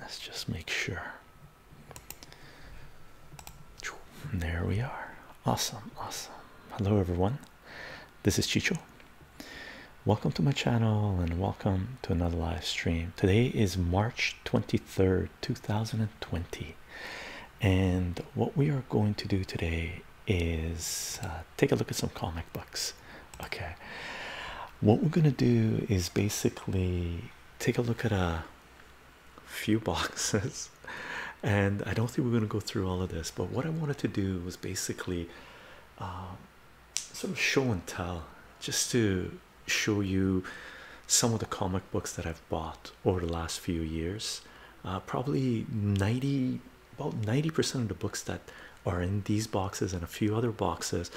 Let's just make sure. There we are. Awesome, awesome. Hello, everyone. This is Chicho. Welcome to my channel and welcome to another live stream. Today is March 23rd, 2020. And what we are going to do today is uh, take a look at some comic books okay what we're gonna do is basically take a look at a few boxes and i don't think we're gonna go through all of this but what i wanted to do was basically um, sort of show and tell just to show you some of the comic books that I've bought over the last few years. Uh, probably 90, about 90% of the books that are in these boxes and a few other boxes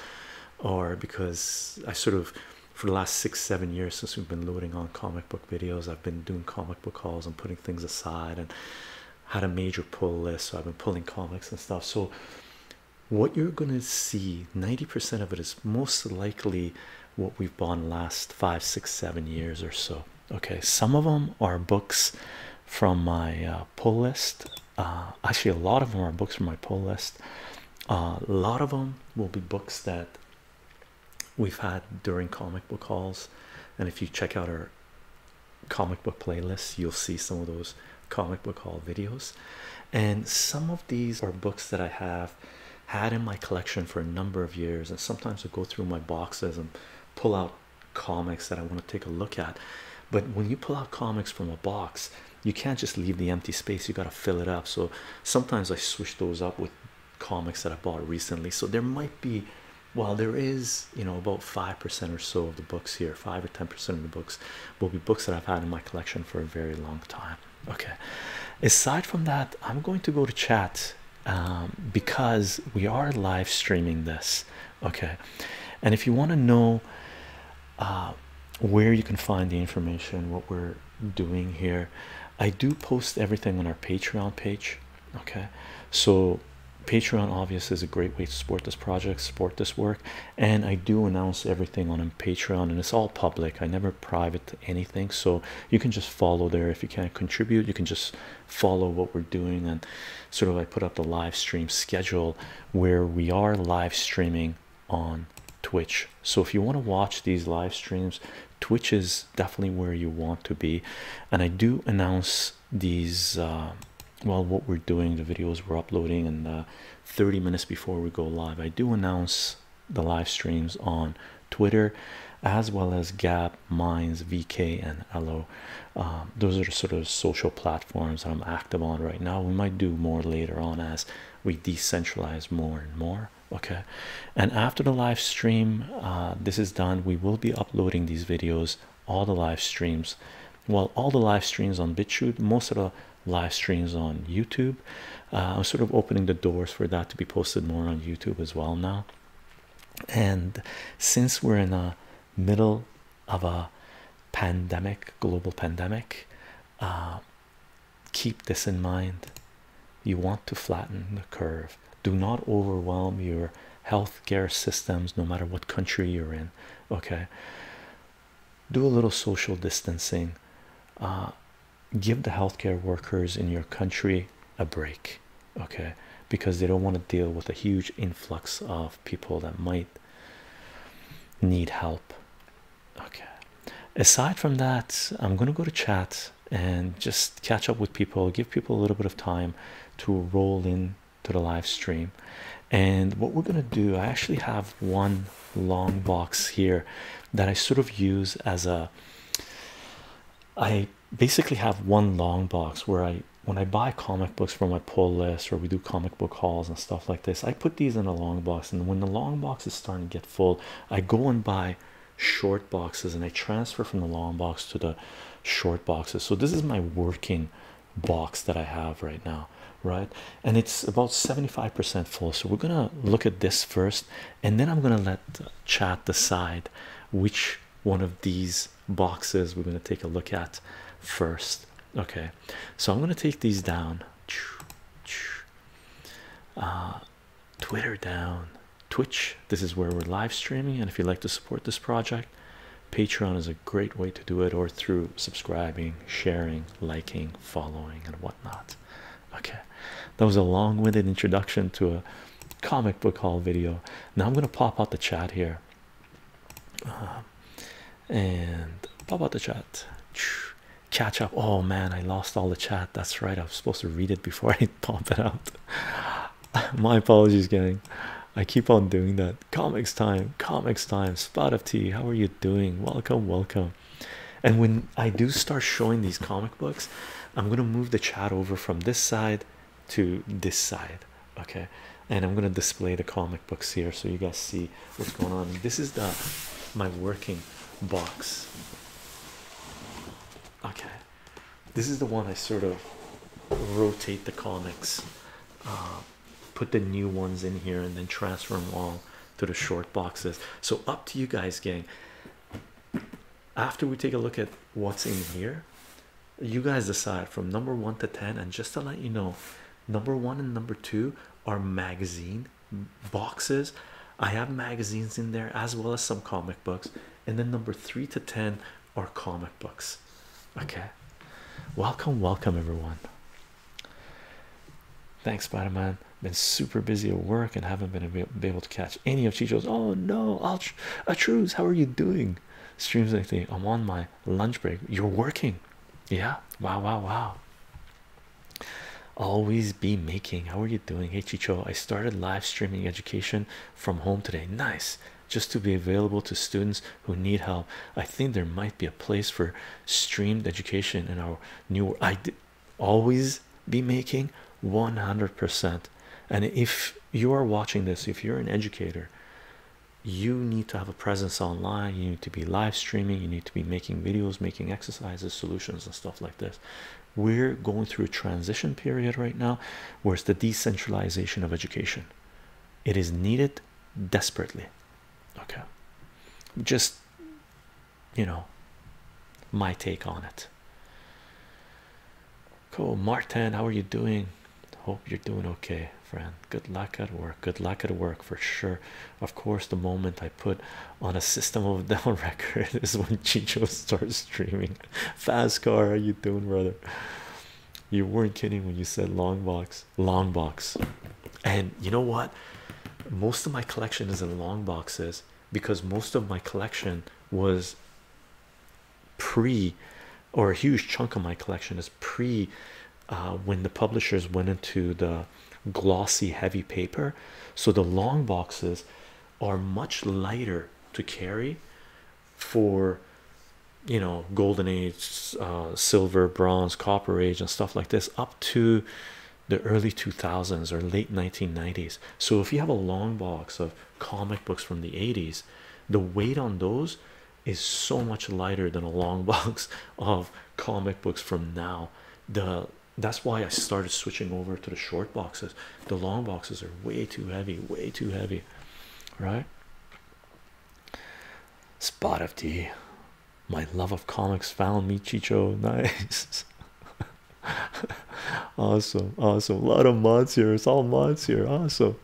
or because I sort of for the last six seven years since we've been loading on comic book videos, I've been doing comic book hauls and putting things aside and had a major pull list, so I've been pulling comics and stuff. So, what you're gonna see 90% of it is most likely what we've bought last five, six, seven years or so. Okay, some of them are books from my uh, pull list uh, actually a lot of them are books from my pull list uh, a lot of them will be books that we've had during comic book hauls and if you check out our comic book playlist, you'll see some of those comic book haul videos and some of these are books that i have had in my collection for a number of years and sometimes i go through my boxes and pull out comics that i want to take a look at but when you pull out comics from a box you can't just leave the empty space you got to fill it up so sometimes i switch those up with comics that i bought recently so there might be well there is you know about five percent or so of the books here five or ten percent of the books will be books that i've had in my collection for a very long time okay aside from that i'm going to go to chat um, because we are live streaming this okay and if you want to know uh, where you can find the information, what we're doing here. I do post everything on our Patreon page. Okay, so Patreon obviously is a great way to support this project, support this work, and I do announce everything on Patreon, and it's all public. I never private anything, so you can just follow there if you can't contribute. You can just follow what we're doing, and sort of I put up the live stream schedule where we are live streaming on Twitch. So if you want to watch these live streams, Twitch is definitely where you want to be. And I do announce these uh, well, what we're doing, the videos we're uploading, and uh, 30 minutes before we go live, I do announce the live streams on Twitter as well as Gap, Minds, VK, and Hello. Um, those are sort of social platforms that I'm active on right now. We might do more later on as we decentralize more and more okay and after the live stream uh, this is done we will be uploading these videos all the live streams well all the live streams on bitchute most of the live streams on youtube uh, i'm sort of opening the doors for that to be posted more on youtube as well now and since we're in the middle of a pandemic global pandemic uh, keep this in mind you want to flatten the curve do not overwhelm your healthcare systems no matter what country you're in okay do a little social distancing uh, give the healthcare workers in your country a break okay because they don't want to deal with a huge influx of people that might need help Okay. Aside from that, I'm gonna go to chat and just catch up with people, give people a little bit of time to roll in to the live stream. And what we're gonna do, I actually have one long box here that I sort of use as a I basically have one long box where I when I buy comic books for my pull list or we do comic book hauls and stuff like this. I put these in a long box, and when the long box is starting to get full, I go and buy short boxes and I transfer from the long box to the short boxes. So, this is my working box that I have right now, right? And it's about 75% full. So, we're gonna look at this first, and then I'm gonna let chat decide which one of these boxes we're gonna take a look at first. Okay, so I'm gonna take these down uh, Twitter down, Twitch. This is where we're live streaming, and if you'd like to support this project, Patreon is a great way to do it, or through subscribing, sharing, liking, following, and whatnot. Okay, that was a long-winded introduction to a comic book haul video. Now I'm gonna pop out the chat here. Uh, and pop out the chat catch up. Oh man, I lost all the chat. That's right. I was supposed to read it before I pop it out. My apologies, gang. I keep on doing that. Comics time, comics time. Spot of tea. How are you doing? Welcome, welcome. And when I do start showing these comic books, I'm gonna move the chat over from this side to this side. Okay, and I'm gonna display the comic comic books here so you guys see what's going on. This is the my working box. Okay, this is the one I sort of rotate the comics, uh, put the new ones in here, and then transfer them all to the short boxes. So, up to you guys, gang. After we take a look at what's in here, you guys decide from number one to ten, and just to let you know, Number one and number two are magazine boxes. I have magazines in there as well as some comic books, and then number three to ten are comic books. Okay, welcome, welcome, everyone. Thanks, Spider Man. Been super busy at work and haven't been able to catch any of Chicho's. Oh no, I'll Atruz, how are you doing? Streams like I'm on my lunch break. You're working, yeah. Wow, wow, wow. Always be making. How are you doing? Hey I started live streaming education from home today. Nice, just to be available to students who need help. I think there might be a place for streamed education in our new. world. I always be making 100%. And if you are watching this, if you're an educator, you need to have presence online you need to be live streaming you need to be making videos making exercises solutions and stuff like this we're going through a transition period right now where it's the decentralization of education it is needed desperately okay just you know my take on it cool martin how are you doing hope you're doing okay friend good luck at work good luck at work for sure of course, the moment I put on a system of down record is when Chicho starts streaming. Fast car, how you doing, brother? You weren't kidding when you said long box, long box. And you know what? Most of my collection is in long boxes because most of my collection was pre or a huge chunk of my collection is pre uh, when the publishers went into the glossy heavy paper so the long boxes are much lighter to carry for you know golden age uh, silver bronze copper age and stuff like this up to the early 2000s or late 1990s so if you have a long box of comic books from the 80s the weight on those is so much lighter than a long box of comic books from now the that's why I started switching over to the short boxes. The long boxes are way too heavy, way too heavy, right? Spot of D, My love of comics found me, Chicho. Nice. awesome, awesome. A lot of mods here. It's all mods here. Awesome.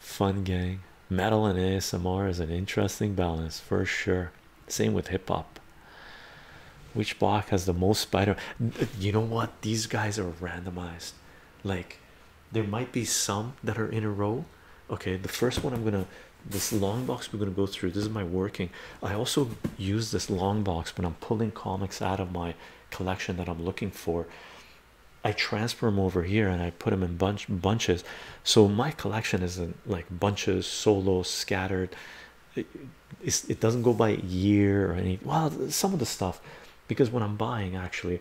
Fun gang metal and ASMR is an interesting balance for sure. Same with hip hop. Which box has the most spider? You know what? These guys are randomized. Like, there might be some that are in a row. Okay, the first one I'm gonna this long box we're gonna go through. This is my working. I also use this long box when I'm pulling comics out of my collection that I'm looking for. I transfer them over here and I put them in bunch bunches. So my collection is a like bunches, solo, scattered. It, doesn't go by year or any. Well, some of the stuff, because when I'm buying, actually,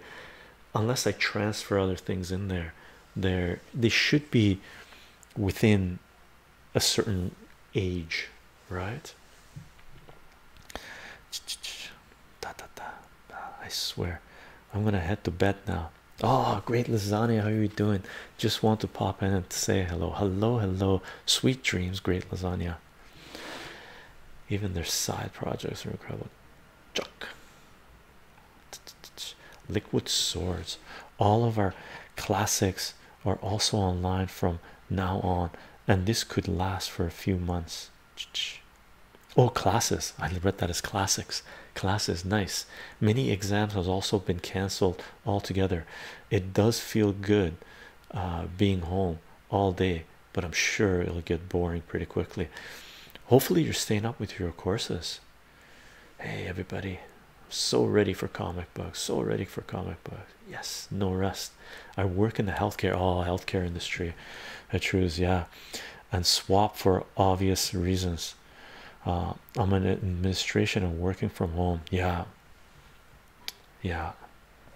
unless I transfer other things in there, there they should be within a certain age, right? I swear, I'm gonna head to bed now. Oh, great lasagna! How are you doing? Just want to pop in and say hello. Hello, hello. Sweet dreams, great lasagna. Even their side projects are incredible. Chuck. Liquid swords. All of our classics are also online from now on, and this could last for a few months. Oh, classes! I read that as classics. Classes, nice. Many exams has also been cancelled altogether. It does feel good uh, being home all day, but I'm sure it'll get boring pretty quickly. Hopefully, you're staying up with your courses. Hey, everybody! I'm so ready for comic books. So ready for comic books. Yes, no rest. I work in the healthcare. Oh, healthcare industry. It trues, yeah and swap for obvious reasons. Uh, I'm in administration and working from home. Yeah, yeah.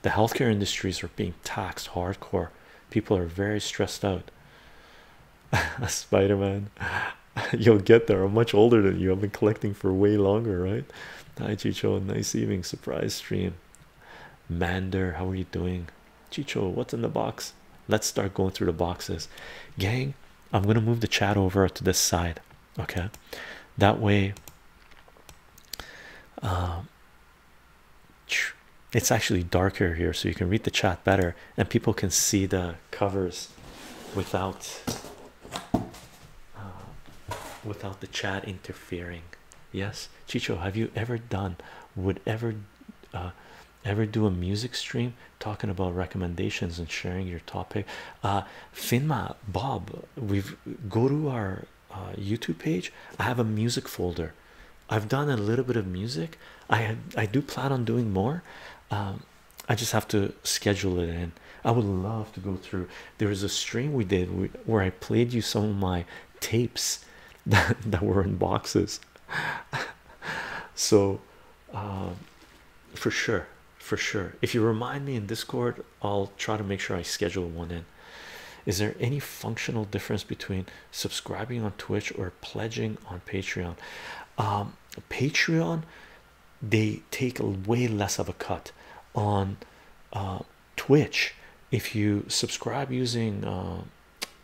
The healthcare industries are being taxed hardcore. People are very stressed out. Spider-Man, you'll get there. I'm much older than you. I've been collecting for way longer, right? Hi Chicho, nice evening. Surprise stream. Mander, how are you doing? Chicho, what's in the box? Let's start going through the boxes. Gang, I'm going to move the chat over to this side, okay? That way, um, it's actually darker here, so you can read the chat better, and people can see the covers without uh, without the chat interfering. Yes, Chicho, have you ever done would ever uh, ever do a music stream talking about recommendations and sharing your topic uh finma bob we've go to our uh, youtube page i have a music folder i've done a little bit of music i i do plan on doing more um, i just have to schedule it in i would love to go through there is a stream we did where i played you some of my tapes that, that were in boxes so um, for sure for sure if you remind me in discord i'll try to make sure i schedule one in is there any functional difference between subscribing on twitch or pledging on patreon um, patreon they take way less of a cut on uh, twitch if you subscribe using uh,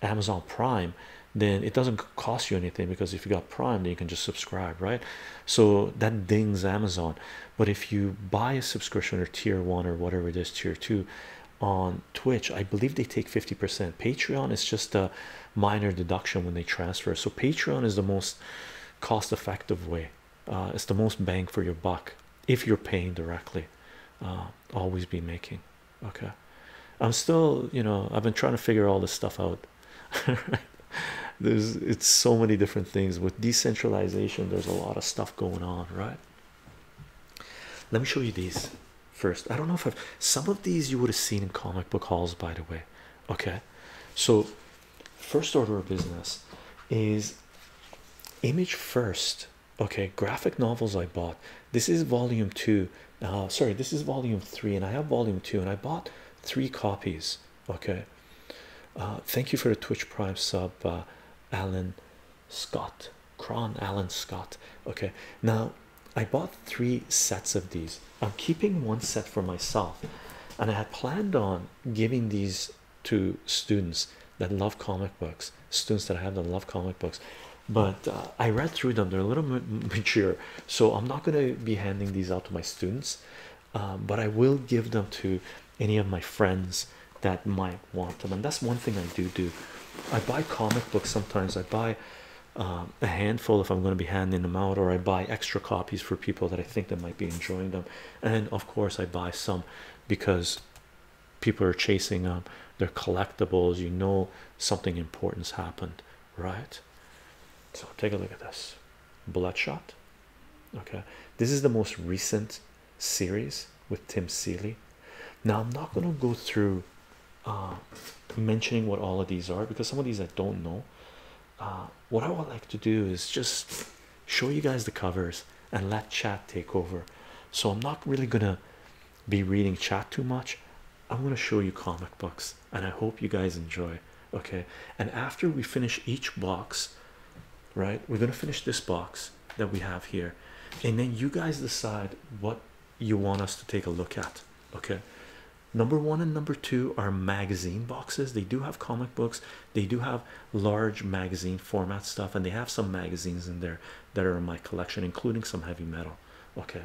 amazon prime then it doesn't cost you anything because if you got Prime, you can just subscribe, right? So that dings Amazon. But if you buy a subscription or tier one or whatever it is, tier two on Twitch, I believe they take 50%. Patreon is just a minor deduction when they transfer. So Patreon is the most cost effective way, uh, it's the most bang for your buck if you're paying directly. Uh, always be making okay i'm still you know i've been trying to figure all this stuff out there's it's so many different things with decentralization there's a lot of stuff going on right let me show you these first i don't know if I've, some of these you would have seen in comic book halls by the way okay so first order of business is image first okay graphic novels i bought this is volume two uh, sorry this is volume three and i have volume two and i bought three copies okay uh, thank you for the twitch prime sub uh, alan scott cron alan scott okay now i bought three sets of these i'm keeping one set for myself and i had planned on giving these to students that love comic books students that I have that love comic books but uh, I read through them, they're a little mature, so I'm not going to be handing these out to my students, um, but I will give them to any of my friends that might want them. And that's one thing I do do. I buy comic books sometimes, I buy um, a handful if I'm going to be handing them out, or I buy extra copies for people that I think might be enjoying them. And of course, I buy some because people are chasing them, um, they're collectibles, you know, something important's happened, right? So take a look at this bloodshot. Okay, this is the most recent series with Tim Seeley. Now, I'm not gonna go through uh, mentioning what all of these are because some of these I don't know. Uh, what I would like to do is just show you guys the covers and let chat take over. So, I'm not really gonna be reading chat too much. I'm gonna show you comic books and I hope you guys enjoy. Okay, and after we finish each box, right, we're gonna finish this box that we have here, and then you guys decide what you want us to take a look at. Okay, number one and number two are magazine boxes, they do have comic books, they do have large magazine format stuff, and they have some magazines in there that are in my collection, including some heavy metal. Okay,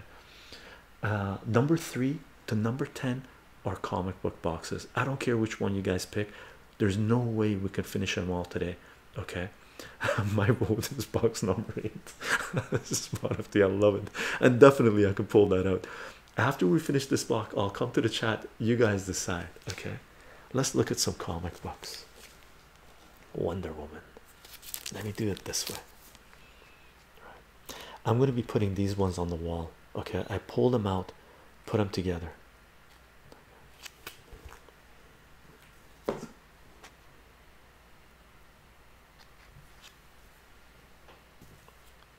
uh, number three to number 10 are comic book boxes. I don't care which one you guys pick, there's no way we can finish them all today. Okay, my vote is box number eight. this is part of the I love it, and definitely I can pull that out after we finish this block. I'll come to the chat, you guys decide. Okay, let's look at some comic books. Wonder Woman, let me do it this way i'm going to be putting these ones on the wall okay i pull them out put them together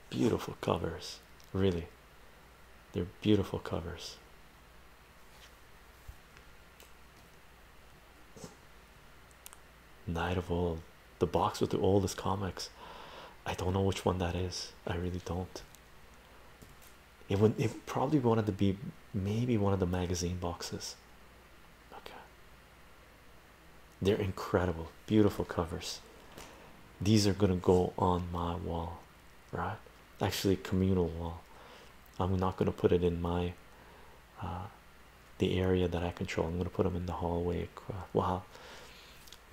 beautiful covers really they're beautiful covers night of old the box with the oldest comics. I don't know which one that is. I really don't. It would. It probably wanted to be maybe one of the magazine boxes. They're incredible, beautiful covers. These are gonna go on my wall, right? Actually, communal wall. I'm not gonna put it in my uh, the area that I control. I'm going to put them in the hallway. Wow,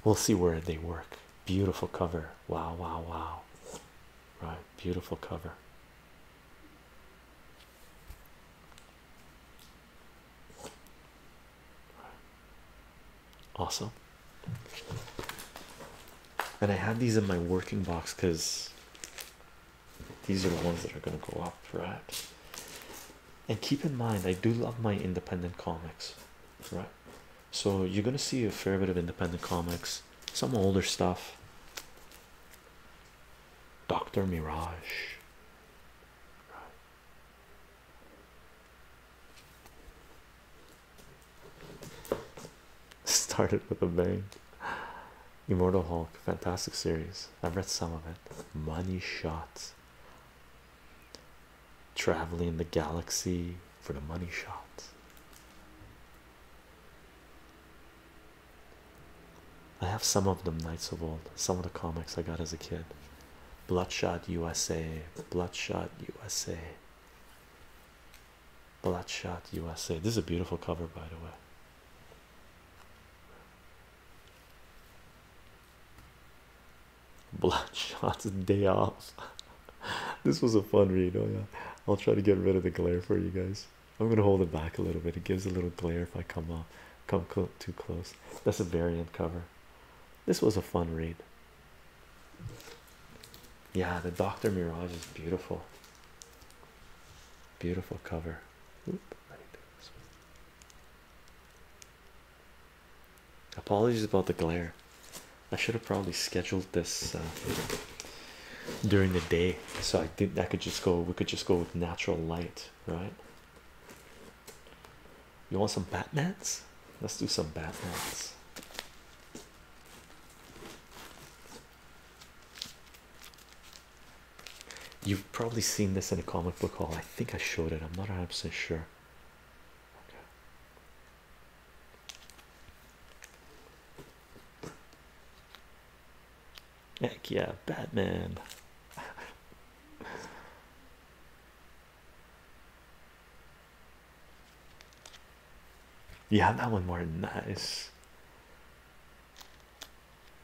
we'll see where they work. Beautiful cover. Wow, wow, wow. Right, beautiful cover. Awesome. And I have these in my working box because these are the ones that are going to go up, right? and keep in mind i do love my independent comics right so you're going to see a fair bit of independent comics some older stuff dr mirage Started with a bang. Immortal Hulk, fantastic series. I've read some of it. Money shots traveling the galaxy for the money shot. I have some of them, Knights of Old, some of the comics I got as a kid. Bloodshot USA, Bloodshot USA, Bloodshot USA. This is a beautiful cover, by the way. Bloodshot's day off. this was a fun read. Oh yeah, I'll try to get rid of the glare for you guys. I'm gonna hold it back a little bit. It gives a little glare if I come up, come too close. That's a variant cover. This was a fun read. Yeah, the Doctor Mirage is beautiful. Beautiful cover. Apologies about the glare. I should have probably scheduled this uh, during the day, so I think that could just go. We could just go with natural light, right? You want some Batmans? Let's do some Batmans. You've probably seen this in a comic book hall. I think I showed it. I'm not absolutely sure. Heck yeah, Batman. yeah, that one was nice.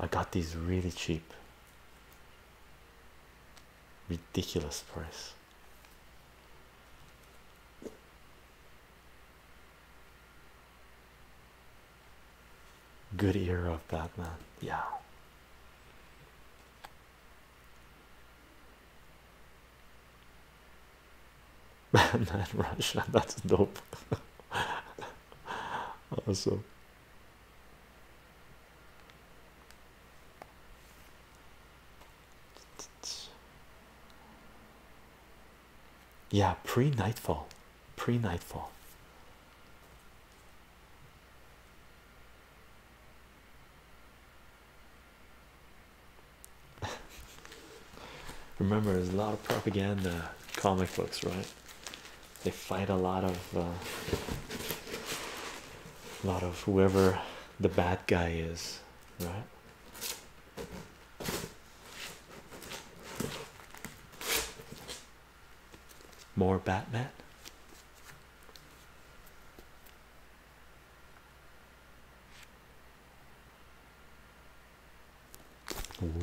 I got these really cheap, ridiculous price. Good ear of Batman, yeah. Batman Russia, that's dope. Also. Yeah, pre nightfall, pre nightfall. Remember, there's a lot of propaganda comic books, right? they fight a lot of uh, lot of whoever the bad guy is right more batman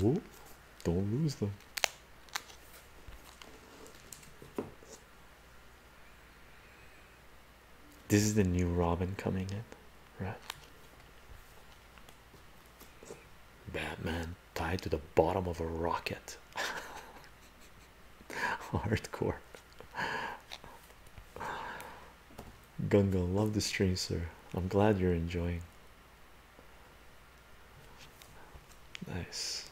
Ooh, don't lose them this is the new Robin coming in, right? Batman tied to the bottom of a rocket. Hardcore. Gunga, love the stream, sir. I'm glad you're enjoying. Nice.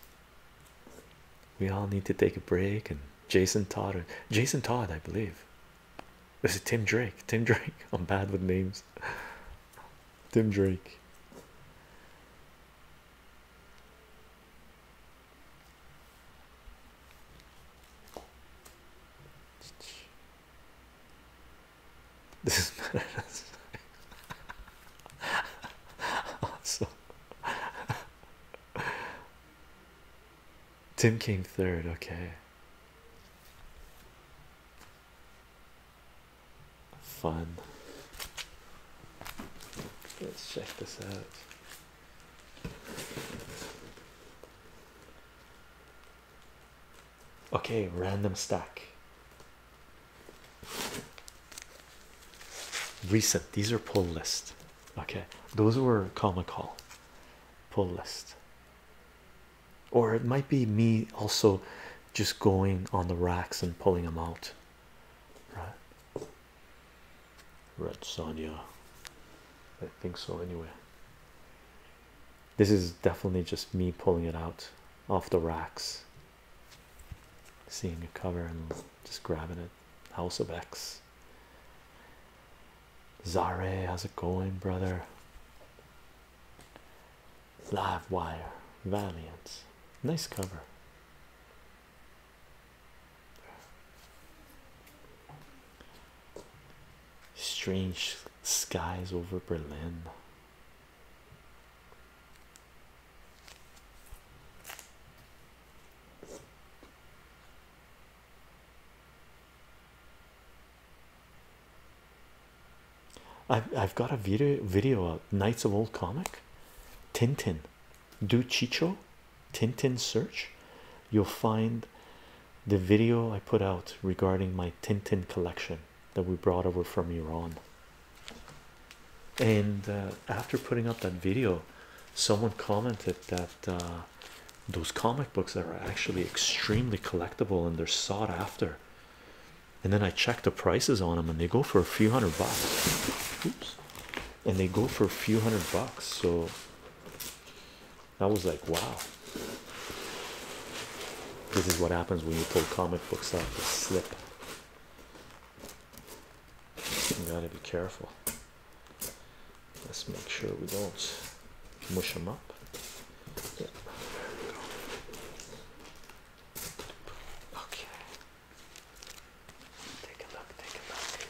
We all need to take a break. And Jason Todd, Jason Todd, I believe. This is Tim Drake. Tim Drake. I'm bad with names. Tim Drake. This is awesome. Tim came third, okay. Fun. Let's check this out. Okay, random stack. Recent, these are pull list. Okay, those were comic call, pull list, or it might be me also just going on the racks and pulling them out, right? Red Sonia, I think so, anyway. This is definitely just me pulling it out off the racks seeing a cover and just grabbing it. House of X. Zare, how's it going, brother? Live wire, Valiant, nice cover. Strange skies over Berlin. I've, I've got a video video of uh, Knights of Old Comic Tintin do Chicho Tintin search you'll find the video I put out regarding my Tintin collection that we brought over from Iran. And uh, after putting up that video, someone commented that uh, those comic books are actually extremely collectible and they're sought after. And then I checked the prices on them, and they go for a few hundred bucks. Oops. And they go for a few hundred bucks. So I was like, wow. This is what happens when you pull comic books out the slip. You gotta be careful. Let's make sure we don't mush them up. Yeah. There we go. Okay. Take a look, take a look.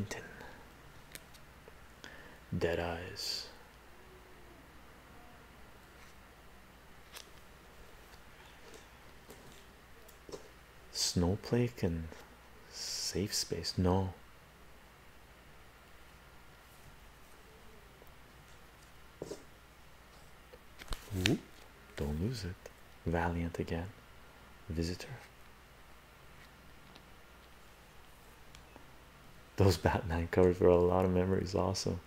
Tintin. Dead Eyes. Snowflake and safe space. No. don't lose it. Valiant again. Visitor. Those Batman covers were a lot of memories, also.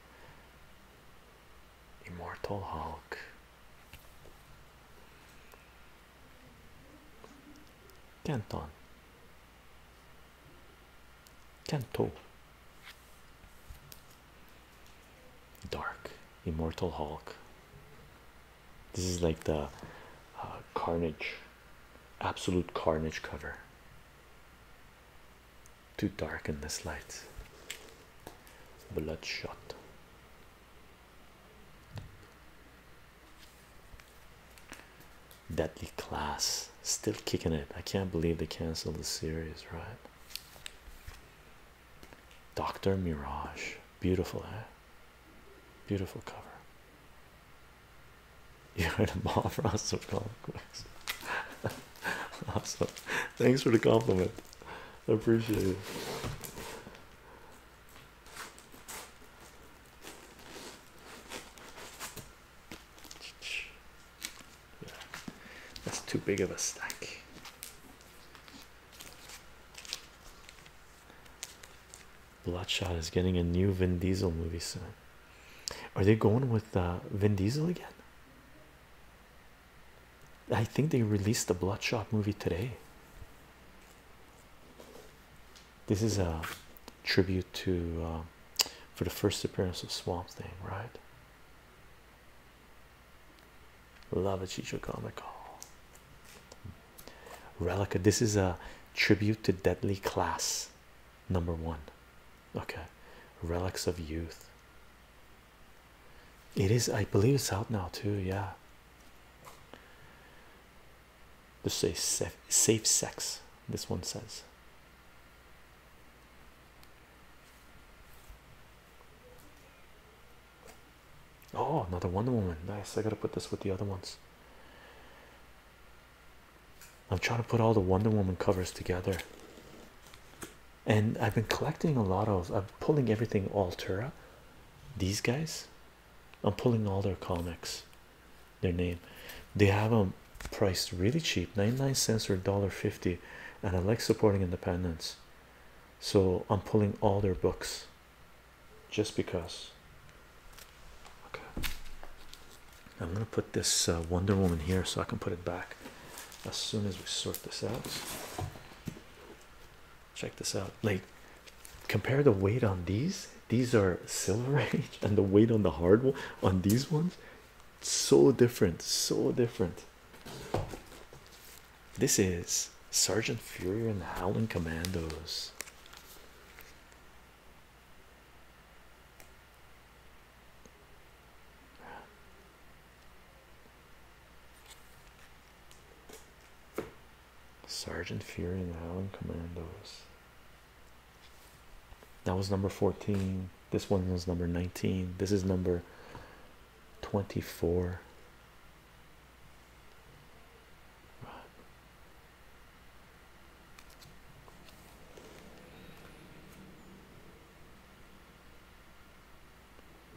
Immortal Hulk. Canton. Canto. Dark. Immortal Hulk. This is like the uh, Carnage, Absolute Carnage cover. Too dark in this light. Bloodshot. Deadly Class still kicking it. I can't believe they canceled the series, right? Dr. Mirage, beautiful, eh? Beautiful cover. You heard a Bob Ross of awesome. Thanks for the compliment. I appreciate it. That's too big of a stack. Bloodshot is getting a new Vin Diesel movie soon. Are they going with uh, Vin Diesel again? I think they released the Bloodshot movie today. This is a tribute to um, for the first appearance of Swamp Thing, right? Love it, Chicho Comical. Relica. This is a tribute to Deadly Class, number one okay relics of youth it is i believe it's out now too yeah To say safe, safe sex this one says oh another wonder woman nice i gotta put this with the other ones i'm trying to put all the wonder woman covers together and I've been collecting a lot of I'm pulling everything Altura. These guys, I'm pulling all their comics, their name. They have them priced really cheap 99 cents or $1.50, and I like supporting independence. So I'm pulling all their books just because. Okay. I'm gonna put this uh, Wonder Woman here so I can put it back as soon as we sort this out. Check this out. Like, compare the weight on these. These are Silver Age, and the weight on the hard one on these ones so different. So different. This is Sergeant Fury and Howling Commandos. Sergeant Fury and Howling Commandos. That was number 14. This one was number 19. This is number 24.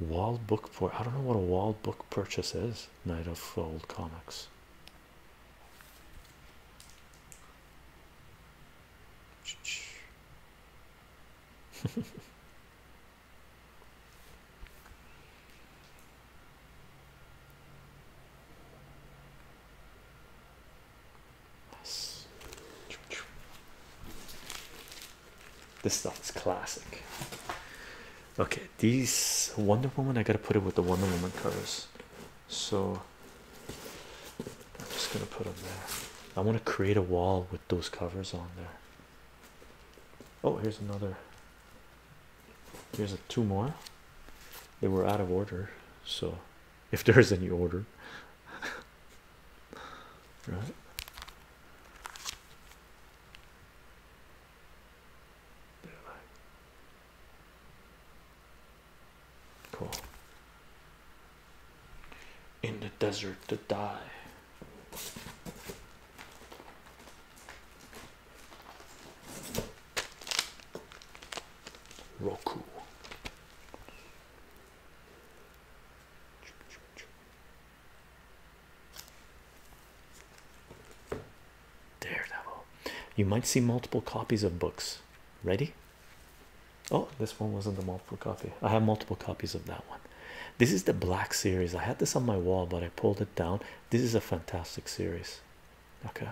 Wall book for I don't know what a wall book purchase is. Night of old Comics. Yes. This stuff is classic. Okay, these Wonder Woman, I gotta put it with the Wonder Woman covers. So I'm just gonna put them there. I want to create a wall with those covers on there. Oh, here's another. Here's two more. They were out of order, so if there's any order, right? cool. In the desert to die. Roku Daredevil. You might see multiple copies of books. Ready? Oh, this one wasn't the multiple copy. I have multiple copies of that one. This is the Black series. I had this on my wall, but I pulled it down. This is a fantastic series. Okay,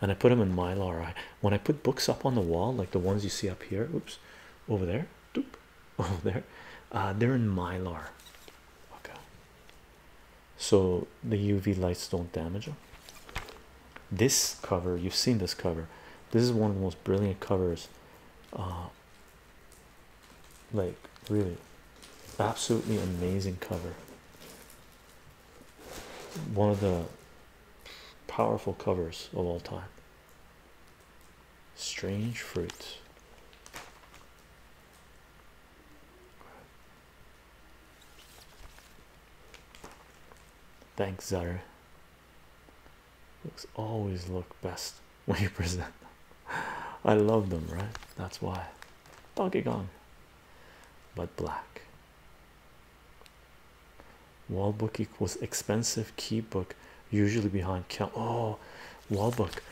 and I put them in Mylar. I when I put books up on the wall, like the ones you see up here. Oops, over there over there uh, they're in mylar okay so the uv lights don't damage them this cover you've seen this cover this is one of the most brilliant covers uh, like really absolutely amazing cover one of the powerful covers of all time strange fruit thanks zara looks always look best when you present them i love them right that's why donkey gone but black wall book equals expensive key book usually behind count oh wall book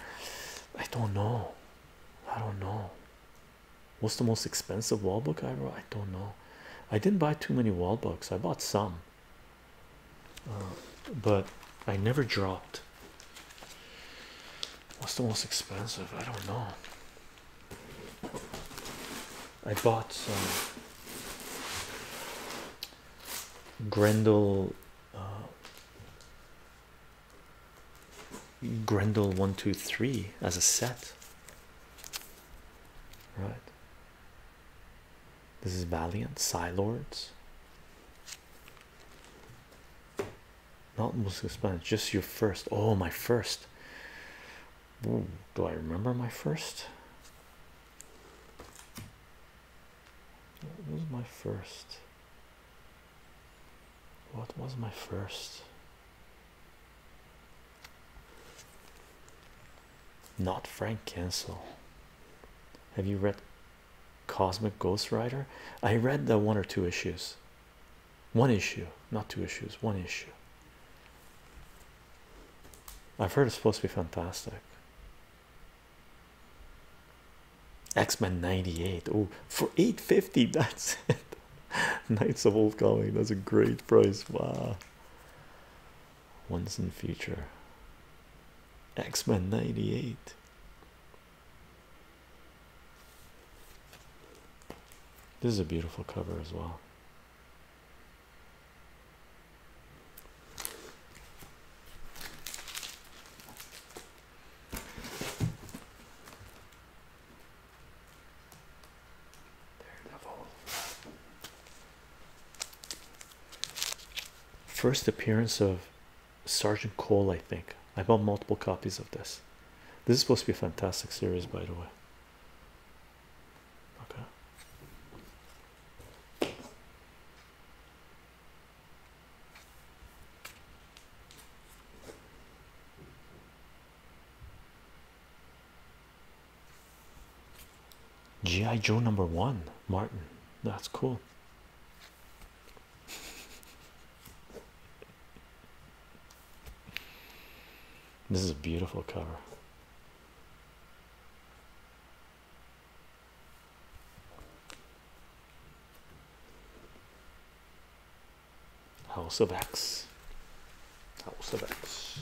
i don't know i don't know what's the most expensive wall book i wrote i don't know i didn't buy too many wall books i bought some uh, but i never dropped what's the most expensive i don't know I bought some Grendel uh, Grendel one two three as a set, right? This is Valiant Silords. Not most Spanish, just your first. Oh, my first. do I remember my first? What was my first? What was my first? Not Frank Cancel. Have you read Cosmic Ghost Rider? I read the one or two issues. One issue, not two issues, one issue. I've heard it's supposed to be fantastic. X-Men 98. Oh, for 850, that's it. Knights of Old Comic, that's a great price. Wow. Once in future. X-Men 98. This is a beautiful cover as well. First appearance of Sergeant Cole, I think. I bought multiple copies of this. This is supposed to be a fantastic series, by the way. Okay. G.I. Joe number one, Martin. That's cool. This is a beautiful cover. House of X. House of X.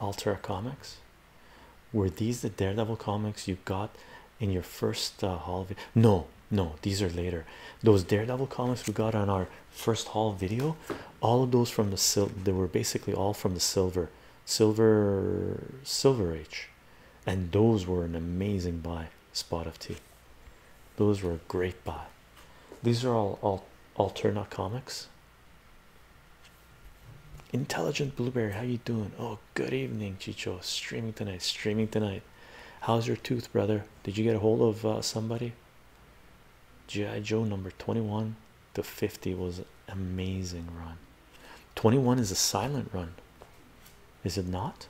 Alter Comics. Were these the Daredevil comics you got in your first uh, haul video? No, no, these are later. Those Daredevil comics we got on our first haul video, all of those from the silver. They were basically all from the silver, silver, silver age, and those were an amazing buy. Spot of tea. Those were a great buy. These are all, all alternate comics. Intelligent Blueberry, how you doing? Oh, good evening, Chicho. Streaming tonight. Streaming tonight. How's your tooth, brother? Did you get a hold of uh, somebody? GI Joe number twenty-one to fifty was amazing run. Twenty-one is a silent run, is it not?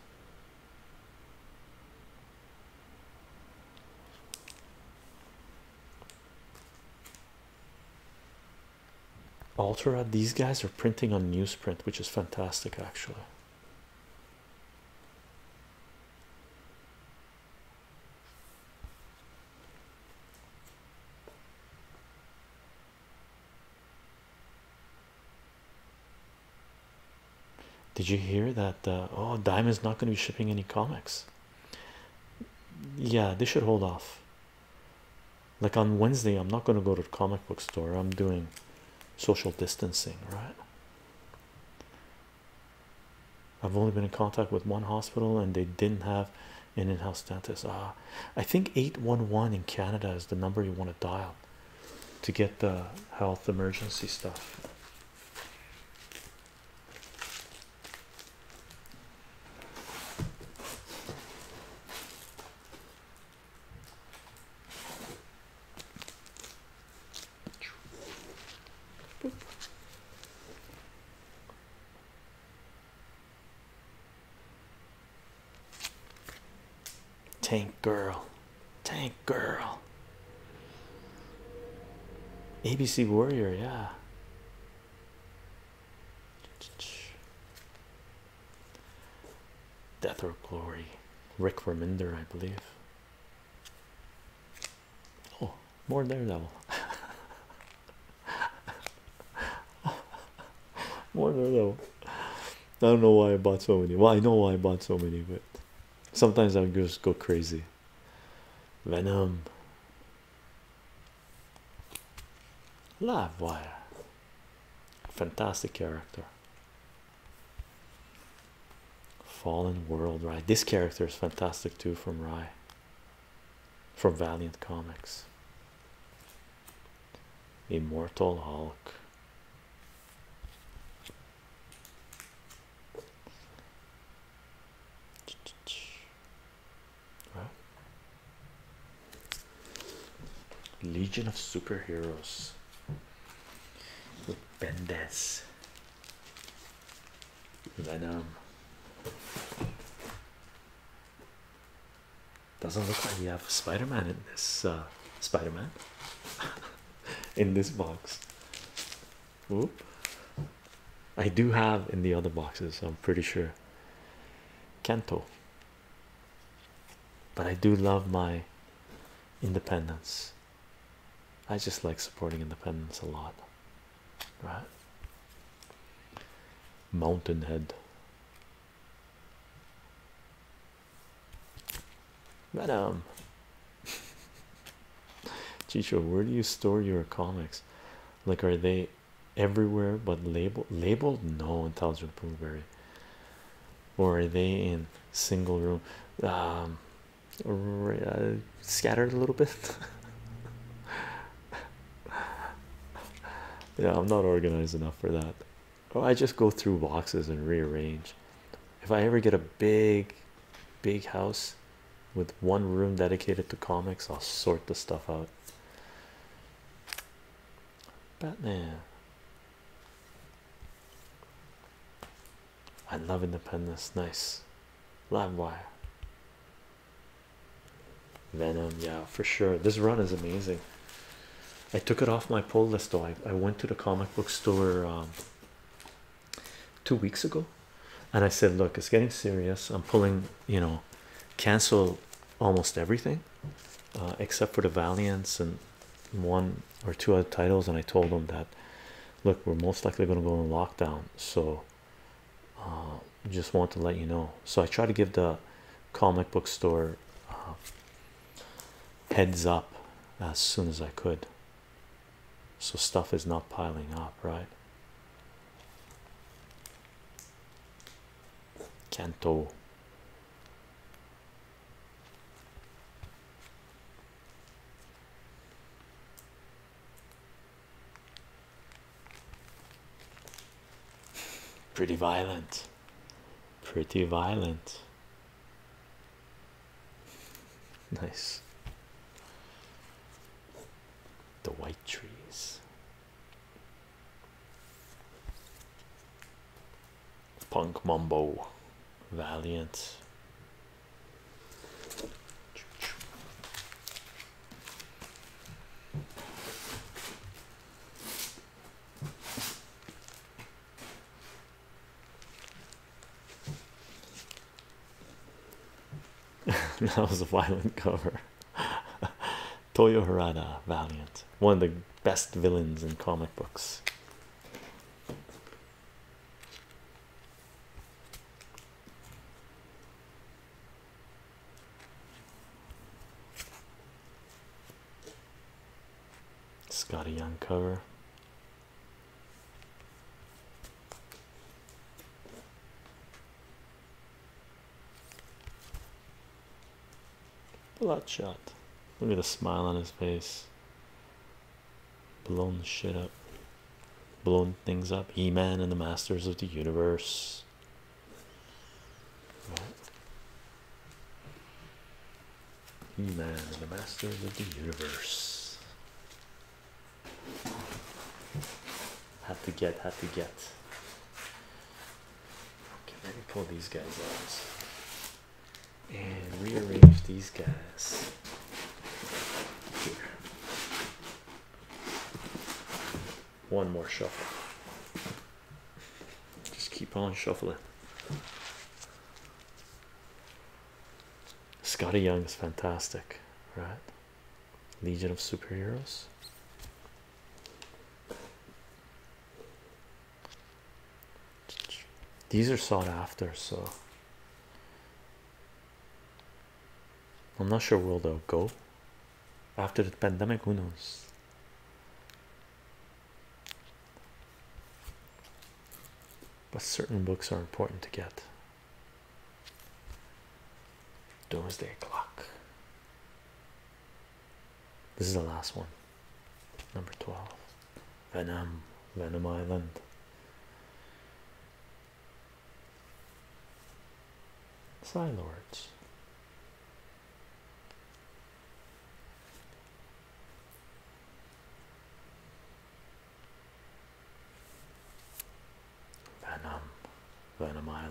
Ultra, these guys are printing on newsprint, which is fantastic actually. Did you hear that? Uh, oh, Diamond's not going to be shipping any comics. Yeah, they should hold off. Like on Wednesday, I'm not going to go to the comic book store. I'm doing social distancing, right? I've only been in contact with one hospital, and they didn't have an in-house dentist. Ah, I think eight one one in Canada is the number you want to dial to get the health emergency stuff. Tank girl. Tank girl. ABC Warrior, yeah. Death or Glory, Rick Reminder, I believe. Oh, more Daredevil. more Daredevil. I don't know why I bought so many. Well, I know why I bought so many, but sometimes I just go crazy. Venom, Livewire, fantastic character. Fallen World, right? This character is fantastic too from Rye from Valiant Comics. Immortal Hulk. Legion of Superheroes with Bendis, Venom. Doesn't look like we have spider in this uh, Spider-Man in this box. Oop. I do have in the other boxes, I'm pretty sure. Kento. But I do love my independence. I just like supporting independence a lot. Right? Mountain Head. madam. Chicho, where do you store your comics? Like, are they everywhere but label labeled? No, intelligent blueberry. Or are they in single room? Um, uh, scattered a little bit. yeah, I'm not organized enough for that. Oh, I just go through boxes and rearrange. If I ever get a big big house with one room dedicated to comics. I'll sort the stuff out. Batman. I love independence. Nice. Livewire. Venom. Yeah, for sure. This run is amazing. I took it off my pull list though. I, I went to the comic book store um, two weeks ago and i said look it's getting serious i'm pulling you know cancel almost everything uh, except for the valiants and one or two other titles and i told them that look we're most likely going to go in lockdown so uh, just want to let you know so i try to give the comic book store uh, heads up as soon as i could so stuff is not piling up, right? Canto. Pretty violent, pretty violent. Nice. The white trees. Punk Mumbo Valiant. that was a violent cover. Toyo Harada, Valiant, one of the best villains in comic books. Scotty Young cover. Bloodshot. Look at the smile on his face. Blown shit up. Blown things up. He Man and the Masters of the Universe. He Man and the Masters of the Universe. Had to get, had to get. Okay, let me pull these guys out and rearrange these guys here. One more shuffle. Just keep on shuffling. Scotty Young is fantastic, right? Legion of Superheroes. These are sought after, so I'm not sure where they'll go after the pandemic. Who knows? But certain books are important to get. Doomsday Clock. This is the last one. Number 12. Venom. Venom Island. Silords. Venom, Venom Island.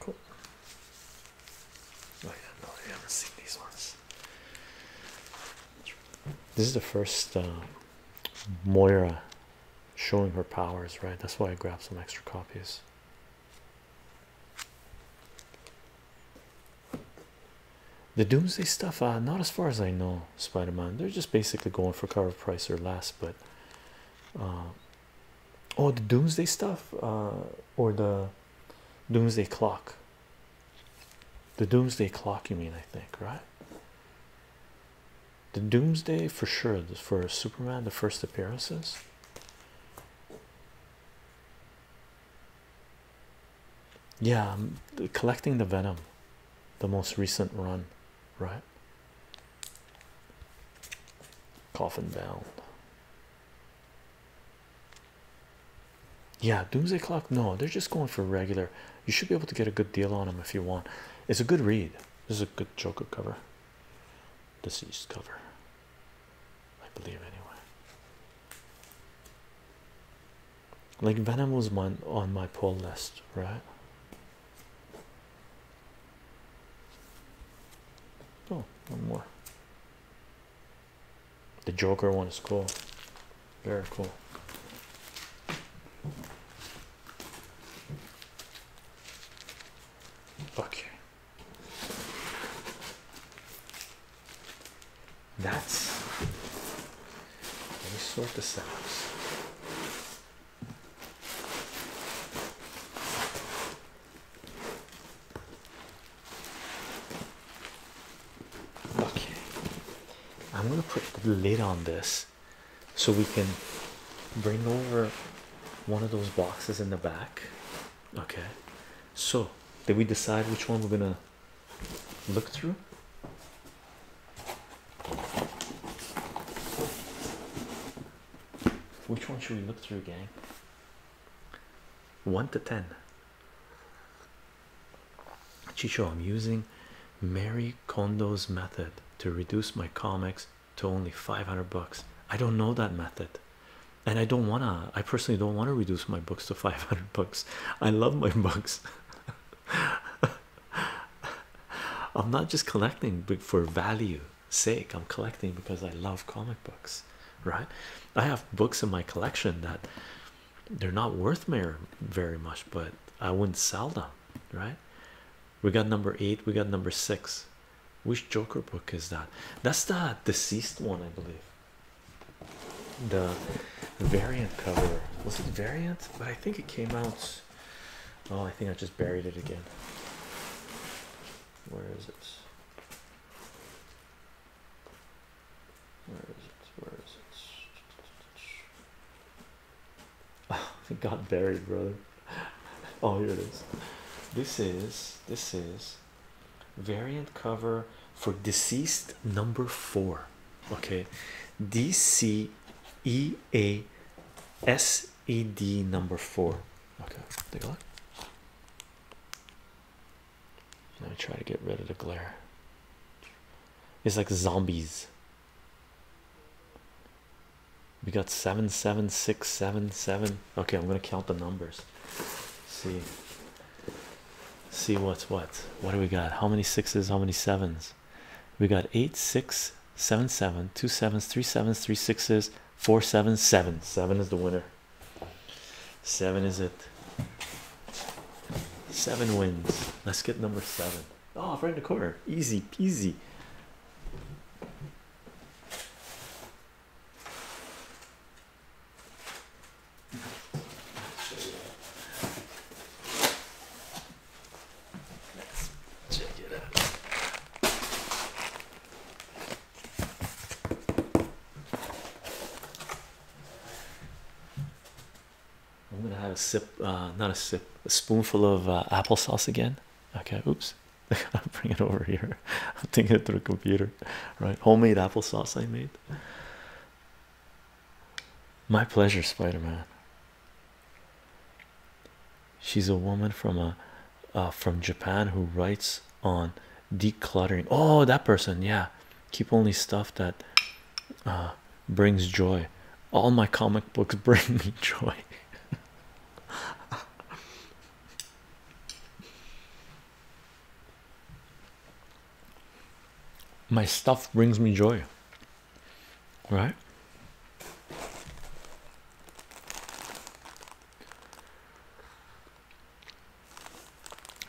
Cool. Oh yeah, no, I haven't seen these ones. This is the first uh, Moira showing her powers, right? That's why I grabbed some extra copies. The doomsday stuff, uh, not as far as I know, Spider Man. They're just basically going for cover price or less, but uh, oh, the doomsday stuff, uh, or the doomsday clock, the doomsday clock, you mean, I think, right? The doomsday for sure for Superman, the first appearances yeah I'm um, collecting the venom the most recent run right coffin bound yeah doomsday clock no they're just going for regular you should be able to get a good deal on them if you want it's a good read this is a good joker cover deceased cover I believe, anyway. Like Venom was one on my poll list, right? Oh, one more. The Joker one is cool. Very cool. Okay. That's let me sort this out. Okay, I'm gonna put the lid on this so we can bring over one of those boxes in the back Okay, so did we decide which one we're gonna look through? Which one should we look through, gang? One to ten. Chicho, I'm using Mary Kondo's method to reduce my comics to only 500 bucks. I don't know that method and I don't wanna I personally don't want to reduce my books to 500 books I love my books I'm not just collecting for value sake I'm collecting because I love comic books right I have books in my collection that they're not worth mere very much but I wouldn't sell them right we got number eight we got number six which Joker book is that that's the deceased one I believe the variant cover was it variant but i think it came out oh i think i just buried it again where is it where is it where is it oh it got buried brother oh here it is this is this is variant cover for deceased number four. Okay, D C E A S E D number four. Okay, take a look. Let me try to get rid of the glare. It's like zombies. We got seven, seven, six, seven, seven. Okay, I'm gonna count the numbers. see, see what's what what do we got how many sixes how many sevens we got eight six seven seven two sevens three sevens three sixes four sevens seven seven is the winner seven is it seven wins let's get number seven. seven oh right in the corner easy peasy I'm gonna have a sip, uh, not a sip, a spoonful of uh, applesauce again. Okay, oops, I'll bring it over here. I'm thinking it through a computer, right? Homemade applesauce I made. My pleasure, Spider Man. She's a woman from a uh, uh, from Japan who writes on decluttering. Oh, that person, yeah. Keep only stuff that uh, brings joy. All my comic books bring me joy. my stuff brings me joy right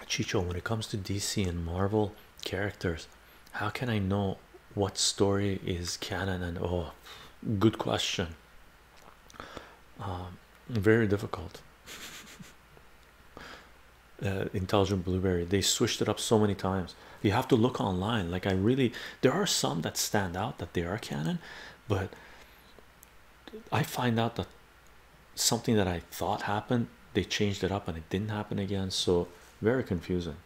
Chicho, when it comes to DC and Marvel characters, how can I know what story is canon and oh, good question? Um, very difficult. uh, intelligent blueberry they switched it up so many times you have to look online like i really there are some that stand out that they are canon but i find out that something that i thought happened they changed it up and it didn't happen again so very confusing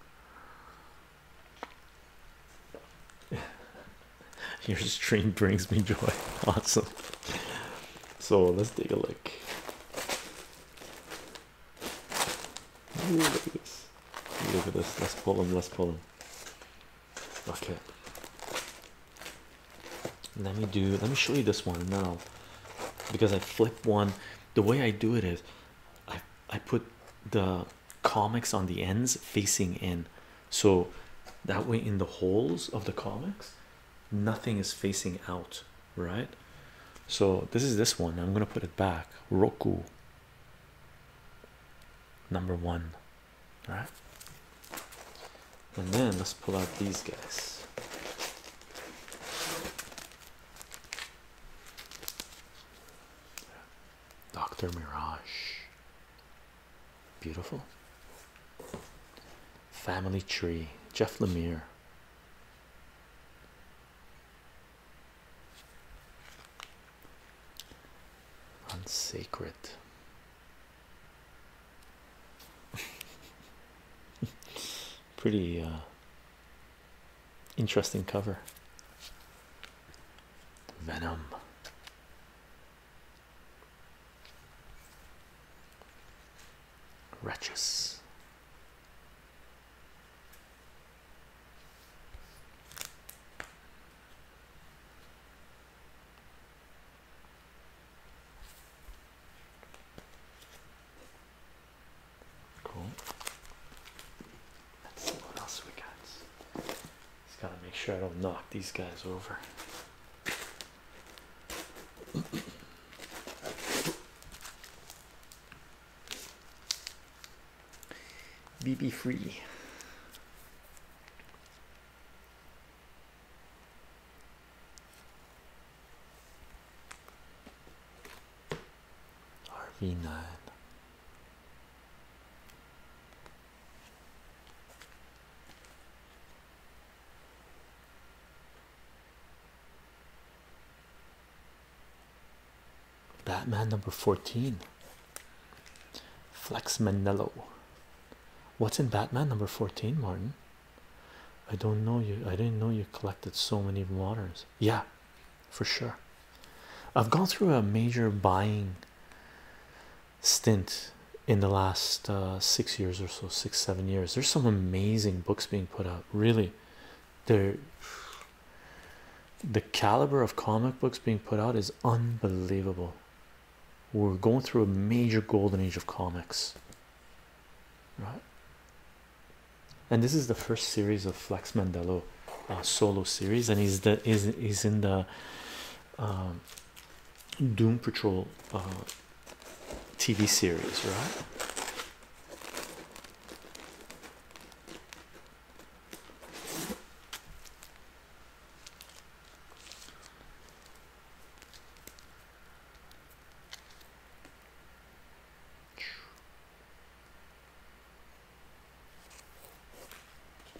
your stream brings me joy awesome so let's take a look. look at this. Look at this. Let's pull them. Let's pull them. Okay. Let me do. Let me show you this one now, because I flip one. The way I do it is, I I put the comics on the ends facing in, so that way in the holes of the comics nothing is facing out, right? So this is this one. I'm gonna put it back. Roku number one. All right. And then let's pull out these guys. Dr. Mirage. Beautiful. Family Tree, Jeff Lemire. Unsacred. Pretty uh, interesting cover. Venom wretches. Cool. Let's see what else we got. Just gotta make sure I don't knock these guys over. BB free. RV9. Batman number 14 Flex Manello. What's in Batman number 14, Martin? I don't know you. I didn't know you collected so many moderns. Yeah, for sure. I've gone through a major buying stint in the last uh, six years or so, six, seven years. There's some amazing books being put out, really. they the caliber of comic books being put out is unbelievable. We're going through a major golden age of comics, right? And this is the first series of Flex Mandelo uh, solo series, and he's the is is in the uh, Doom Patrol TV series, right?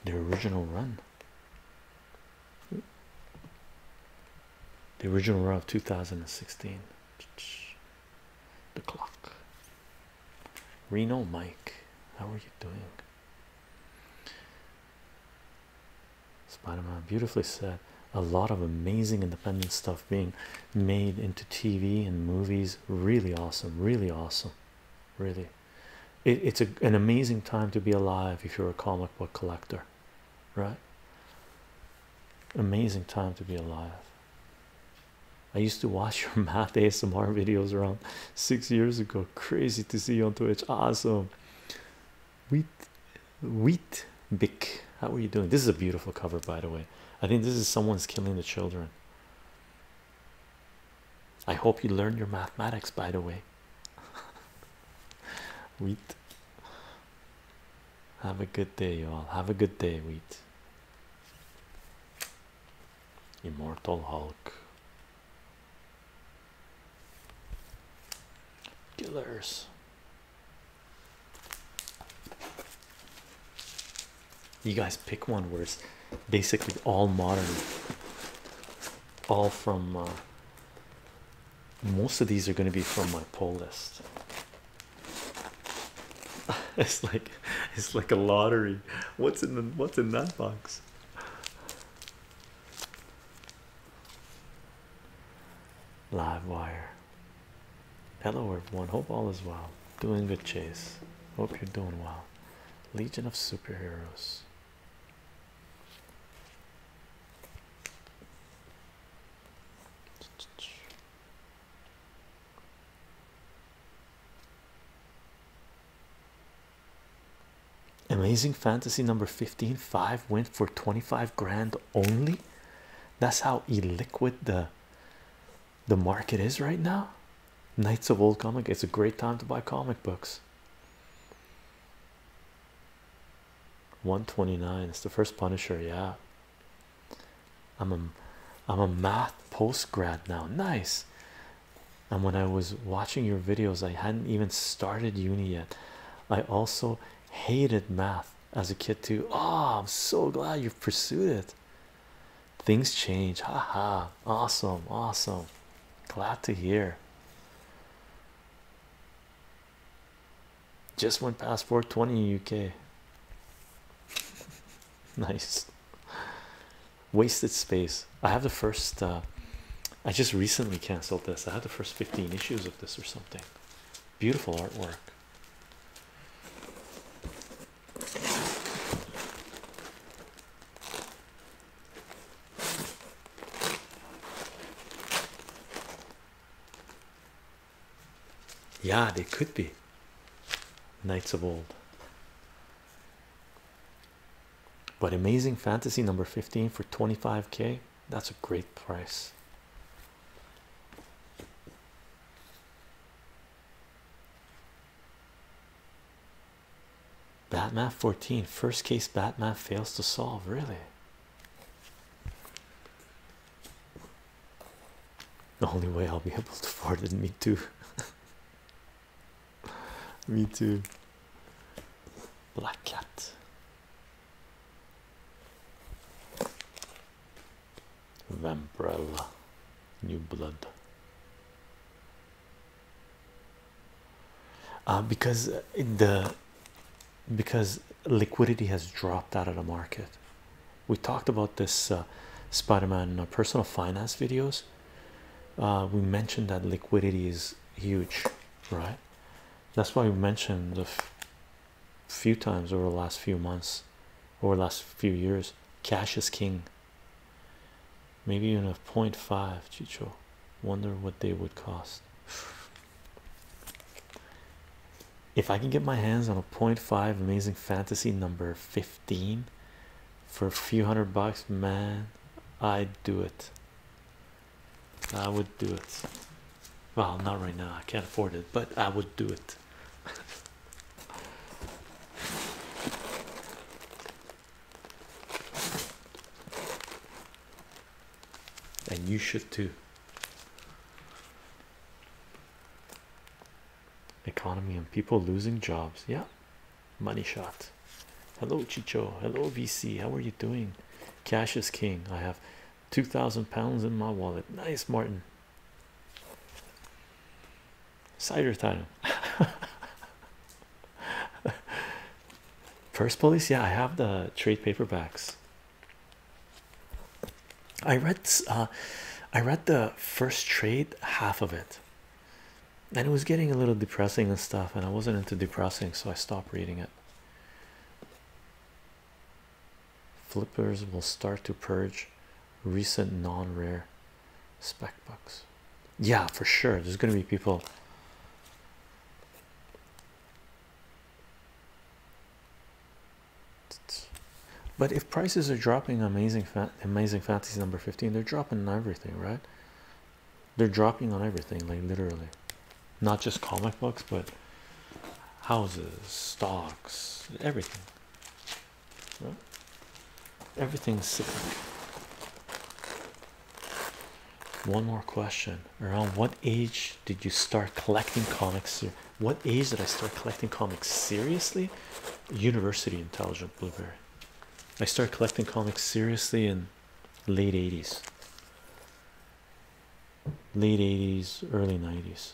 The original run the original run of 2016. The clock. Reno Mike, how are you doing? Spider Man beautifully said a lot of amazing independent stuff being made into TV and movies. Really awesome, really awesome, really. it's an amazing time to be alive if you're a comic book collector right? Amazing time to be alive. I used to watch your math ASMR videos around six years ago. Crazy to see you on Twitch. Awesome. Wheat Wheat Bick. How are you doing? This is a beautiful cover, by the way. I think this is someone's killing the children. I hope you learned your mathematics, by the way. Wheat. Have a good day, y'all. Have a good day, Wheat. Immortal Hulk. Killers. You guys pick one where it's basically all modern, all from uh, most of these are going to be from my pull list. It's like it's like a lottery. What's in the what's in that box? Live wire. Hello everyone. Hope all is well. Doing good, Chase. Hope you're doing well. Legion of superheroes. Amazing Fantasy number 15 5 went for 25 grand only. That's how illiquid the the market is right now. Knights of Old Comic, it's a great time to buy comic books. 129 it's the first punisher yeah i'm a i'm a math post grad now nice and when i was watching your videos i hadn't even started uni yet i also hated math as a kid too oh i'm so glad you pursued it things change haha -ha. awesome awesome glad to hear just went past 420 UK. nice. Wasted space. I have the first. Uh, I just recently canceled this. I had the first 15 issues of this or something. Beautiful artwork. Yeah, they could be knights of old. But amazing fantasy number 15 for 25k. That's a great price. Batman 14 first case Batman fails to solve really the only way I'll be able to afford it, me too. me too. Black cat. Vamprella. New blood. Uh, because in the because liquidity has dropped out of the market. We talked about this uh, Spiderman uh, personal finance videos. Uh, we mentioned that liquidity is huge, right? That's why we mentioned a few times over the last few months, over the last few years, cash is king. Maybe even a 0.5 Chicho. Wonder what they would cost. If I can get my hands on a 0.5 amazing fantasy number 15 for a few hundred bucks, man, I'd do it. I would do it. Well, not right now, I can't afford it, but I would do it and you should too. Economy and people losing jobs. Yeah, money shot. Hello, Chicho. Hello, VC. How are you doing? Cash is king. I have two thousand pounds in my wallet. Nice, Martin. Cider title. First police, yeah, I have the trade paperbacks. I read uh, I read the first trade half of it and it was getting a little depressing and stuff and I wasn't into depressing so I stopped reading it. Flippers will start to purge recent non-rare spec bucks. Yeah, for sure. There's going to be people but if prices are dropping, amazing fat, amazing fantasy number 15, they're dropping on everything, right? They're dropping on everything, like literally, not just comic books, but houses, stocks, everything. Everything's sick. One more question around what age did you start collecting comics? What age did I start collecting comics seriously? University intelligent blueberry. I started collecting comics seriously in late 80s, late 80s, early 90s.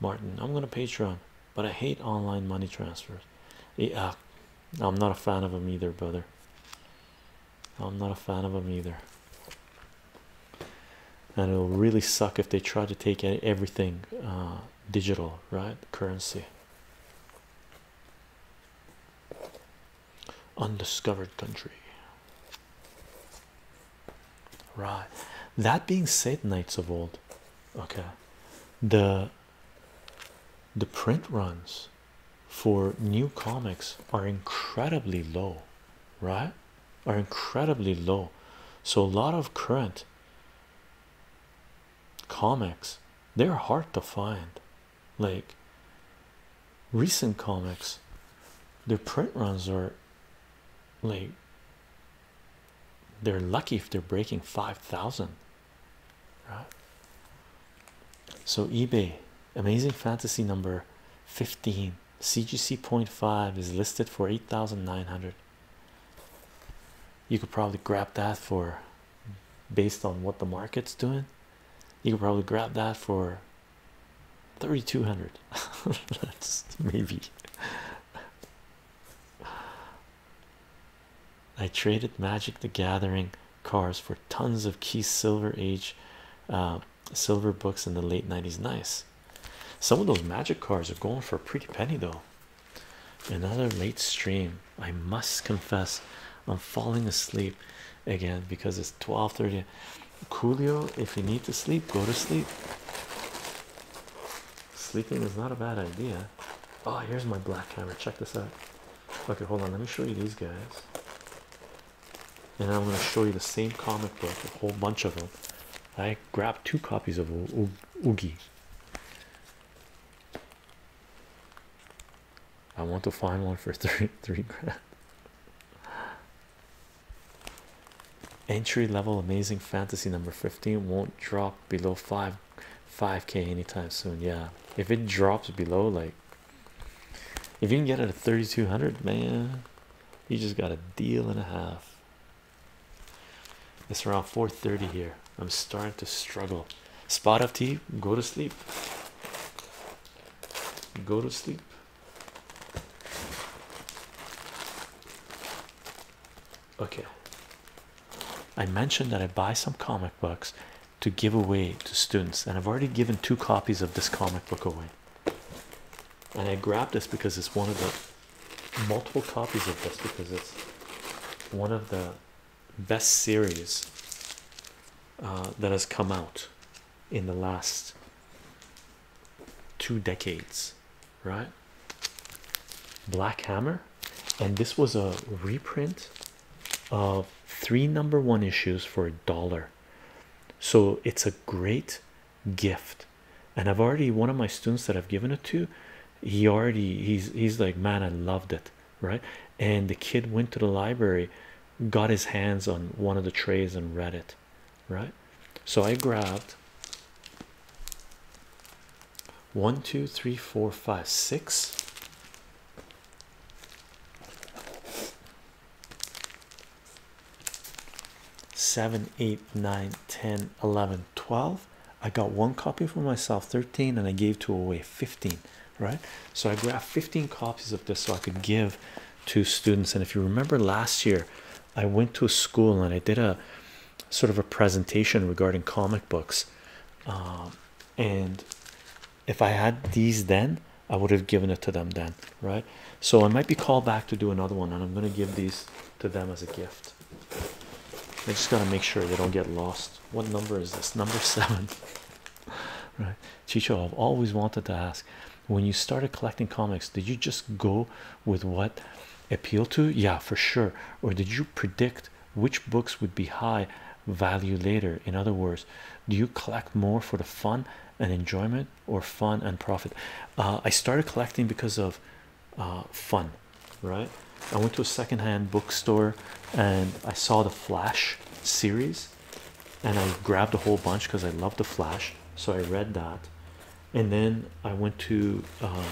Martin, I'm gonna Patreon, but I hate online money transfers. Yeah, uh, I'm not a fan of them either, brother. I'm not a fan of them either. And it'll really suck if they try to take everything uh, digital, right? Currency. Undiscovered country. Right. That being said, knights of old, okay, the the print runs for new comics are incredibly low, right? Are incredibly low. So a lot of current comics they're hard to find. Like recent comics, their print runs are like they're lucky if they're breaking 5,000 right? So, eBay Amazing Fantasy number 15 CGC 0.5 is listed for 8,900. You could probably grab that for based on what the market's doing. You could probably grab that for 3,200. That's maybe. I traded Magic the Gathering cars for tons of key silver age uh, silver books in the late 90s nice some of those magic cards are going for a pretty penny though another late stream i must confess i'm falling asleep again because it's 12:30 coolio if you need to sleep go to sleep sleeping is not a bad idea oh here's my black hammer check this out Okay, hold on. Let me show you these guys. And I'm going to show you the same comic book, a whole bunch of them. I grabbed two copies of o Oogie. I want to find one for three grand. Entry level amazing fantasy number 15 won't drop below 5 5k anytime soon. Yeah, if it drops below like if you can get it at 3200, man, you just got a deal and a half. It's around 4:30 here. I'm starting to struggle. Spot of tea, go to sleep. Go to sleep. Okay. I mentioned that I buy some comic books to give away to students, and I've already given two copies of this comic book away. And I grabbed this because it's one of the multiple copies of this because it's one of the best series uh, that has come out in the last two decades, right? Black Hammer, and this was a reprint of three number one issues for a dollar. So it's a great gift. And I've already one of my students that I've given it to, he already he's he's like, man, I loved it, right? And the kid went to the library, got his hands on one of the trays and read it, right? So I grabbed one, two, three, four, five, six 7 8 9 10 11 12 i got one copy for myself 13 and i gave to away 15 right so i grabbed 15 copies of this so i could give to students and if you remember last year i went to a school and i did a sort of a presentation regarding comic books um, and if I had these then I would have given it to them then right so I might be called back to do another one and I'm gonna give these to them as a gift I just gotta make sure they don't get lost what number is this number seven right Chicho I've always wanted to ask when you started collecting comics did you just go with what appealed to yeah for sure or did you predict which books would be high value later in other words do you collect more for the fun and enjoyment or fun and profit uh, i started collecting because of uh, fun right i went to a secondhand bookstore and i saw the flash series and i grabbed a whole bunch because i love the flash so i read that and then i went to uh,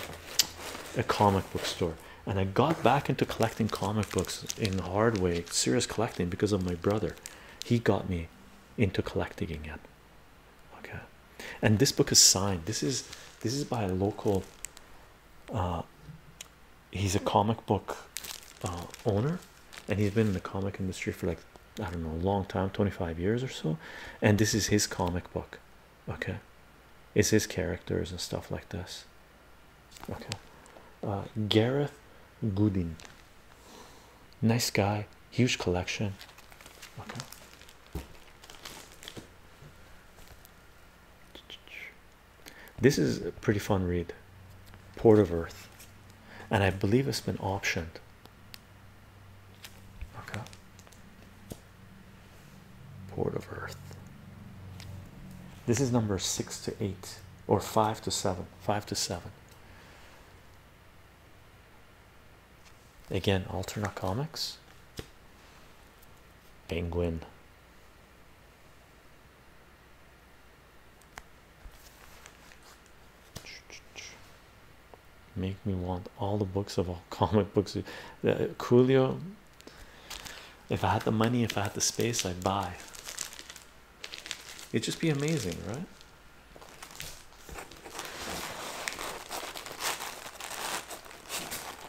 a comic book store and i got back into collecting comic books in a hard way serious collecting because of my brother he got me into collecting again okay and this book is signed this is this is by a local uh he's a comic book uh, owner and he's been in the comic industry for like i don't know a long time 25 years or so and this is his comic book okay it's his characters and stuff like this Okay, uh, Gareth Gooding, nice guy, huge collection. Okay. This is a pretty fun read, Port of Earth, and I believe it's been optioned. Okay, Port of Earth. This is number six to eight, or five to seven five to seven. Again, alternate comics, penguin. Make me want all the books of all comic books. Uh, Coolio, if I had the money, if I had the space, I'd buy. It'd just be amazing, right?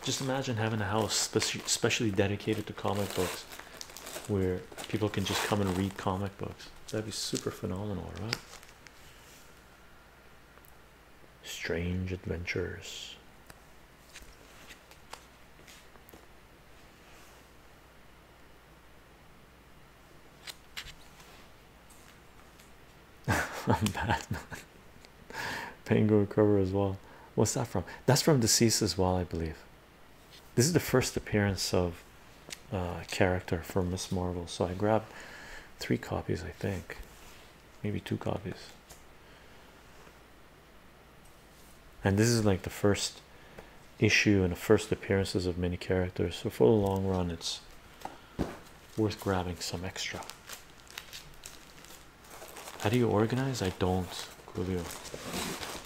Just imagine having a house specially dedicated to comic books where people can just come and read comic books. That'd be super phenomenal, right? Strange adventures. i Batman. Penguin cover as well. What's that from? That's from Deceased as well, I believe. This is the first appearance of uh, character from Miss Marvel, so I grabbed three copies, I think, maybe two copies and this is like the first issue and the first appearances of many characters so for the long run it's worth grabbing some extra how do you organize i don't Julio.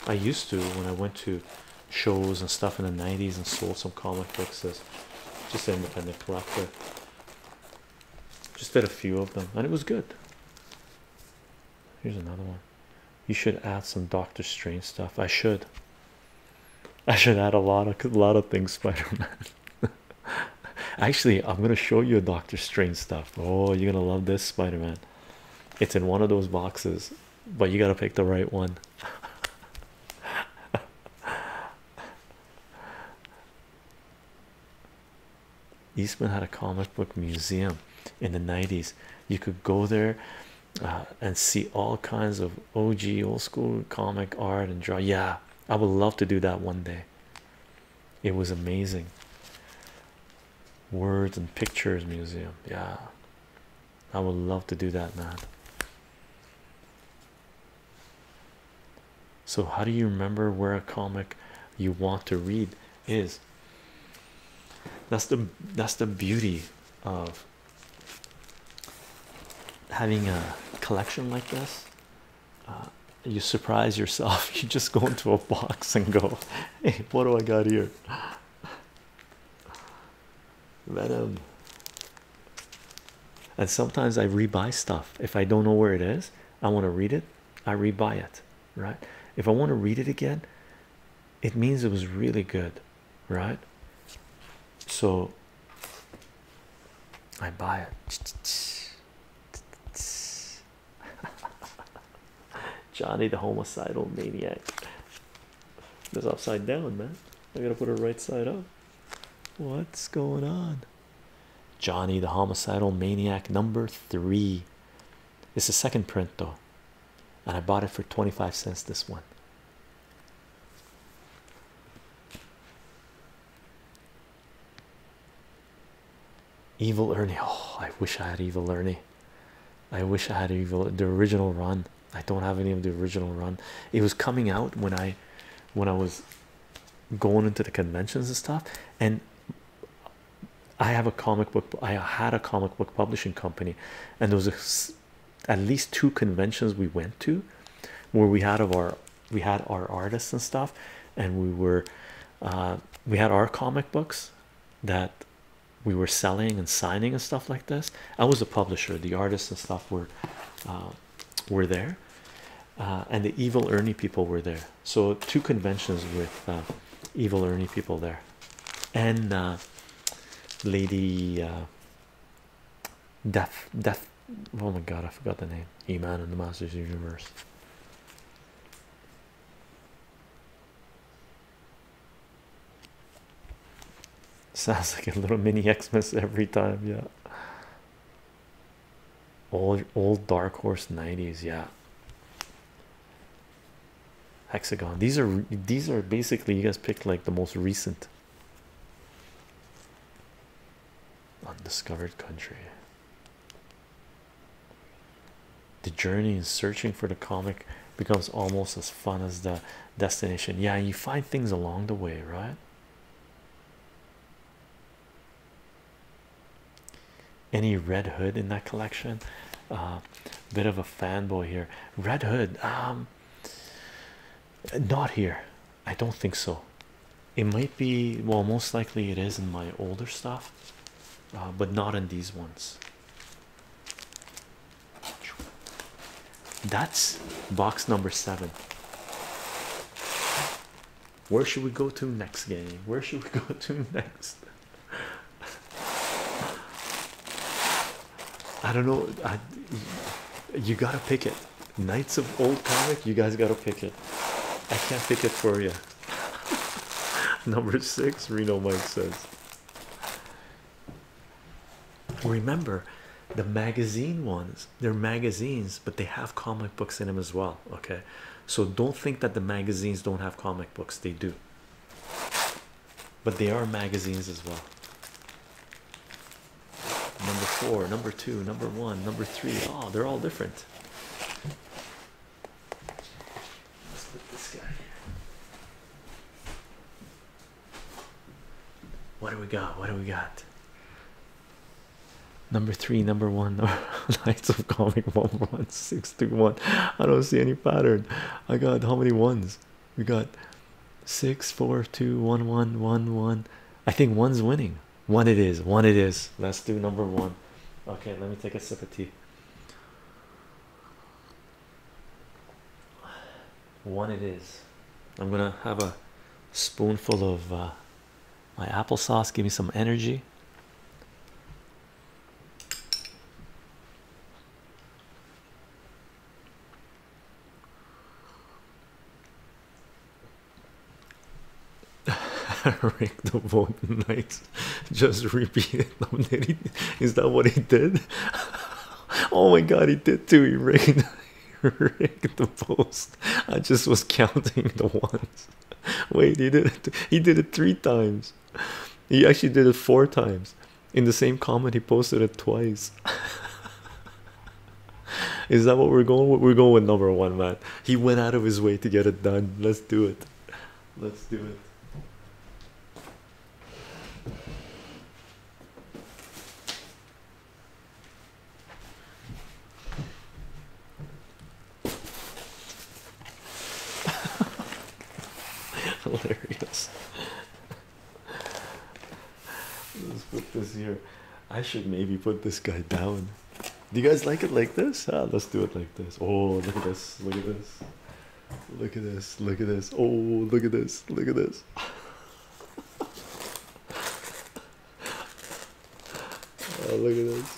i used to when i went to shows and stuff in the 90s and sold some comic books as just an independent collector just did a few of them and it was good Here's another one. You should add some Doctor Strange stuff. I should. I should add a lot of a lot of things, Spider-Man. Actually, I'm gonna show you a Doctor Strange stuff. Oh, you're gonna love this, Spider-Man. It's in one of those boxes, but you gotta pick the right one. Eastman had a comic book museum in the 90s. You could go there uh, and see all kinds of og old school comic art and draw yeah i would love to do that one day it was amazing words and pictures museum yeah i would love to do that man so how do you remember where a comic you want to read is that's the that's the beauty of having a collection like this. Uh, you surprise yourself. You just go into a box and go, what do I got here?" Venom. And sometimes I re-buy stuff if I don't know where it is. I want to read it. I re-buy it, right? If I want to read it again, it means it was really good, right? So I buy it. Johnny the homicidal maniac. It's upside down, man. I gotta put it right side up. What's going on? Johnny the homicidal maniac number three. It's the second print though, and I bought it for 25 cents. This one. Evil Ernie. Oh, I wish I had Evil Ernie. I wish I had Evil the original run. I don't have any of the original run. It was coming out when I when I was going into the conventions and stuff and I have a comic book I had a comic book publishing company and there was at least two conventions we went to where we had our we had our artists and stuff and we were uh, we had our comic books that we were selling and signing and stuff like this I was a publisher the artists and stuff were uh, were there uh, and the evil Ernie people were there so two conventions with evil Ernie people there and Lady uh, Death, Death. Oh my God, I forgot the name. E Man and the Masters of the Universe. Sounds like a little mini Xmas every time, yeah. Old old Dark Horse nineties, yeah hexagon these are these are basically you guys picked like the most recent undiscovered country the journey in searching for the comic becomes almost as fun as the destination yeah you find things along the way right any red hood in that collection uh, bit of a fanboy here red hood um, not here i don't think so it might be well most likely it is in my older stuff uh, but not in these ones that's box number seven where should we go to next game where should we go to next I don't know. you gotta pick it. Knights of Old Comic, you guys gotta pick it. I can't pick it for you. Number six, Reno Mike says. Remember, the magazine ones, they're magazines, but they have comic books in them as well. Okay, so don't think that the magazines don't have comic books, they do but they are magazines as well. Number four, number two, number one, number three. Oh, they're all different. Let's put this guy What do we got? What do we got? Number three, number one, Knights of Comic one one six two one. I don't see any pattern. I got how many ones? we got six four two one one one one i think one's winning one it is one it is let's do number one okay let me take a sip of tea one it is i'm gonna have a spoonful of uh, my applesauce give me some energy Rank the vote just repeat it. Is that what he did? oh my god, he did too. He rigged, he the post. I just was counting the ones. Wait, he did it. He did it three times. He actually did it four times in the same comment he posted it twice is that what we're going with? we're going with number one man he went out of his way to get it done let's do it let's do it hilarious Let's put this here. I should maybe put this guy down. Do you guys like it like this? Ah, let's do it like this. Oh, look at this! Look at this! Look at this! Look at this! Oh, look at this! Look at this! oh, look at this!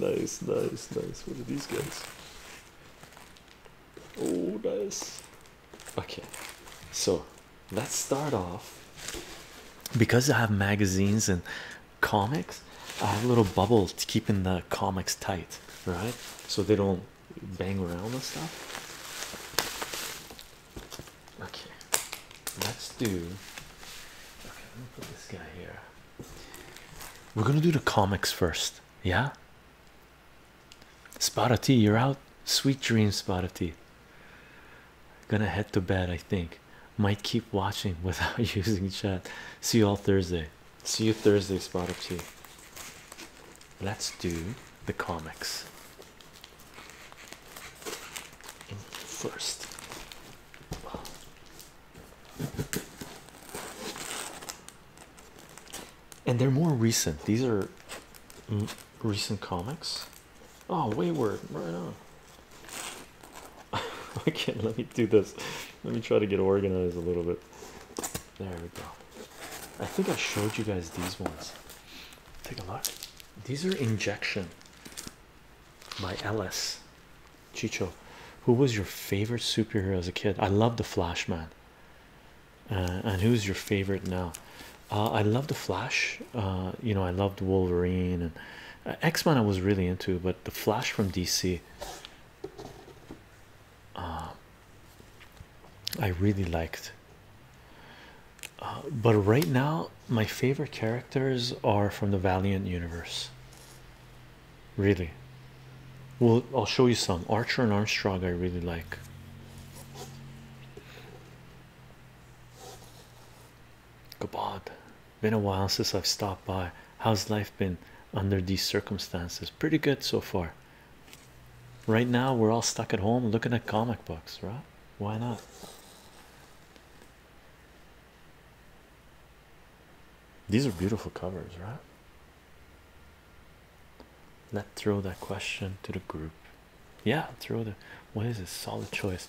Nice, nice, nice. What are these guys? Oh, nice. Okay, so let's start off because I have magazines and comics. I have a little bubble to keeping the comics tight, right? So they don't bang around and stuff. Okay, let's do. Okay, let me put this guy here. We're gonna do the comics first, yeah. Spot of tea, you're out. Sweet dreams, spot of tea. Gonna head to bed, I think. Might keep watching without using chat. See you all Thursday. See you Thursday, spot of tea. Let's do the comics first and they're more recent. These are recent comics. Oh, Wayward, right on. okay, let me do this. Let me try to get organized a little bit. There we go. I think I showed you guys these ones. Take a look. These are Injection by Ellis. Chicho, who was your favorite superhero as a kid? I loved the Flashman. Uh, and who's your favorite now uh, i love the flash uh, you know i loved wolverine and x-men i was really into but the flash from dc i really liked but right now my favorite characters are from the valiant universe really well, I'll show you some Archer and Armstrong. I really like. Kabod, been a while since I've stopped by. How's life been under these circumstances? Pretty good so far. Right now, we're all stuck at home looking at comic books, right? Why not? These are beautiful covers, right? Let's throw that question to the group. Yeah, throw the what is it? Solid choice.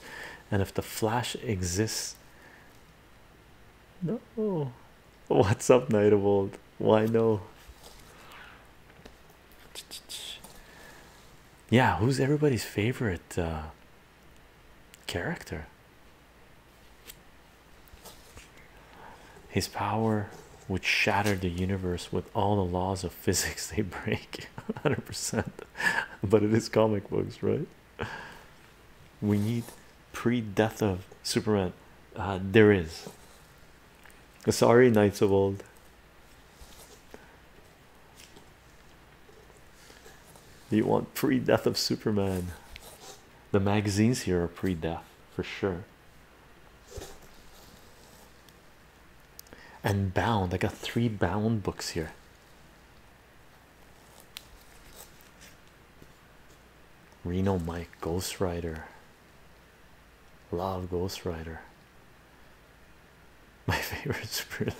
And if the flash exists, no. What's up, Night of Old? Why no? Yeah, who's everybody's favorite uh, character? His power would shatter the universe with all the laws of physics they break 100%. But it is comic books, right? We need pre death of Superman. Uh, there is. Sorry, Knights of Old. Do You want pre death of Superman. The magazines here are pre death for sure and bound. I got three bound books here. Reno Mike, Ghost Rider. Love Ghost Rider. My favorite spirit.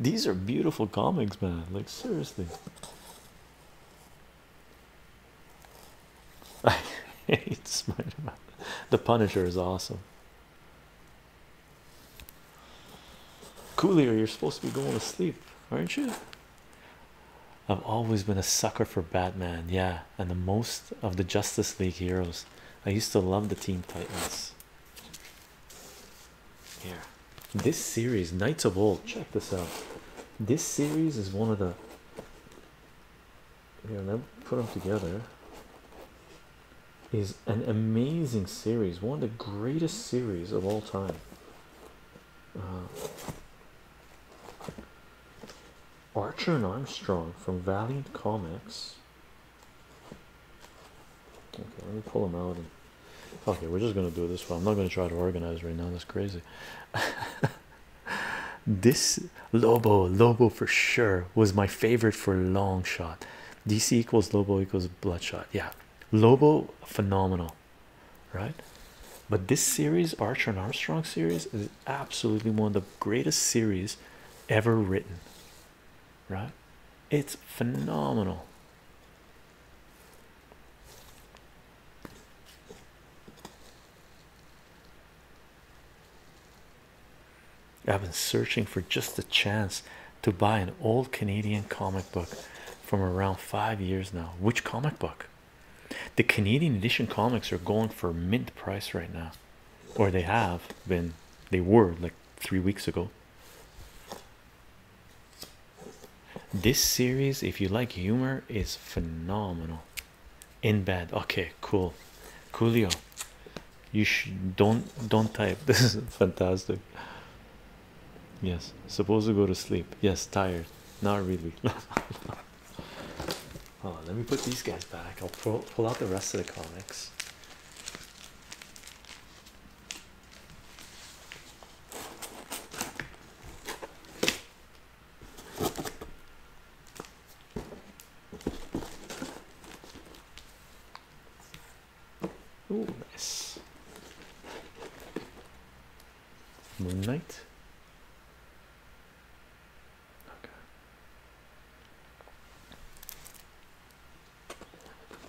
These are beautiful comics, man. Like seriously. I hate Spider-Man. The Punisher is awesome. Coolier, you're supposed to be going to sleep, aren't you? I've always been a sucker for Batman, yeah, and the most of the Justice League heroes. I used to love the Team Titans. Here, this series, Knights of Old, check this out. This series is one of the you know, put them together is an amazing series, one of the greatest series of all time. Uh, Archer and Armstrong from Valiant Comics. Okay, let me pull them out. okay, we're just gonna do it this way. I'm not gonna try to organize right now. That's crazy. This Lobo, Lobo for sure was my favorite for long shot. DC equals Lobo equals Bloodshot. Yeah, Lobo phenomenal, right? But this series, Archer and Armstrong series, is absolutely one of the greatest series ever written, right? It's phenomenal. I've been searching for just the chance to buy an old Canadian comic book from around five years now. Which comic book? The Canadian edition comics are going for mint price right now, or they have been, they were like three weeks ago. This series, if you like humor, is phenomenal in bed okay cool coolio you should don't don't type this is fantastic yes supposed to go to sleep yes tired not really let me put these guys back i'll pull, pull out the rest of the comics Oh, nice. Moonlight. Okay.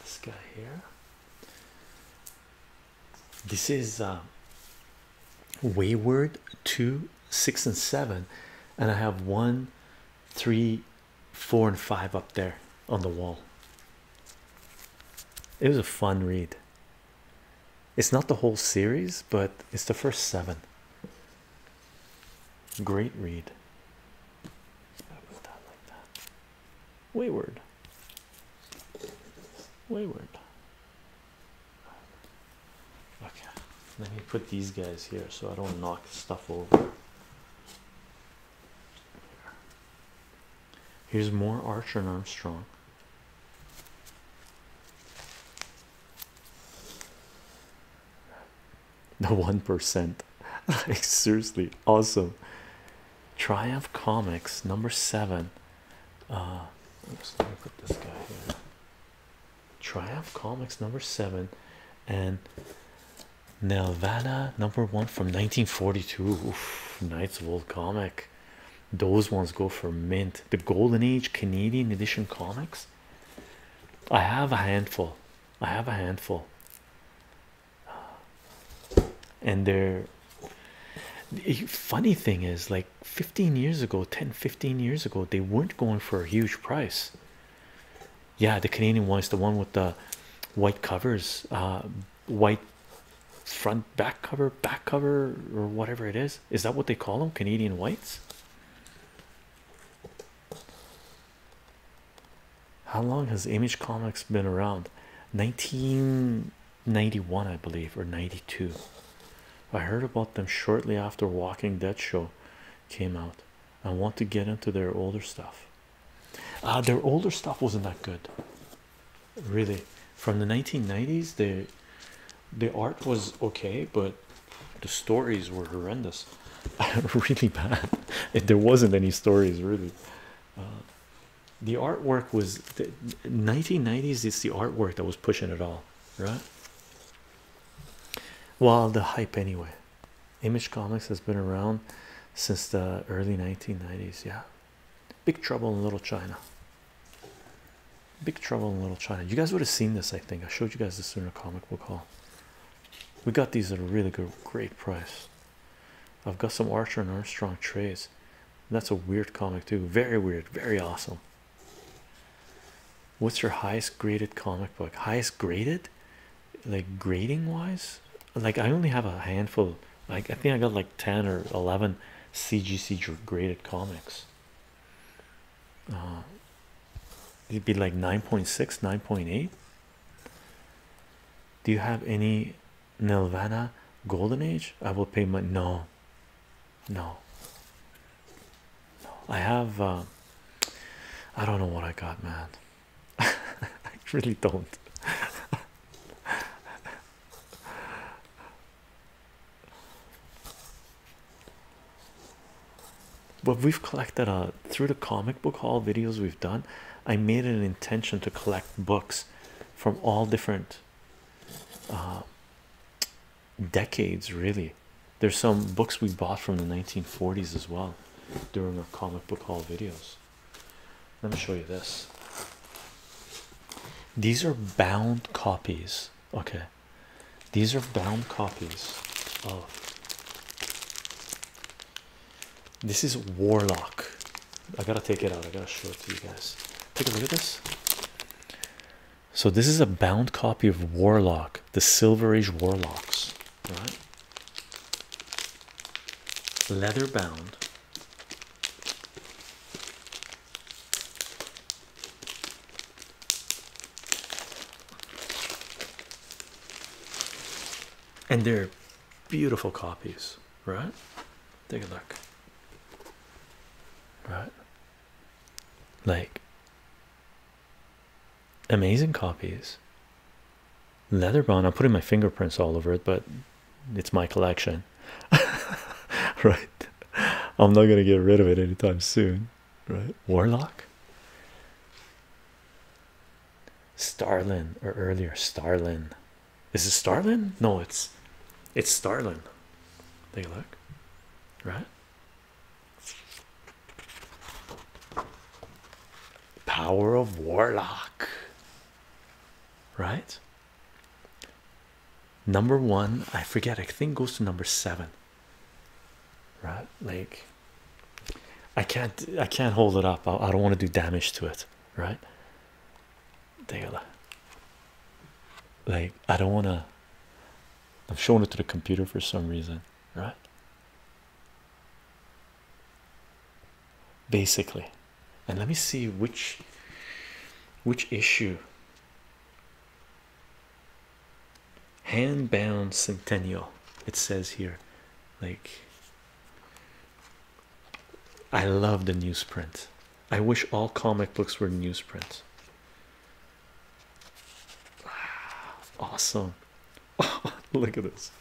This guy here. This is uh, wayward two six and seven and i have one three four and five up there on the wall it was a fun read it's not the whole series but it's the first seven great read wayward wayward Okay, let me put these guys here so I don't knock stuff over. Here's more Archer and Armstrong. The one percent, like seriously, awesome. Triumph Comics number seven. Uh, let me put this guy here. Triumph Comics number seven and Nelvana number one from 1942. Knights of Old Comic. Those ones go for mint. The Golden Age Canadian edition comics. I have a handful. I have a handful. And they're the funny thing is like 15 years ago 10 15 years ago they weren't going for a huge price yeah the canadian ones, the one with the white covers uh, white front back cover back cover or whatever it is is that what they call them canadian whites how long has image comics been around 1991 i believe or 92 I heard about them shortly after Walking Dead show came out. I want to get into their older stuff. Uh, their older stuff wasn't that good, really. From the 1990s, the the art was okay, but the stories were horrendous, really bad. There wasn't any stories really. Uh, the artwork was the 1990s. It's the artwork that was pushing it all, right? Well, the hype anyway. Image Comics has been around since the early 1990s. Yeah, Big Trouble in Little China. Big Trouble in Little China. You guys would have seen this, I think. I showed you guys this in a comic book hall. We got these at a really great price. I've got some Archer and Armstrong trays. That's a weird comic too. Very weird. Very awesome. What's your highest graded comic book? Highest graded, like grading wise. Like I only have a handful. Like I think I got like ten or eleven CGC graded comics. Uh, it'd be like 9.6, 9.8. Do you have any Nelvana Golden Age? I will pay my no. No, no, I have. Uh, I don't know what I got, man. I really don't. but we've collected uh, through the comic book haul videos we've done. I made an intention to collect books from all different uh, decades really there's some books we bought from the 1940s as well during our comic book haul videos let me show you this these are bound copies okay these are bound copies of this is warlock i gotta take it out i gotta show it to you guys take a look at this so this is a bound copy of Warlock, the Silver Age Warlocks, right? Leather bound. And they're beautiful copies, right? Take a look. Right? Like amazing copies. Leatherbound, I'm putting my fingerprints all over it, but it's my collection, right? I'm not gonna get rid of it anytime soon, right? Warlock, Starlin, or earlier Starlin. Is it Starlin? No, it's it's Starlin. Take a look, right? Power of Warlock, right? Number one, I forget, I think goes to number seven, right? Like, I can't, I can't hold it up. I, don't want to do damage to it, right? Take Like, I don't want to, i have shown it to the computer for some reason, right? Basically, and let me see which which issue hand-bound centennial it says here like i love the newsprint i wish all comic books were newsprint Awesome. look at this.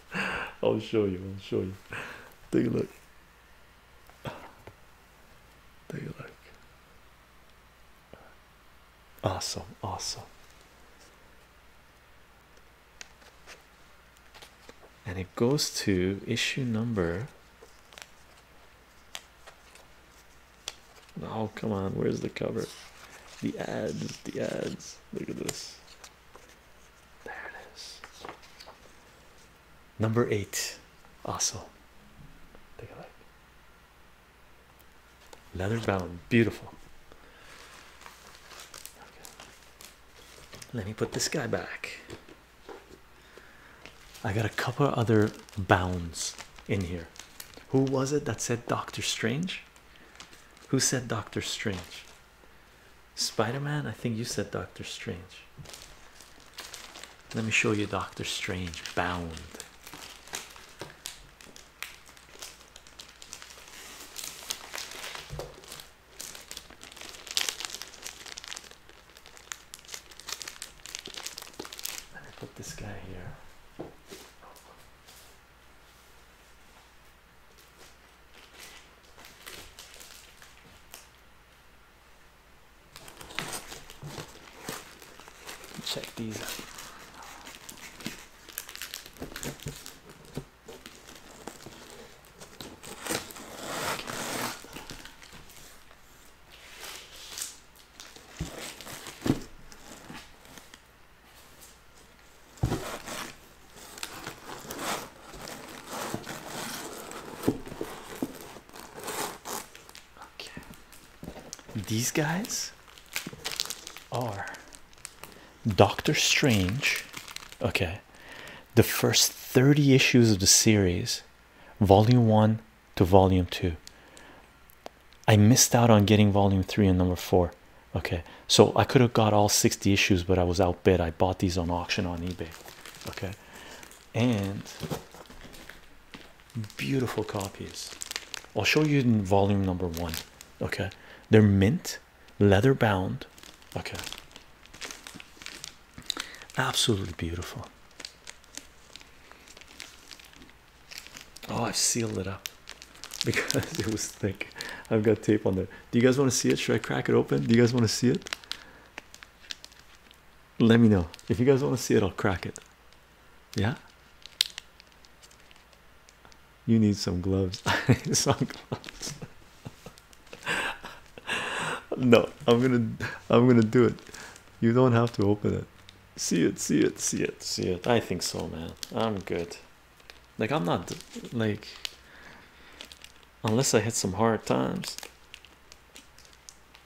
I'll show you. I'll show you. Take a look. Take a look. Awesome. Awesome. And it goes to issue number Oh, come on, where's the cover? The ads, the ads. Look at this. There it is. Number eight. Awesome. Take a look. Leather bound, beautiful. Let me put this guy back. I got a couple other bounds in here. Who was it that said Doctor Strange? Who said Doctor Strange? Spider Man, I think you said Doctor Strange. Let me show you Doctor Strange bound. Let me put this guy here. Check these out. Okay. These guys are Doctor Strange. Okay. The first 30 issues of the series, Volume 1, to volume two. I missed out on getting volume three and number four. Okay, so I could have got all 60 issues, but I was outbid. I bought these on auction on eBay. Okay, and beautiful copies. I'll show you in volume number one. Okay, they're mint, leather bound. Okay, absolutely beautiful. Oh, I've sealed it up because it was thick. I've got tape on there. Do you guys want to see it? Should I crack it open? Do you guys want to see it? Let me know. If you guys want to see it, I'll crack it. Yeah. You need some gloves. some gloves. no, I'm gonna I'm gonna do it. You don't have to open it see it see it see it see it i think so man i'm good like i'm not like unless i hit some hard times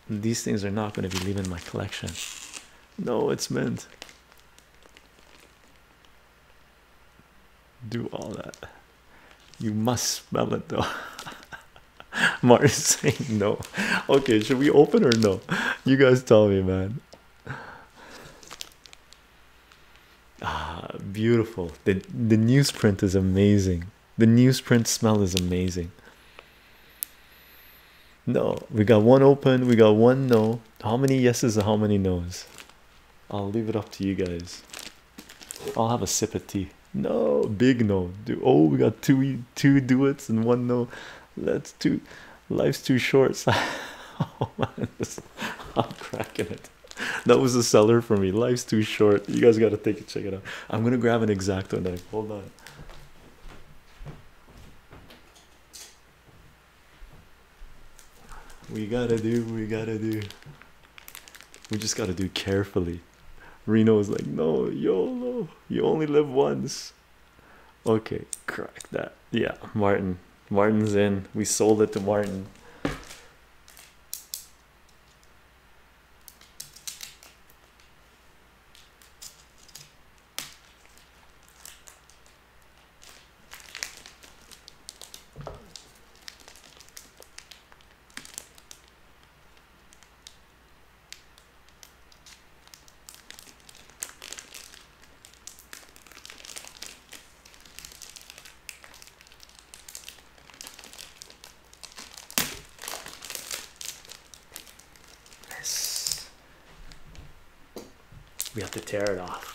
these things are not going to be leaving my collection no it's mint. do all that you must spell it though Martin no okay should we open or no you guys tell me man ah beautiful the the newsprint is amazing the newsprint smell is amazing no we got one open we got one no how many yeses and how many no's i'll leave it up to you guys i'll have a sip of tea no big no do oh we got two two do and one no That's two. Life's too short. Oh, I'm cracking it. That was a seller for me. Life's too short. You guys gotta take it, check it out. I'm gonna grab an exacto knife. Hold on. We gotta do, we gotta do. We just gotta do carefully. Reno's like, no, YOLO, you only live once. Okay, correct that. Yeah, Martin. Martin's in. We sold it to Martin. Yes. We have to tear it off.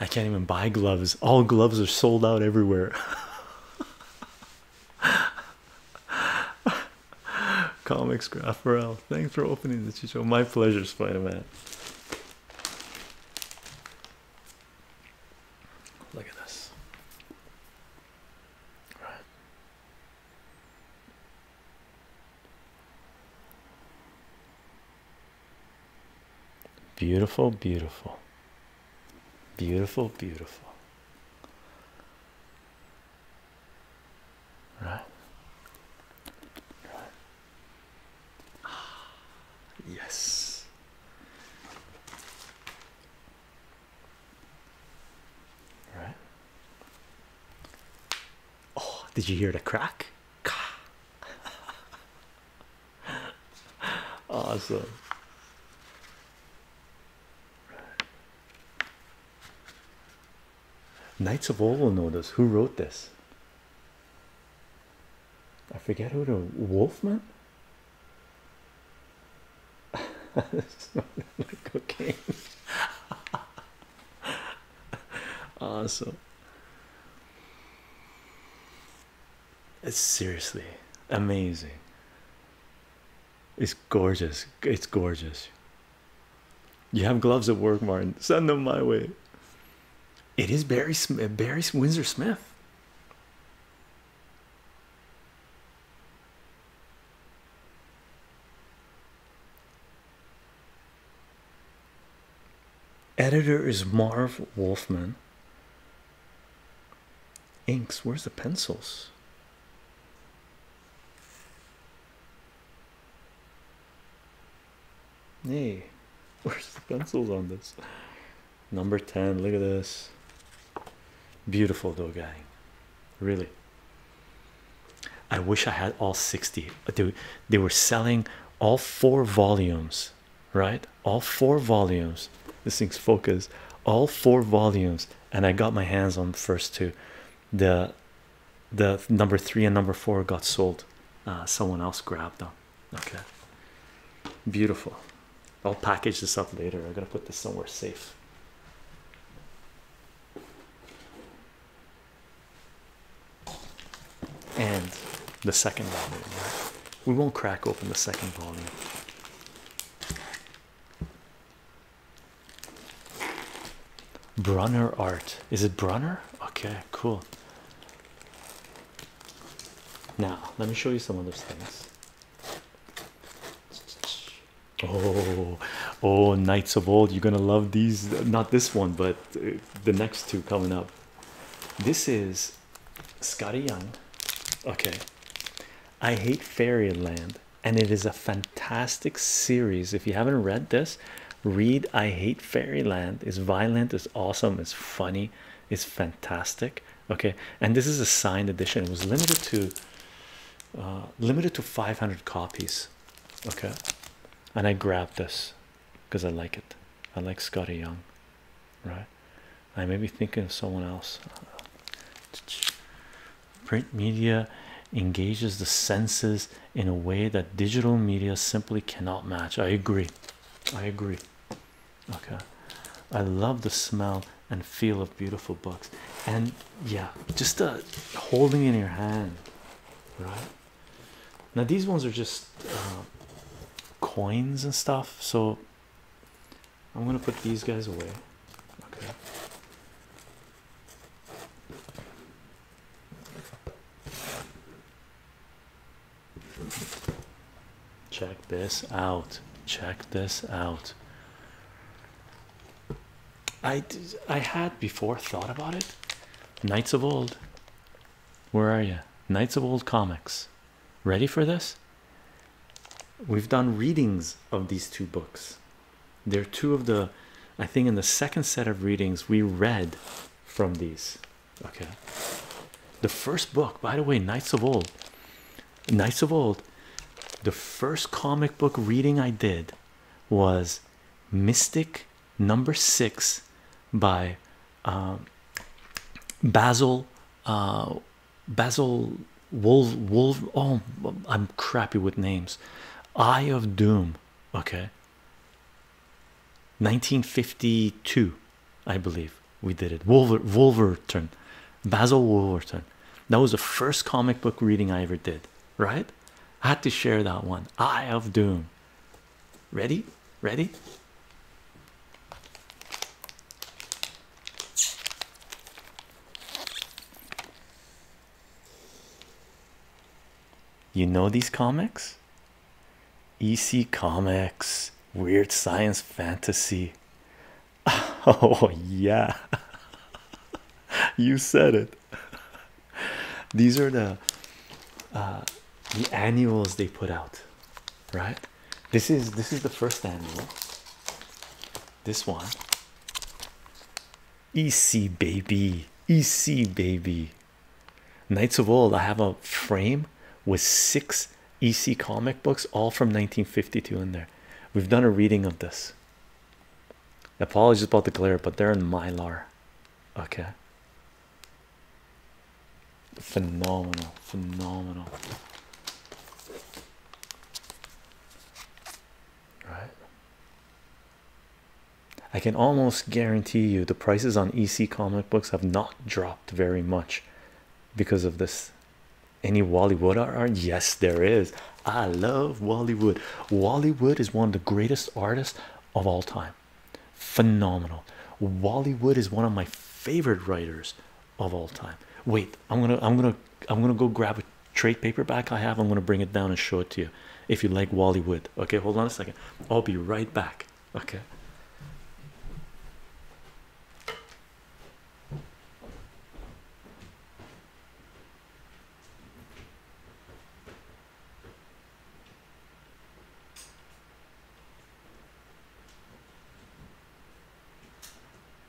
I can't even buy gloves. All gloves are sold out everywhere. Comics graph Thanks for opening the show. My pleasure, Spider-Man. Look at this. All right. Beautiful, beautiful. Beautiful, beautiful. Right. Ah, yes. Right. Oh, did you hear the crack? awesome. Knights of Old will know this. Who wrote this? I forget who the Wolfman. it's not my cocaine. awesome. It's seriously amazing. It's gorgeous. It's gorgeous. You have gloves at work, Martin. Send them my way. It is Barry Smith, Barry Windsor Smith. Editor is Marv Wolfman, inks where's the pencils hey where's the pencils on this number 10 look at this beautiful though guy really i wish i had all 60 dude they were selling all four volumes right all four volumes this thing's focused. all four volumes and i got my hands on first two the the number three and number four got sold uh, someone else grabbed them okay beautiful i'll package this up later i'm gonna put this somewhere safe and the second volume we won't crack open the second volume Brunner art. Is it Brunner? Okay, cool. Now, let me show you some of those things. Oh, oh, Knights of Old. You're gonna love these. Not this one, but uh, the next two coming up. This is Scotty Young. Okay, I Hate Fairyland, and it is a fantastic series. If you haven't read this, read I Hate Fairyland. It's violent, it's awesome, it's funny, it's fantastic. Okay, and this is a signed edition. It was limited to uh, limited to 500 copies. Okay, and I grabbed this because I like it. I like Scotty Young, right? I may be thinking of someone else. Print media engages the senses in a way that digital media simply cannot match. I agree. I agree. Okay. I love the smell and feel of beautiful books. And yeah, just uh, holding in your hand, right? Now, these ones are just uh, coins and stuff. So I'm gonna put these guys away. Okay. Check this out. Check this out. I I had before thought about it. Knights of Old. Where are you? Knights of Old comics. Ready for this? We've done readings of these two books. They're two of the, I think, in the second set of readings, we read from these. Okay. The first book, by the way, Knights of Old. Knights of Old, the first comic book reading I did was Mystic number six by um, Basil. Uh, Basil Wolf Wolf. Oh, I'm crappy with names. Eye of Doom. Okay. 1952, I believe we did it. Wolver Wolverton, Basil Wolverton. That was the first comic book reading I ever did. Right? I had to share that one. Eye of Doom. Ready? Ready? You know these comics? EC Comics, weird science fantasy. Oh, yeah, you said it. These are the uh, the annuals they put out, right? This is this is the first annual. This one. EC baby, EC baby. Knights of Old. I have a frame with six EC comic books, all from 1952 in there. We've done a reading of this. Apologies about the glare, but they're in Mylar. Okay. Phenomenal, phenomenal right? I can almost guarantee you the prices on EC comic books have not dropped very much because of this. Any Wally Wallywood art? Yes, there is. I love Wally Wood. Wally Wood is one of the greatest artists of all time. Phenomenal. Wally Wood is one of my favorite writers of all time. Wait, I'm gonna, I'm gonna, I'm gonna go grab a trade paperback I have. I'm gonna bring it down and show it to you if you like Wally Wood. Okay, hold on a second. I'll be right back. Okay.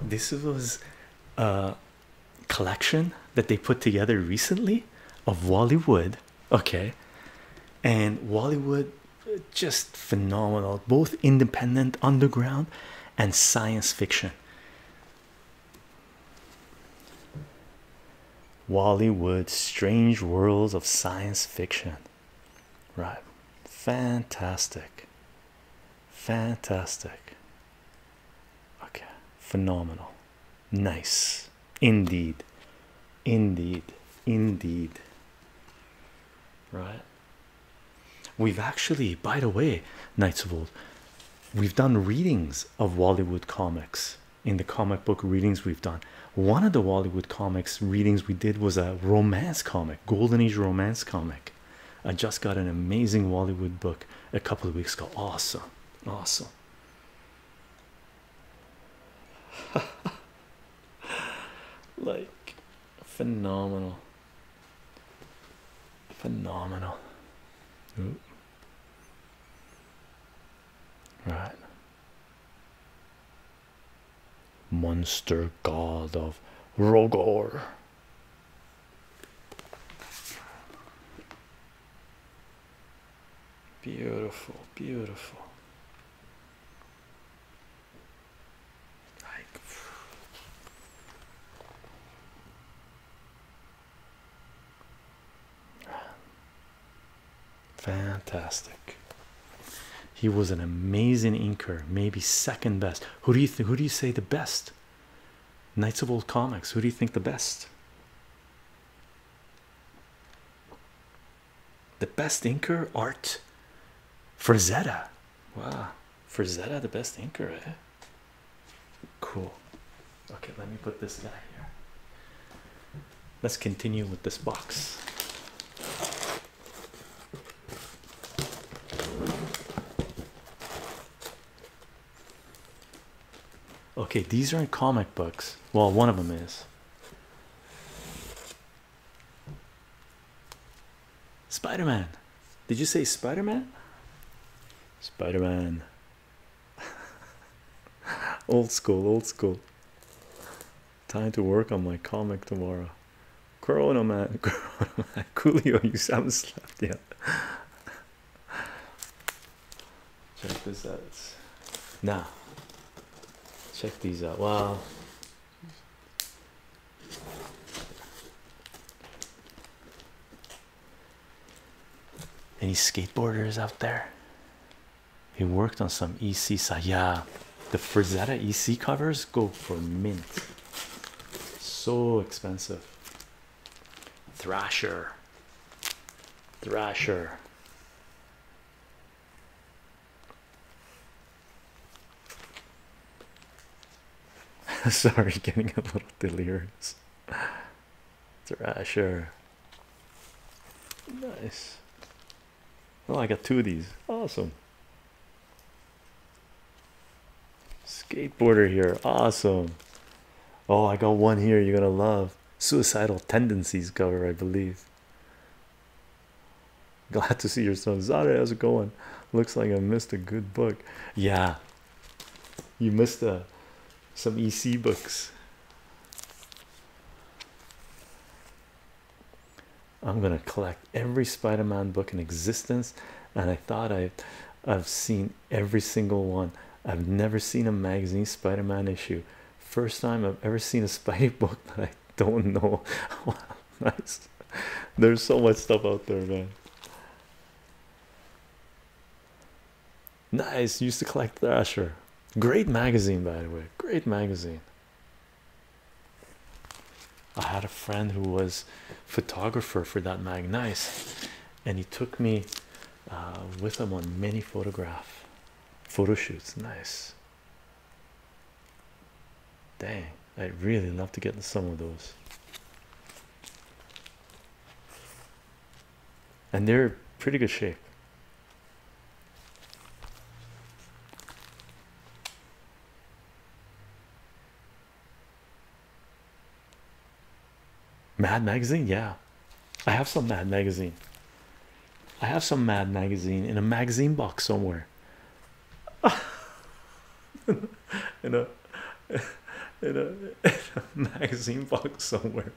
This was a collection that they put together recently of Wally Wood. Okay, and Wally Wood just phenomenal, both independent, underground, and science fiction. Wally Strange Worlds of Science Fiction. Right. Fantastic. Fantastic. Okay. Phenomenal. Nice. Indeed. Indeed. Indeed. Right. We've actually, by the way, Knights of Old, we've done readings of Wallywood comics in the comic book readings we've done. One of the Wallywood comics readings we did was a romance comic, Golden Age romance comic. I just got an amazing Wallywood book a couple of weeks ago. Awesome, awesome. like phenomenal, phenomenal. Right monster god of Rogor. Beautiful, beautiful. Fantastic. He was an amazing inker, maybe second best. Who do you think? Who do you say the best? Knights of Old Comics. Who do you think the best? The best inker art. Frazetta. Wow. Frazetta, the best inker. Eh? Cool. Okay, let me put this guy here let's continue with this box. Okay, these are in comic books. Well, one of them is. Spider-Man. Did you say Spider-Man? Spider-Man. old school, old school. Time to work on my comic tomorrow. Corona man, Corona man. Coolio, you haven't slept yet. Check this out. Now, check these out. Wow. Any skateboarders out there? He worked on some EC side. Yeah, the Frazetta EC covers go for mint. So expensive. Thrasher. Thrasher. Sorry, getting a little delirious. Thrasher. Nice. Oh, I got two of these. Awesome. Skateboarder here. Awesome. Oh, I got one here. You're gonna love suicidal tendencies cover, I believe. Glad to see your son. Zara, how's it going? Looks like I missed a good book. Yeah, you missed uh, some EC books. I'm gonna collect every Spider-Man book in existence, and I thought I, have seen every single one. I've never seen a magazine Spider-Man issue. First time I've ever seen a Spider book that I don't know. nice. There's so much stuff out there, man. Nice. Used to collect Thrasher. Great magazine, by the way. Great magazine. I had a friend who was photographer for that mag and he took me uh, with him on many photograph photo shoots nice dang i really love to get some of those and they're pretty good shape Mad Magazine, yeah. I have some Mad Magazine. I have some Mad Magazine in a magazine box somewhere. in a in a, magazine box somewhere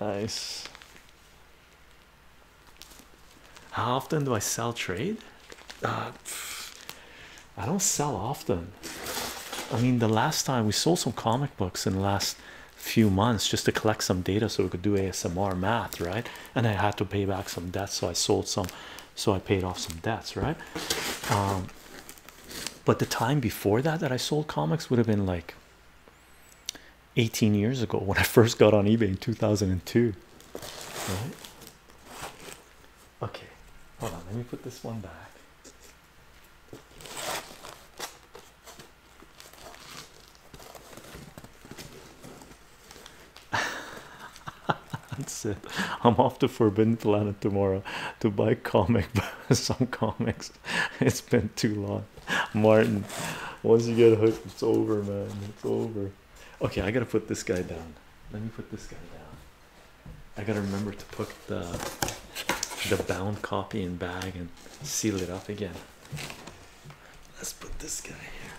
nice. How often do I sell trade? Uh, I don't sell often. I mean, the last time we sold some comic books in the last few months just to collect some data so we could do ASMR math, right? And I had to pay back some debt, so I sold some so I paid off some debts, right? Um, but the time before that that I sold comics would have been like 18 years ago when I first got on eBay in 2002. Right? Okay, hold on, let me put this one back. That's it. I'm off to Forbidden Planet tomorrow to buy comic some comics. It's been too long. Martin, once you get hooked, it's over, man. It's over. Okay, I gotta put this guy down. Let me put this guy down. I gotta remember to put the the bound copy in bag and seal it up again. Let's put this guy here.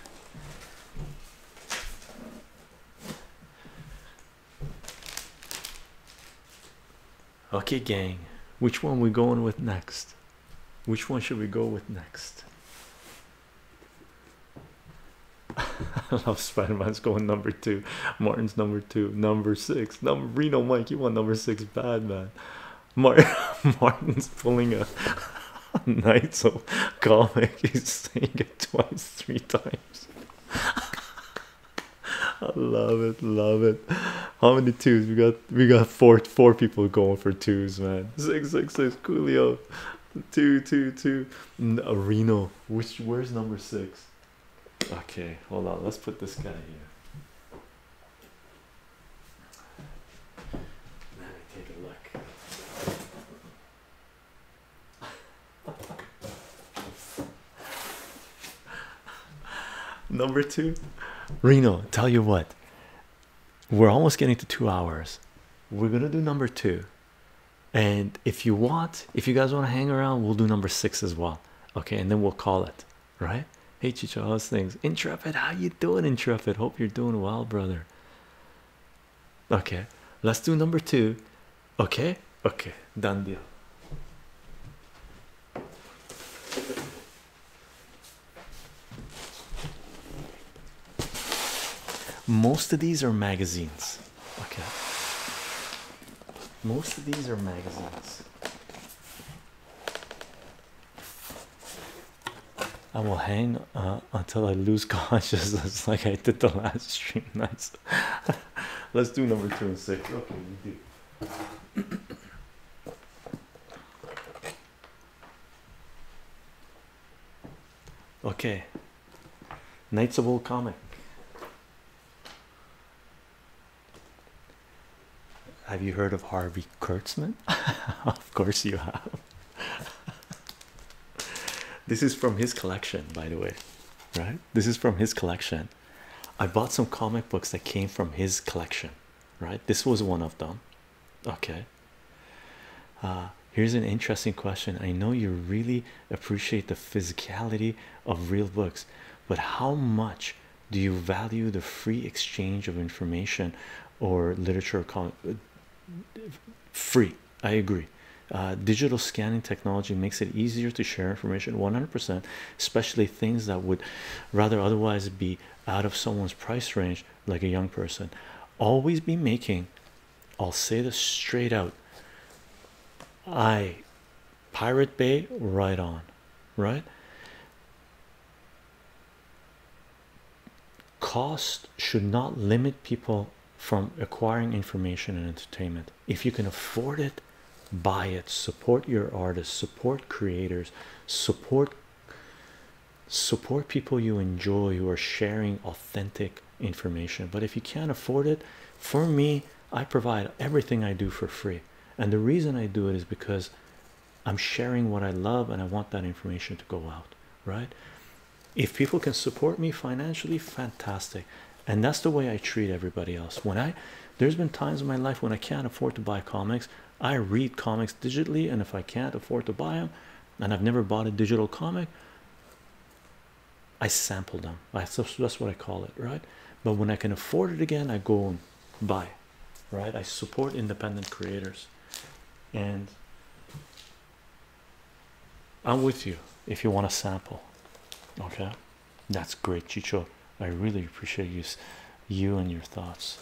Okay, gang, which one we going with next? Which one should we go with next? I love Spider-Man's going number two, Martin's number two, number six, number Reno Mike. You want number six bad man. Martin's pulling a so comic, he's saying it twice, three times. I love it, love it. How many twos? We got we got four four people going for twos, man. Six six six Coolio. Two two two no, uh, Reno. Which where's number six? Okay, hold on, let's put this guy here. Let me take a look. Number two, Reno, tell you what, we're almost getting to two hours. We're gonna do number two, and if you want, if you guys want to hang around, we'll do number six as well. Okay, and then we'll call it right. Hey, Chicho, those things? Intrepid, how you doing? Intrepid, hope you're doing well, brother. Okay, let's do number two. Okay, okay, done deal. Most of these are magazines. Okay, most of these are magazines. I will hang uh, until I lose consciousness, like I did the last stream. That's Let's do number two and six. Okay, Okay. Knights of Old Comic. Have you heard of Harvey Kurtzman? of course you have this is from his collection, by the way. Right? This is from his collection. I bought some comic books that came from his collection, right? This was one of them. Okay. Uh, here's an interesting question. I know you really appreciate the physicality of real books, but how much do you value the free exchange of information or literature? Uh, free, I agree. Uh, digital scanning technology makes it easier to share information 100%, especially things that would rather otherwise be out of someone's price range, like a young person. Always be making, I'll say this straight out. I Pirate Bay right on, right? Cost should not limit people from acquiring information and entertainment. If you can afford it, buy it, support your artists, support creators, support support people you enjoy who are sharing authentic information. But if you can't afford it, for me, I provide everything I do for free. And the reason I do it is because I'm sharing what I love and I want that information to go out, right? if people can support me financially fantastic and that's the way i treat everybody else when i there's been times in my life when i can't afford to buy comics i read comics digitally and if i can't afford to buy them and i've never bought a digital comic i sample them that's, what i call it right but when i can afford it again i go and buy right i support independent creators and I'm with you if you want a sample. Okay, that's great, Chicho. I really appreciate you, you and your thoughts.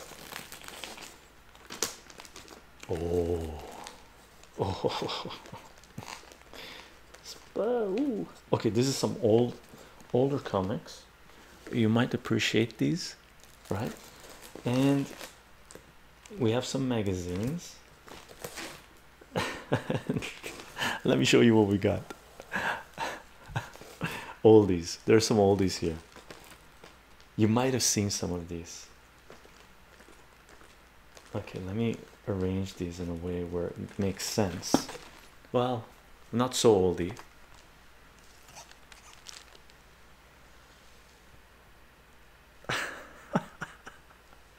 Oh, oh, Ooh. okay. This is some old, older comics. You might appreciate these, right? And we have some magazines. Let me show you what we got. oldies, there's some oldies here. You might have seen some of these. Okay, let me arrange these in a way where it makes sense. Well, not so oldie.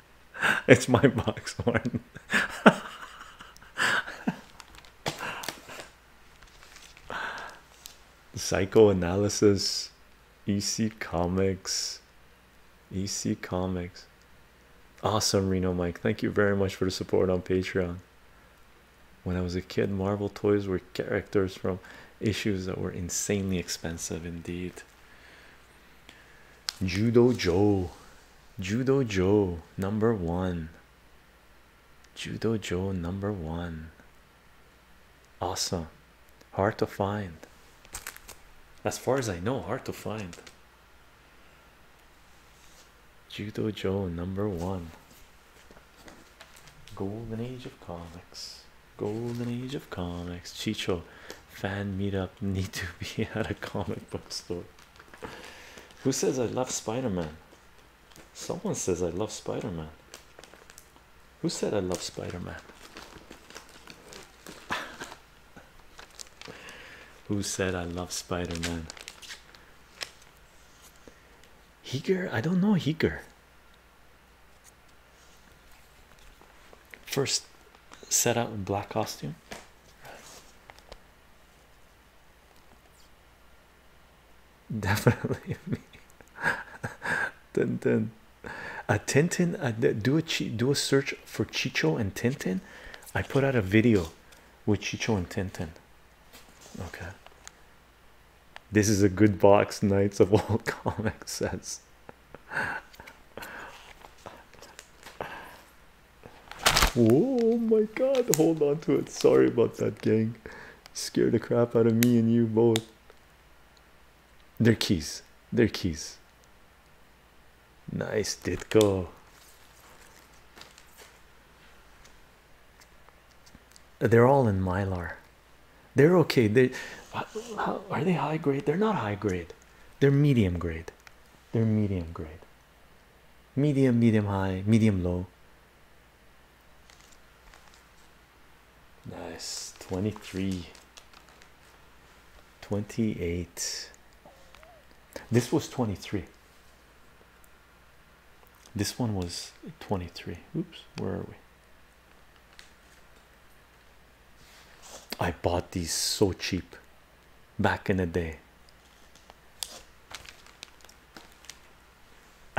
It's my box, Martin. Psychoanalysis, EC Comics, EC Comics. Awesome, Reno Mike. Thank you very much for the support on Patreon. When I was a kid, Marvel toys were characters from issues that were insanely expensive indeed. Judo Joe, Judo Joe, number one. Judo Joe, number one. Awesome, hard to find. As far as I know, hard to find. Judo Joe, number one. Golden Age of Comics. Golden Age of Comics. Chicho, fan meetup need to be at a comic book store. Who says I love Spider Man? Someone says I love Spider Man. Who said I love Spider Man? Who said I love Spider Man? Heger, I don't know Heger first set out in black costume. Definitely me. Tintin, a Tintin. I do a do a search for Chicho and Tintin. I put out a video with Chicho and Tintin. Okay. This is a good box. Knights of all Comics says oh my god hold on to it sorry about that gang scared the crap out of me and you both They're keys They're keys nice did go they're all in mylar they're okay they are they high grade they're not high grade they're medium grade they're medium grade. Medium, medium high, medium low. Nice 23 28. This was 23. This one was 23. Oops, where are we? I bought these so cheap back in the day.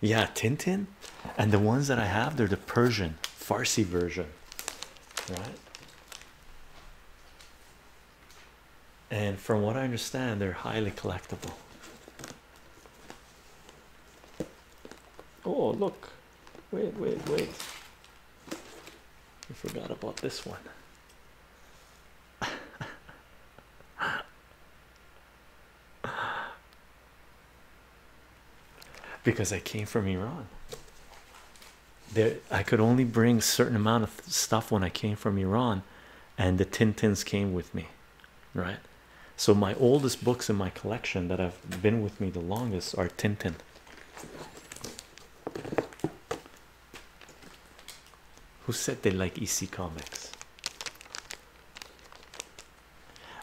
yeah, Tintin, and the ones that I have, they're the Persian Farsi version, right? And from what I understand, they're highly collectible. Oh, look. Wait, wait, wait. I forgot about this one. because I came from Iran. There, I could only bring certain amount of stuff when I came from Iran, and the Tintins came with me right? So, my oldest books in my collection that have been with me the longest are Tintin. Who said they like EC comics?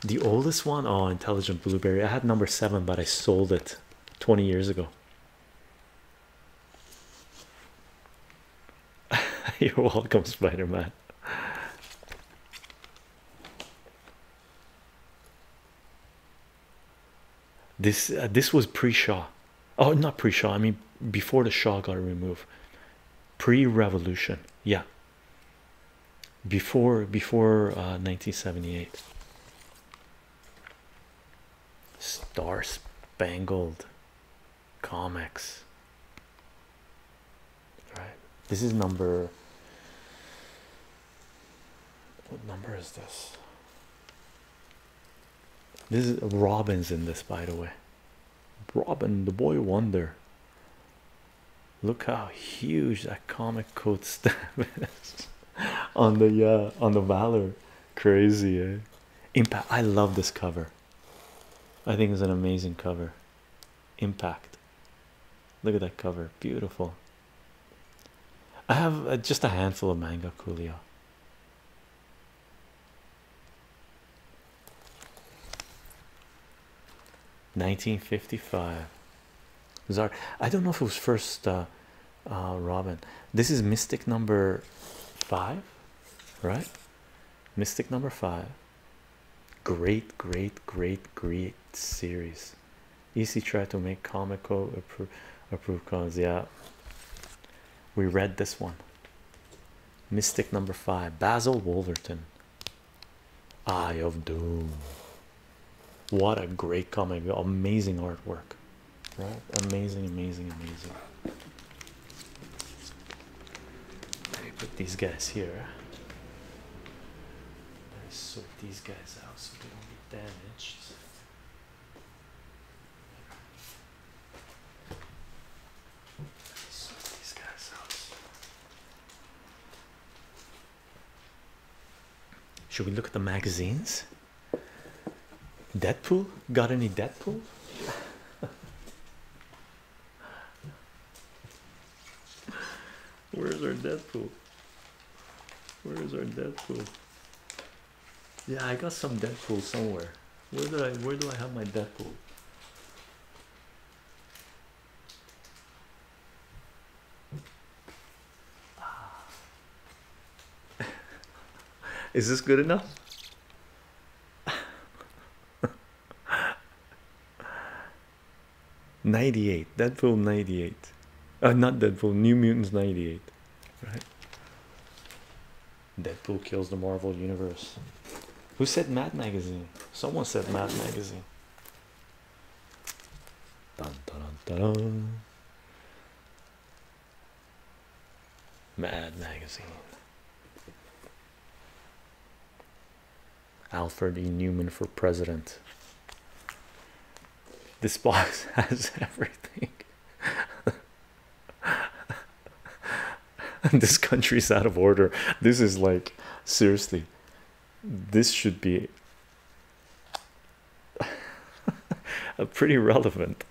The oldest one, oh, Intelligent Blueberry. I had number seven, but I sold it 20 years ago. You're welcome, Spider Man. This uh, this was pre Shaw. Oh, not pre Shaw. I mean, before the Shaw got removed, pre Revolution. Yeah. Before before 1978. Uh, Star Spangled comics right this is number what number is this this is uh, robin's in this by the way robin the boy wonder look how huge that comic code stamp is on the uh on the valor crazy eh? impact i love this cover I think it's an amazing cover. Impact. Look at that cover. Beautiful. I have uh, just a handful of manga, Coolio. Nineteen fifty-five. Bizarre. I don't know if it was first uh, uh, Robin. This is Mystic number five, right? Mystic number five. Great, great, great, great series. Easy try to make comical appro approved cons. Yeah, we read this one. Mystic number five, Basil Wolverton. Eye of Doom. What a great comic! Amazing artwork, right? Amazing, amazing, amazing. Let me put these guys here. let me sort these guys out so they don't get damaged. Sort these guys out. Should we look at the magazines? Deadpool? Got any Deadpool? Where's our Deadpool? Where is our Deadpool? Yeah, I got some Deadpool somewhere. Where did I where do I have my Deadpool? is this good enough? 98 Deadpool 98 uh, not Deadpool New Mutants 98 Deadpool kills the Marvel universe who said Mad Magazine someone said Mad Magazine dun, dun, dun, dun. Mad Magazine Alfred E. Newman for president. This box has everything. this country is out of order. This is like seriously, this should be a pretty relevant.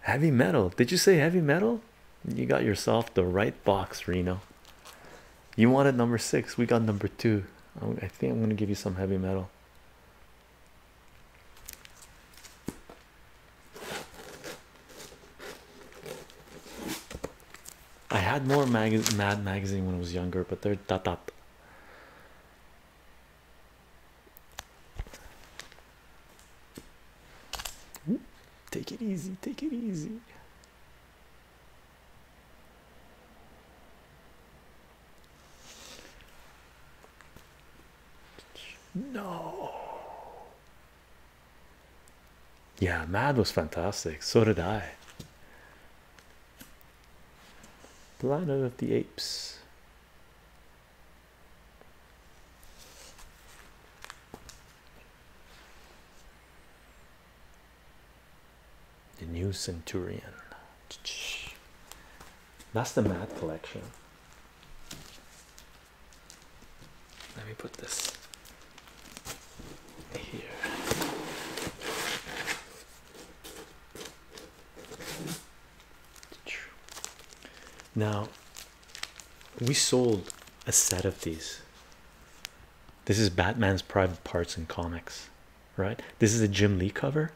Heavy metal. Did you say heavy metal? You got yourself the right box, Reno. You wanted number six. We got number two. I think I'm going to give you some heavy metal. I had more mag Mad magazine when I was younger, but they're da da take it easy, take it easy. No. Yeah, Mad was fantastic. So did I. Planet of the Apes. The new centurion. That's the mat collection. Let me put this here. Now, we sold a set of these. This is Batman's private parts in comics, right? This is a Jim Lee cover.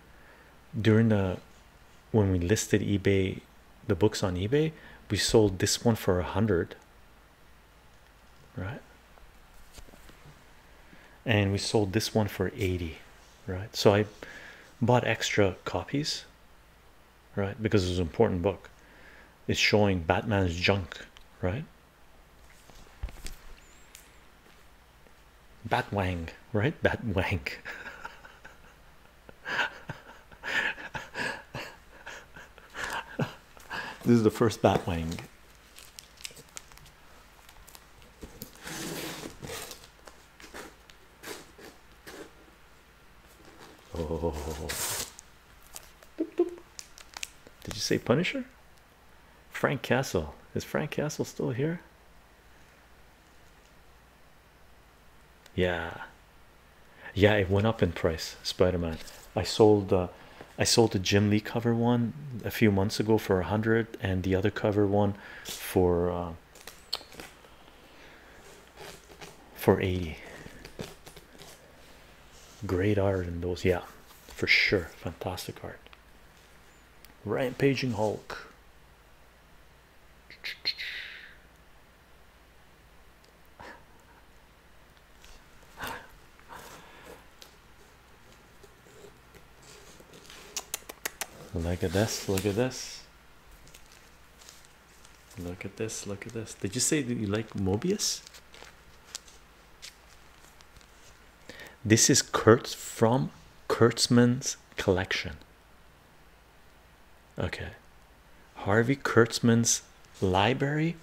During the when we listed eBay, the books on eBay, we sold this one for a hundred, right? And we sold this one for 80 right? So I bought extra copies, right? Because it was an important book. It's showing Batman's junk, right? Batwang, right? Batwang. this is the first Batwang. Oh. Did you say Punisher? Frank Castle. Is Frank Castle still here? Yeah. Yeah, it went up in price, Spider-Man. I sold uh, I sold the Jim Lee cover one a few months ago for a hundred and the other cover one for uh, um, for 80 great art in those yeah for sure fantastic art rampaging hulk look at this look at this Look at this, look at this. Did you say that you like Mobius? This is Kurtz from Kurtzman's collection. Okay. Harvey Kurtzman's library.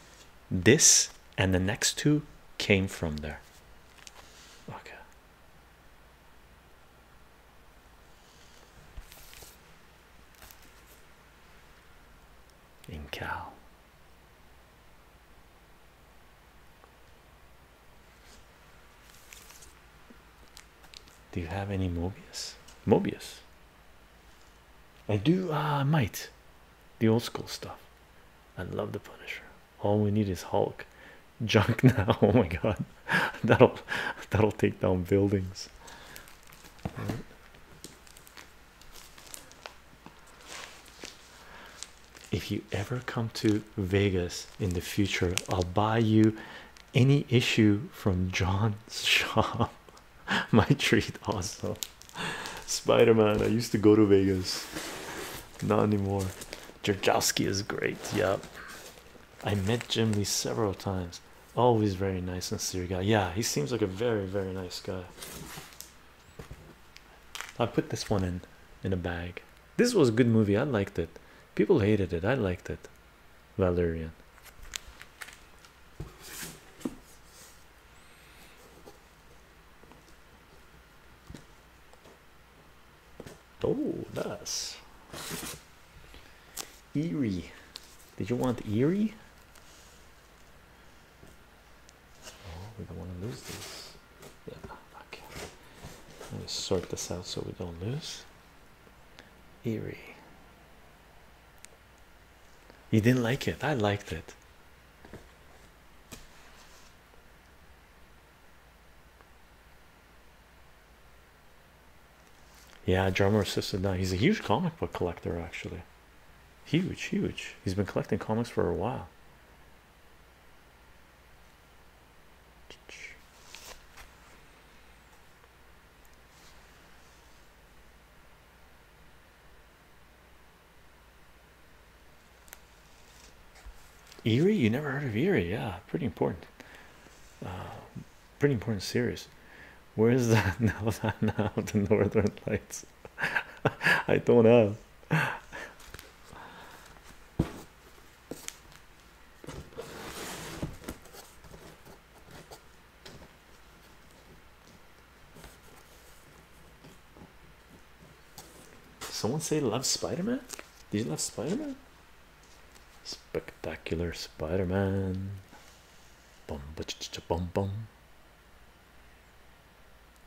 This and the next two came from there. Okay in Do you have any Mobius? Mobius. I do. Ah, I might. The old school stuff. I love the Punisher. All we need is Hulk junk now. Oh my god, that'll that'll take down buildings. If you ever come to Vegas in the future, I'll buy you any issue from John's shop. My treat, also. Spider Man, I used to go to Vegas, not anymore. Jerkowski is great, yep. I met Jim Lee several times. Always very nice and sincere guy. Yeah, he seems like a very, very nice guy. I put this one in in a bag. This was a good movie. I liked it. People hated it. I liked it. Valerian. Oh, nice. Eerie. Did you want Eerie? Oh, we don't want to lose this. Yeah, okay. Let me sort this out so we don't lose. Eerie. You didn't like it. I liked it. Yeah, drummer assisted now. He's a huge comic book collector, actually. Huge, huge. He's been collecting comics for a while. Erie, you never heard of Erie, yeah, pretty important. Uh, pretty important series. Where is that now? now the Northern Lights. I don't have. Someone say love Spider Man. Do you love Spider Man? Spectacular Spider Man. Bum, ba -ch -ch -ch bum, bum.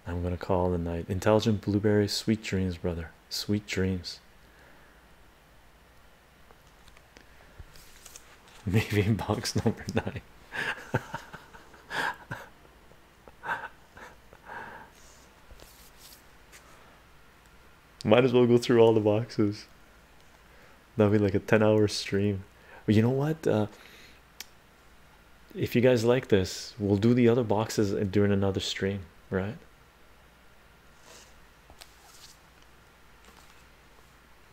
I'm gonna call the night. Intelligent blueberry, sweet dreams, brother. Sweet dreams. Maybe box number nine. Might as well go through all the boxes. That'll be like a 10 hour stream. But you know what? Uh, if you guys like this, we'll do the other boxes during another stream, right?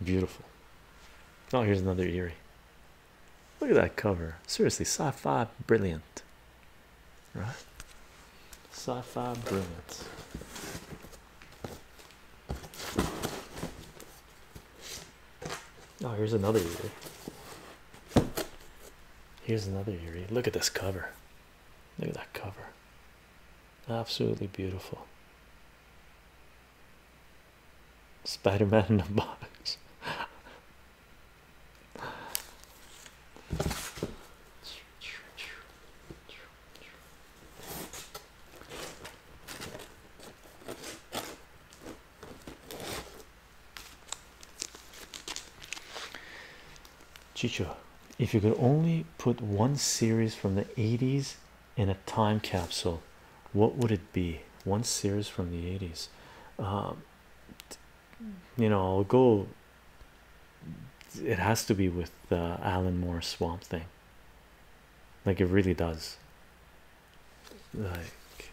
Beautiful. Oh, here's another eerie. Look at that cover. Seriously, sci-fi brilliant. Right? Sci-fi brilliance. Oh, here's another Yuri. Here's another Yuri. Look at this cover. Look at that cover. Absolutely beautiful. Spider Man in a box. Chicho, if you could only put one series from the 80s in a time capsule, what would it be? One series from the 80s. Um, you know, I'll go it has to be with Alan Moore Swamp Thing. Like it really does. Like,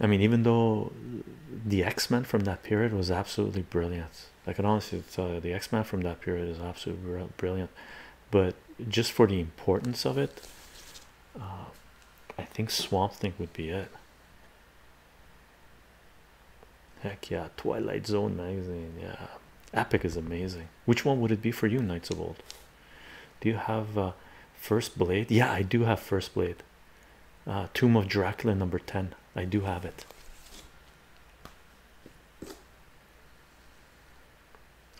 I mean, even though the X Men from that period was absolutely brilliant, I can honestly tell you the X Men from that period is absolutely brilliant. But just for the importance of it, uh, I think Swamp Thing would be it. Heck yeah, Twilight Zone magazine. Yeah, Epic is amazing. Which one would it be for you, Knights of Old? Do you have uh, First Blade? Yeah, I do have First Blade. Uh, Tomb of Dracula number 10. I do have it.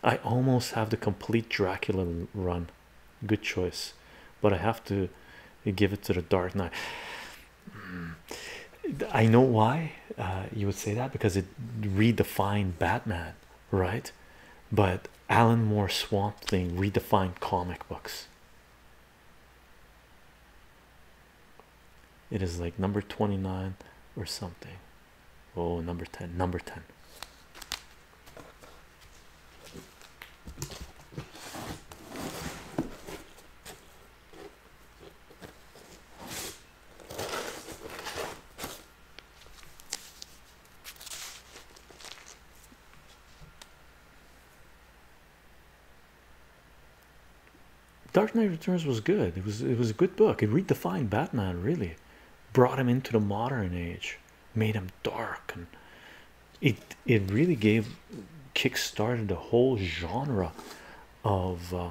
I almost have the complete Dracula run. Good choice, but I have to give it to the Dark Knight. I know why uh, you would say that because it redefined Batman, right? But Alan Moore Swamp Thing redefined comic books. It is like number 29 or something. Oh, number 10, number 10. Dark Knight Returns was good. It was it was a good book. It redefined Batman really, brought him into the modern age, made him dark and it it really gave kick-started the whole genre of uh,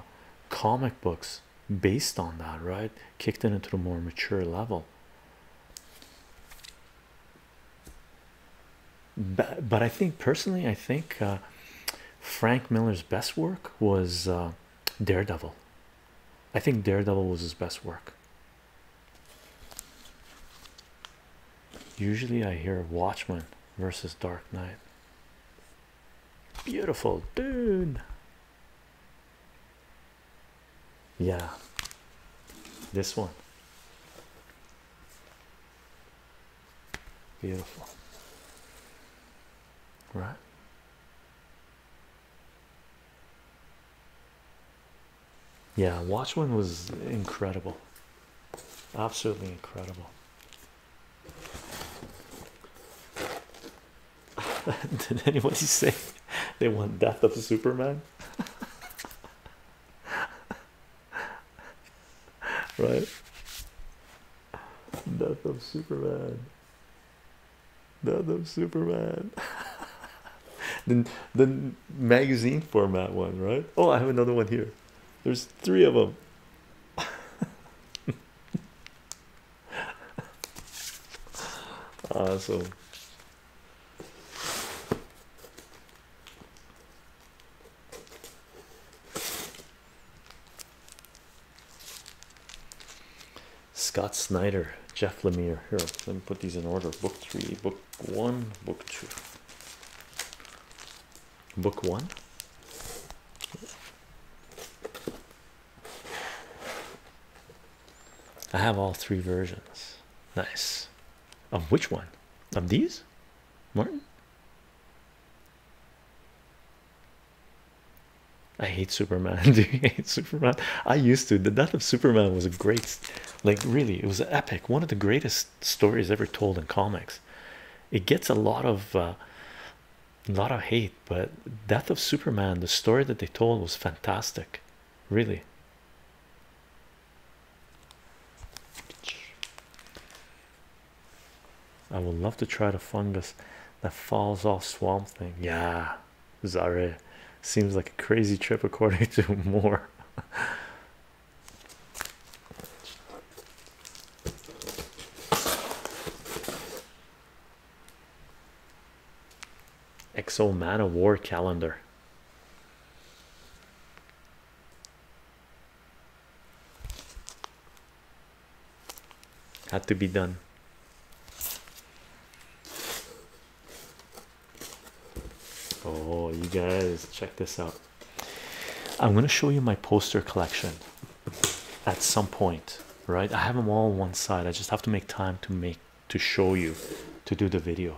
comic books based on that right kicked it into a more mature level but, but I think personally I think uh, Frank Miller's best work was uh, Daredevil I think Daredevil was his best work Usually, I hear Watchmen versus Dark Knight. Beautiful, dude. Yeah, this one. Beautiful, right? Yeah, Watchmen was incredible. Absolutely incredible. Did anybody say they want death of Superman? right? Death of Superman. Death of Superman. the, the magazine format one, right? Oh, I have another one here. There's three of them. awesome. Scott Snyder, Jeff Lemire. Here, let me put these in order. Book three, book one, book two book one. I have all three versions. Nice. Of which one? Of these? Martin? I hate Superman. Do you hate Superman? I used to. The death of Superman was a great, like, really, it was epic. One of the greatest stories ever told in comics. It gets a lot of uh, lot of hate, but Death of Superman, the story that they told was fantastic, really. I would love to try the fungus that falls off swamp thing. Yeah, Zare seems like a crazy trip according to Moore. Exo Man of War calendar. Had to be done. Oh, you guys, check this out. I'm going to show you my poster collection at some point, right? I have them all on one side. I just have to make time to make to show you to do the video.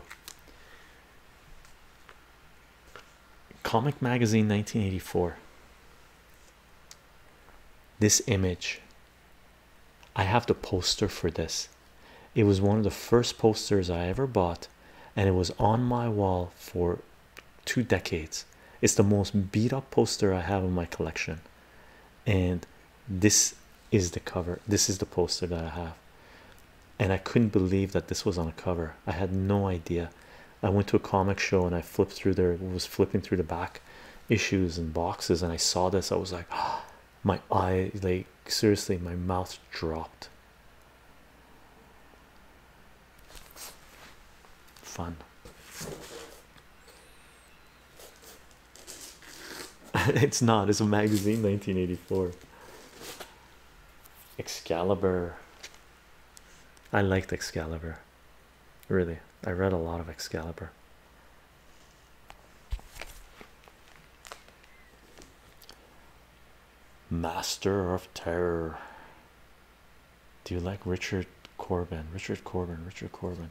Comic Magazine 1984. This image, I have the poster for this. It was one of the first posters I ever bought, and it was on my wall for two decades. It's the most beat up poster I have in my collection, and this is the cover. This is the poster that I have, and I couldn't believe that this was on a cover. I had no idea. I went to a comic show and I flipped through there, was flipping through the back issues and boxes, and I saw this. I was like, my eye, like seriously, my mouth dropped. Fun. it's not, it's a magazine 1984. Excalibur. I liked Excalibur. Really, I read a lot of Excalibur master of terror do you like richard corbin richard corbin richard corbin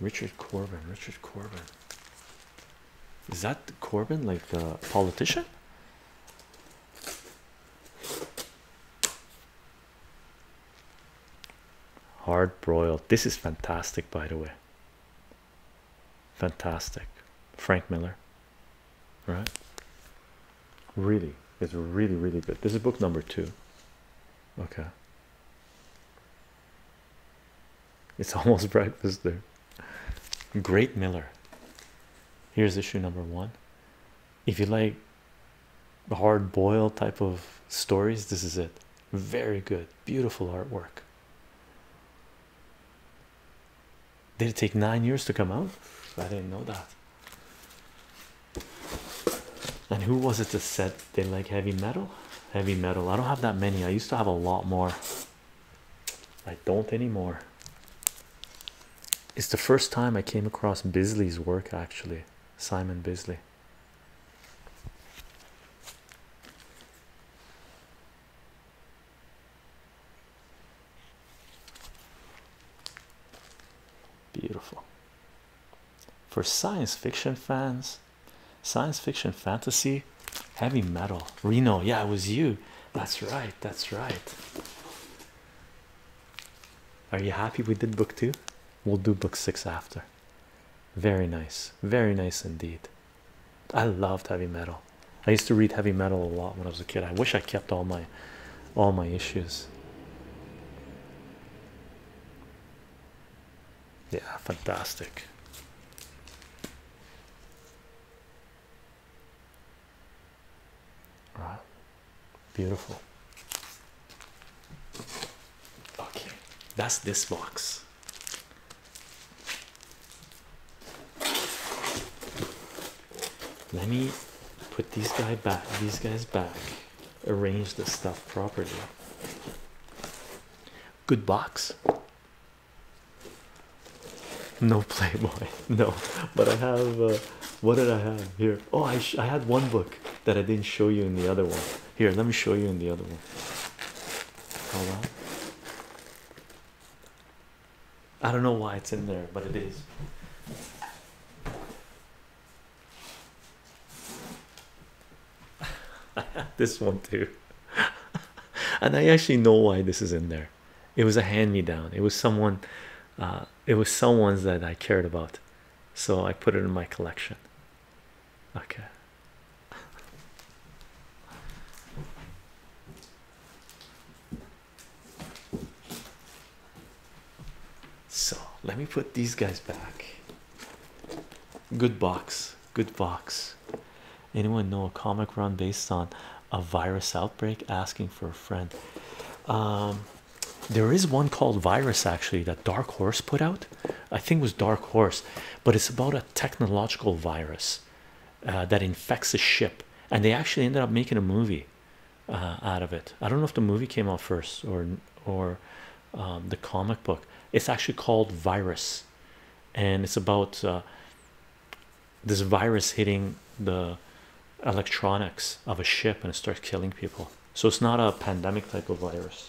richard corbin richard corbin is that corbin like a politician hard broiled this is fantastic by the way fantastic frank miller right really it's really really good this is book number two okay it's almost breakfast there great miller here's issue number one if you like hard boiled type of stories this is it very good beautiful artwork did it take nine years to come out? I didn't know that. And who was it that said they like heavy metal? Heavy metal. I don't have that many. I used to have a lot more. I don't anymore. It's the first time I came across Bisley's work actually. Simon Bisley. Beautiful. For science fiction fans, science fiction fantasy, heavy metal. Reno, yeah, it was you. That's right, that's right. Are you happy we did book two? We'll do book six after. Very nice, very nice indeed. I loved heavy metal. I used to read heavy metal a lot when I was a kid. I wish I kept all my all my issues. Yeah, fantastic. All right. Beautiful. Okay, that's this box. Let me put these guys back, these guys back, arrange the stuff properly. Good box. No Playboy, no. But I have. Uh, what did I have here? Oh, I I had one book that I didn't show you in the other one. Here, let me show you in the other one. Hold on. I don't know why it's in there, but it is. this one too, and I actually know why this is in there. It was a hand-me-down. It was someone, uh, it was someone's that I cared about, so I put it in my collection. Okay. So let me put these guys back. Good box, good box. Anyone know a comic run based on a virus outbreak? Asking for a friend. Um, there is one called Virus actually that Dark Horse put out. I think was Dark Horse, but it's about a technological virus uh, that infects a ship, and they actually ended up making a movie uh, out of it. I don't know if the movie came out first or or um, the comic book. It's actually called Virus, and it's about uh, this virus hitting the electronics of a ship and it starts killing people. So it's not a pandemic type of virus.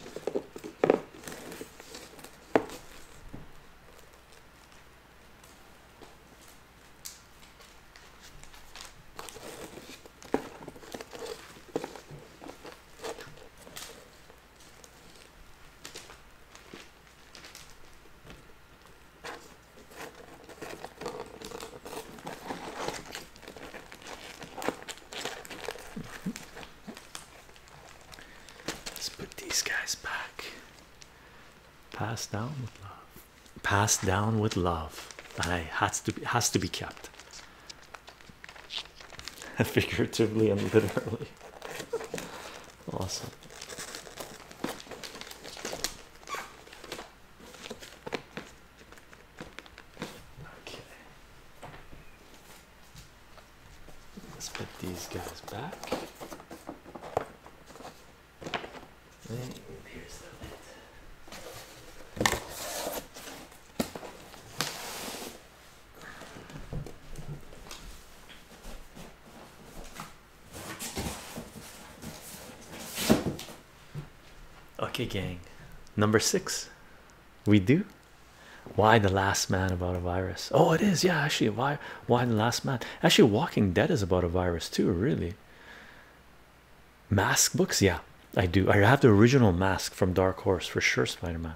Let's put these guys back. Pass down with love passed down with love and has to be has to be kept figuratively and literally awesome okay let's put these guys back Okay, gang. Number six. We do. Why the last man about a virus? Oh, it is. Yeah, actually, why? Why the last man? Actually, Walking Dead is about a virus too. Really mask books yeah i do i have the original mask from dark horse for sure spider-man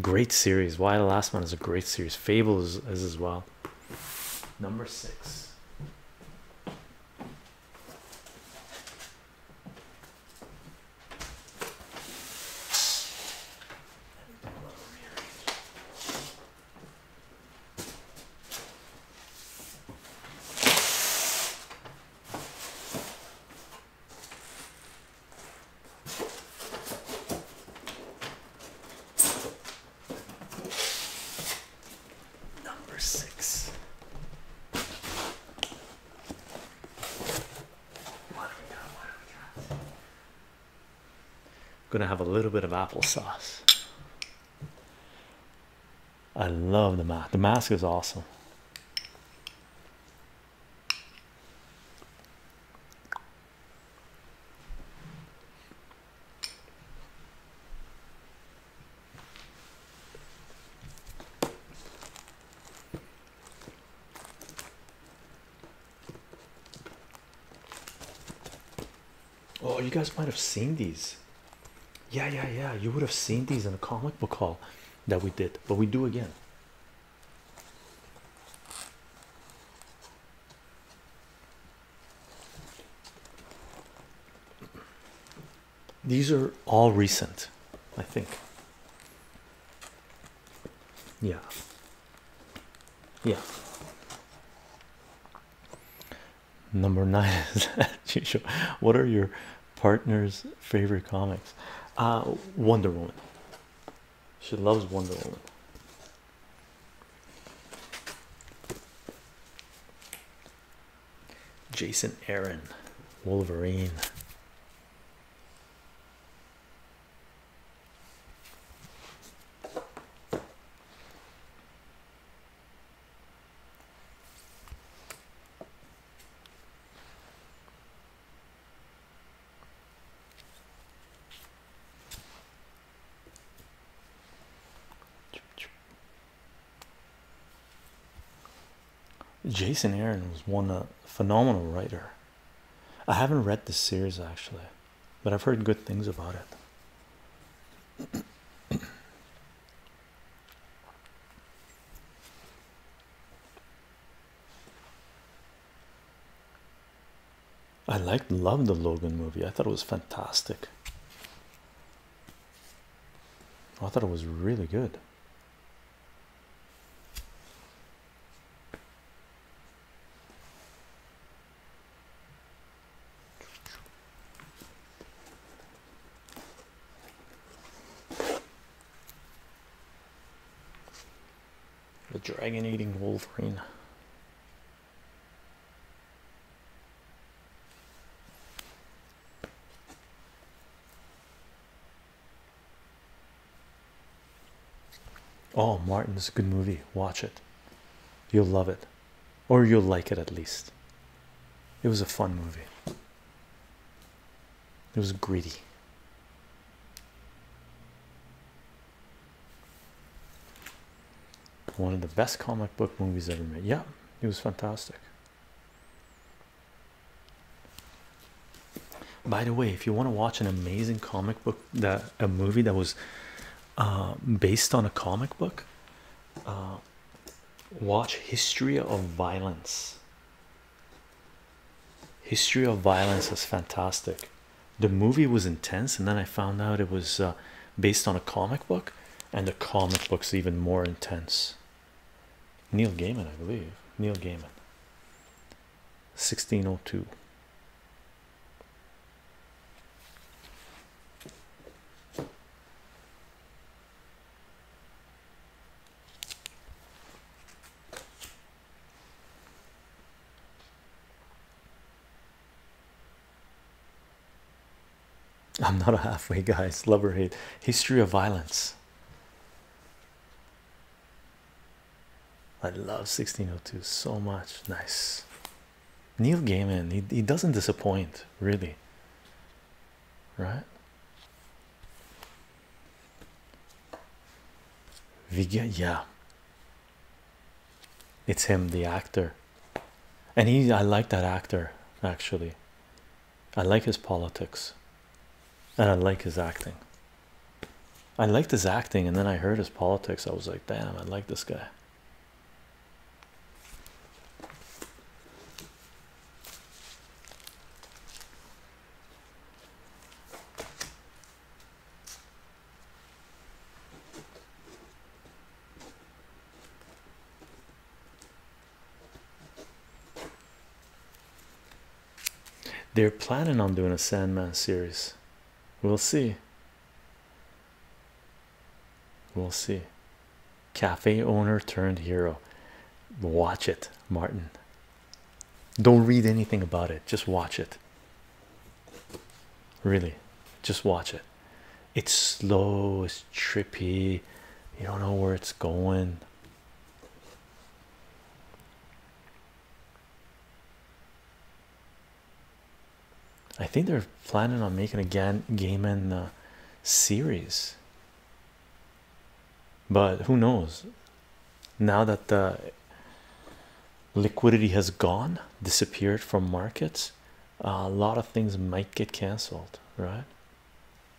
great series why the last one is a great series fables is as well number six Number six. What do we got? What do we got? Gonna have a little bit of applesauce. I love the mask. The mask is awesome. Oh, you guys might have seen these. Yeah, yeah, yeah. You would have seen these in a comic book hall that we did, but we do again. These are all recent, I think. Yeah. Yeah. Number nine is what are your partner's favorite comics? Uh, Wonder Woman. She loves Wonder Woman. Jason Aaron, Wolverine. Jason Aaron was one a uh, phenomenal writer. I haven't read the series actually but I've heard good things about it. I liked, loved the Logan movie. I thought it was fantastic. I thought it was really good. The dragon eating wolverine. Oh, Martin, it's a good movie. Watch it. You'll love it or you'll like it at least. It was a fun movie. It was greedy. One of the best comic book movies ever made. Yeah, it was fantastic. By the way, if you want to watch an amazing comic book that a movie that was uh, based on a comic book. Uh, watch History of Violence. History of Violence is fantastic. The movie was intense, and then I found out it was uh, based on a comic book, and the comic book's even more intense. Neil Gaiman, I believe. Neil Gaiman. 1602. I'm not a halfway guy. love hate history of violence I love 1602 so much nice Neil Gaiman, he, he doesn't disappoint, really, right? Viga, yeah, it's him, the actor, and he. I like that actor actually. I like his politics, and I like his acting. I liked his acting, and then I heard his politics. I was like, damn, I like this guy. They're planning on doing a Sandman series. We'll see. We'll see. Cafe owner turned hero. Watch it, Martin. Don't read anything about it, just watch it. Really, just watch it. It's slow, it's trippy, you don't know where it's going. I think they're planning on making a game in uh, series, but who knows? Now that the liquidity has gone, disappeared from markets, a lot of things might get cancelled, right?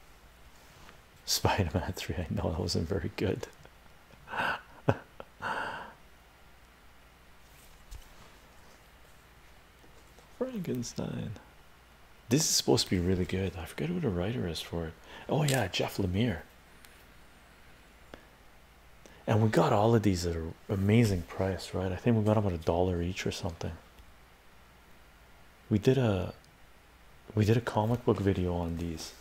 Spider-Man 3, I know that wasn't very good. Frankenstein. This is supposed to be really good. I forget who the writer is for it. Oh, yeah, Jeff Lemire. And we got all of these at an amazing price, right? I think we got them at a dollar each or something. We did a we did a comic book video on these,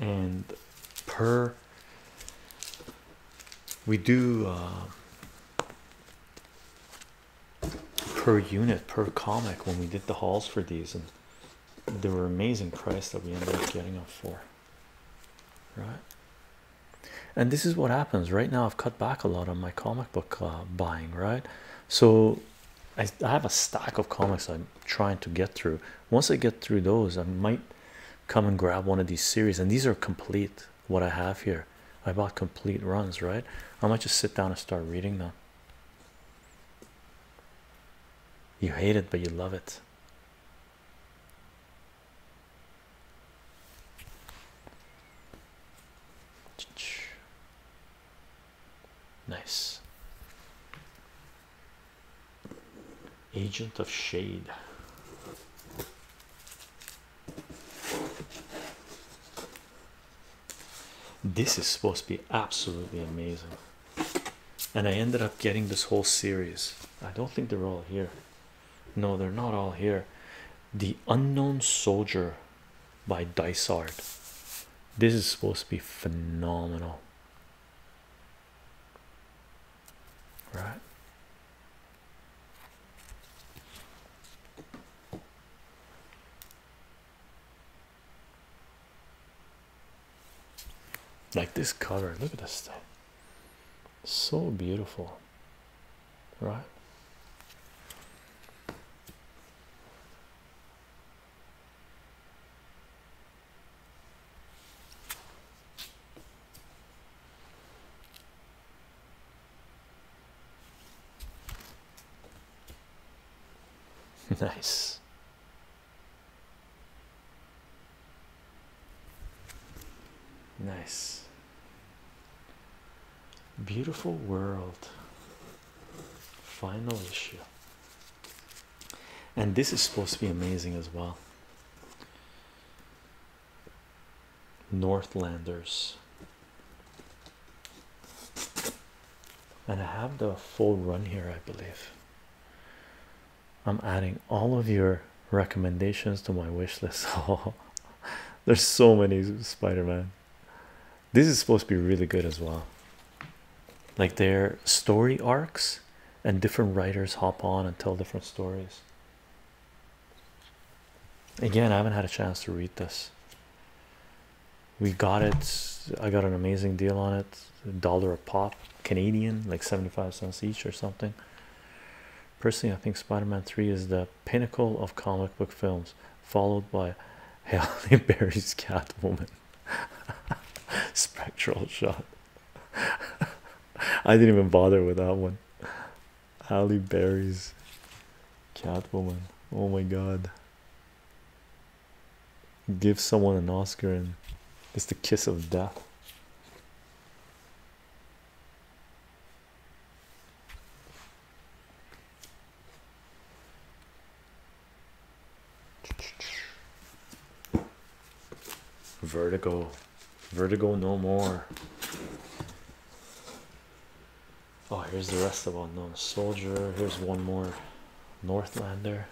and per we do uh, per unit per comic when we did the hauls for these, and they were amazing price that we ended up getting them for, right? And this is what happens right now. I've cut back a lot on my comic book uh, buying, right? So I have a stack of comics I'm trying to get through. Once I get through those, I might come and grab one of these series and these are complete what i have here i bought complete runs right i might just sit down and start reading them you hate it but you love it nice agent of shade this is supposed to be absolutely amazing, and I ended up getting this whole series. I don't think they're all here. No, they're not all here. The Unknown Soldier by Dysart. This is supposed to be phenomenal right? Like this color. look at this thing, so beautiful, right? nice. Nice. Beautiful world. Final issue. And this is supposed to be amazing as well. Northlanders. And I have the full run here, I believe. I'm adding all of your recommendations to my wish list. Oh, there's so many Spider Man. This is supposed to be really good as well. Like their story arcs, and different writers hop on and tell different stories. Again, I haven't had a chance to read this. We got it. I got an amazing deal on it. dollar a pop, Canadian, like 75 cents each or something. Personally, I think Spider-Man 3 is the pinnacle of comic book films, followed by Halle Berry's Catwoman. Spectral shot. I didn't even bother with that one. Halle Berry's Catwoman. Oh my god. Give someone an Oscar and it's the kiss of death. Vertical. Vertigo no more. Oh, here's the rest of them. No, Soldier. Here's one more Northlander.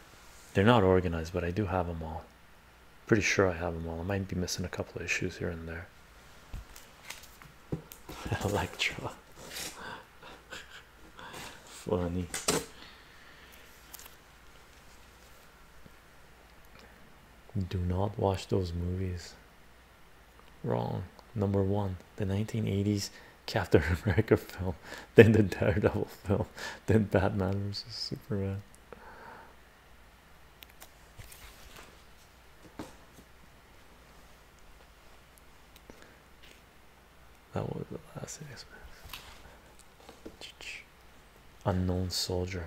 They're not organized, but I do have them all. Pretty sure I have them all. I might be missing a couple of issues here and there. Electra. Funny. Do not watch those movies. Wrong. Number one, the 1980s Captain America film, then the Daredevil film, then Batman versus Superman. That was the last experience. Unknown soldier.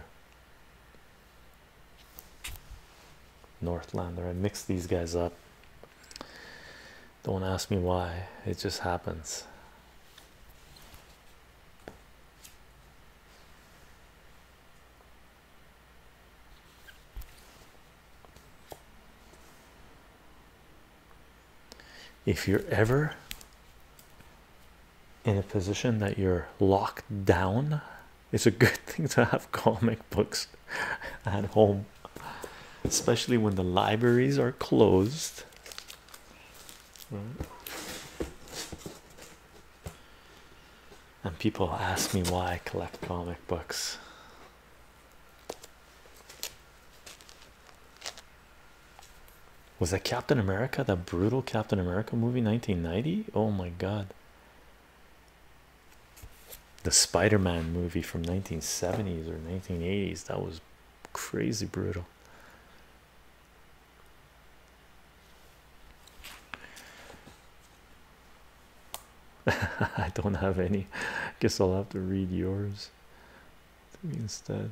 Northlander. I mix these guys up. Don't ask me why, it just happens. If you're ever in a position that you're locked down it's a good thing to have comic books at home, especially when the libraries are closed. And people ask me why I collect comic books. Was that Captain America, the brutal Captain America movie 1990? Oh my god, the Spider-Man movie from 1970s or 1980s that was crazy brutal. I don't have any. Guess I'll have to read yours instead.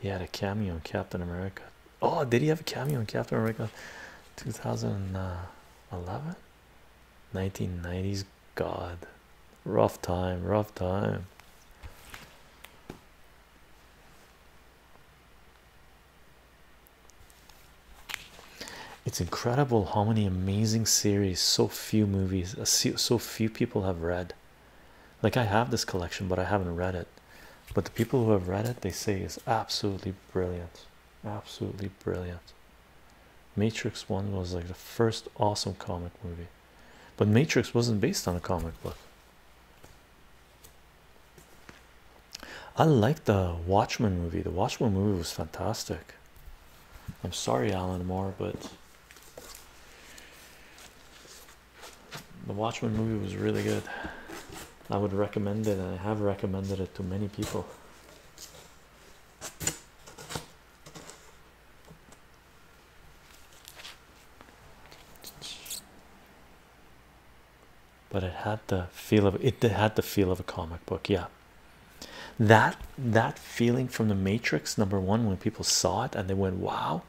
He had a cameo in Captain America Oh, did he have a cameo in Captain America 2011? 1990s God. Rough time, rough time. It's incredible how many amazing series so few movies uh, so few people have read. Like I have this collection, but I haven't read it but the people who have read it they say is absolutely brilliant absolutely brilliant matrix one was like the first awesome comic movie but matrix wasn't based on a comic book i like the watchmen movie the watchmen movie was fantastic i'm sorry alan moore but the watchmen movie was really good I would recommend it, I have recommended it to many people. But it had the feel of it had the feel of a comic book, yeah. That that feeling from the Matrix number one when people saw it and they went, Wow,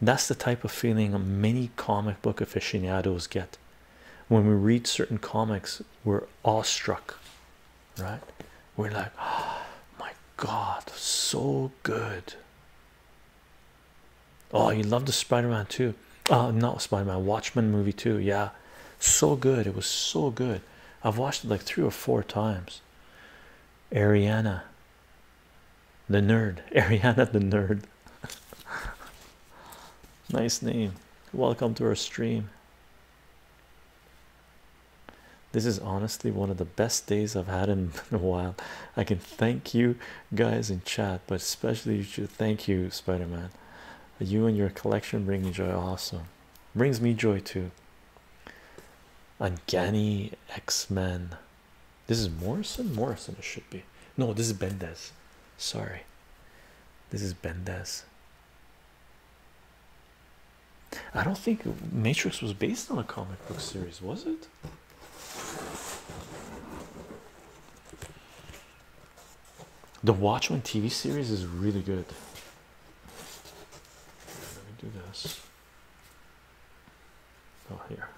that's the type of feeling many comic book aficionados get when we read certain comics we're awestruck right we're like oh my god so good oh you love the spider-man too oh not spider-man watchman movie too yeah so good it was so good i've watched it like three or four times ariana the nerd ariana the nerd nice name. Welcome to our stream. This is honestly one of the best days I've had in a while. I can thank you guys in chat, but especially you should thank you, Spider Man. You and your collection bring me joy, also brings me joy too. Uncanny X Men. This is Morrison. Morrison, it should be. No, this is Bendez. Sorry, this is Bendes. I don't think Matrix was based on a comic book series, was it? The Watchmen TV series is really good. Let me do this. Oh, here.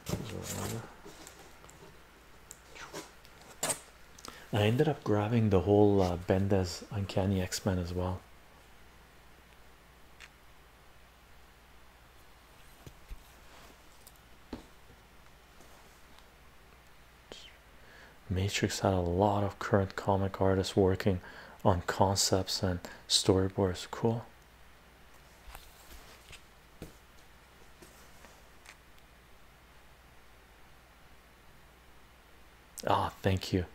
I ended up grabbing the whole uh, Uncanny X Men as well. Matrix had a lot of current comic artists working on concepts and storyboards. Cool. Ah, oh, thank you,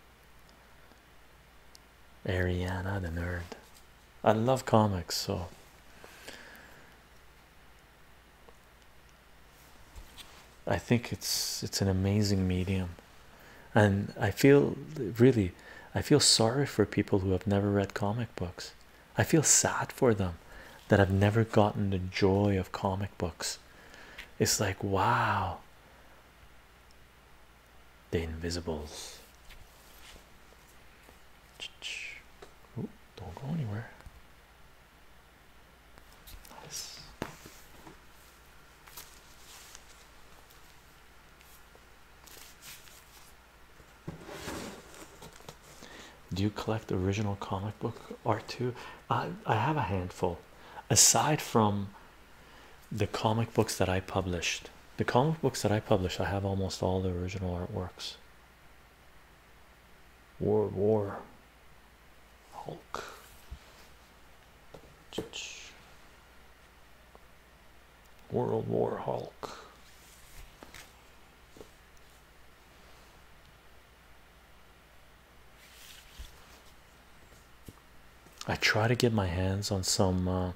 Ariana the nerd. I love comics, so I think it's it's an amazing medium, and I feel really I feel sorry for people who have never read comic books. I feel sad for them that have never gotten the joy of comic books. It's like, wow, the invisibles. don't go anywhere. Nice do you collect original comic book art too i i have a handful aside from the comic books that i published the comic books that i published i have almost all the original artworks World War Hulk World War Hulk I try to get my hands on some. Uh,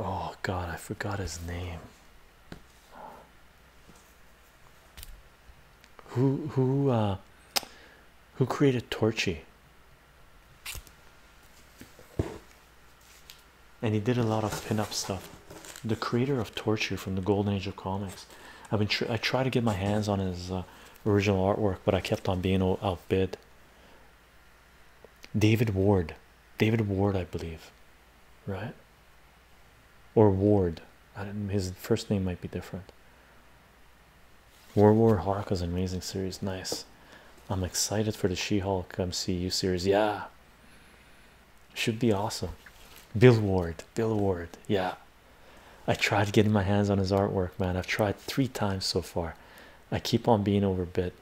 oh God, I forgot his name. Who who uh, who created Torchy? and he did a lot of pin-up stuff. The creator of Torture from the Golden Age of comics. I've been tr I try to get my hands on his uh, original artwork, but I kept on being outbid. David Ward, David Ward, I believe, right? Or Ward. his first name might be different. War War an amazing series, nice. I'm excited for the She-Hulk MCU series. Yeah, should be awesome. Bill Ward, Bill Ward, yeah. I tried getting my hands on his artwork, man. I've tried three times so far. I keep on being overbid.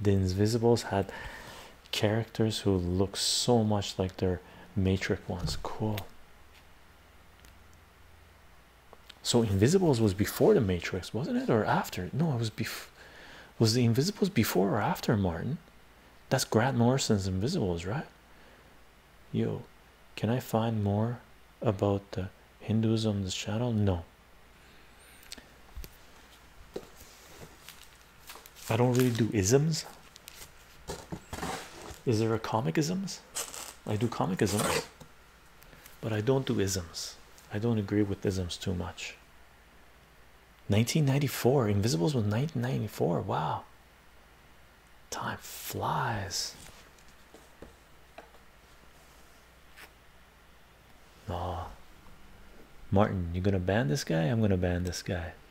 The Invisibles had characters who look so much like their Matrix ones. Cool. So Invisibles was before the Matrix, wasn't it, or after? No, it was before. Was the Invisibles before or after Martin? That's Grant Morrison's Invisibles, right? Yo, can I find more about the Hinduism this channel? No. I don't really do isms. Is there a comic isms? I do comic isms, but I don't do isms. I don't agree with isms too much. 1994 invisibles was 1994 wow time flies oh martin you are gonna ban this guy i'm gonna ban this guy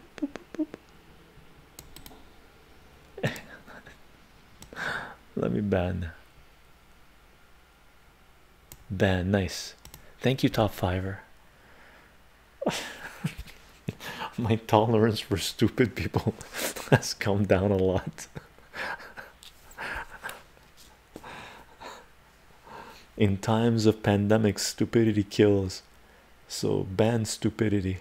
let me ban Ban nice thank you top fiver my tolerance for stupid people has come down a lot in times of pandemic stupidity kills so ban stupidity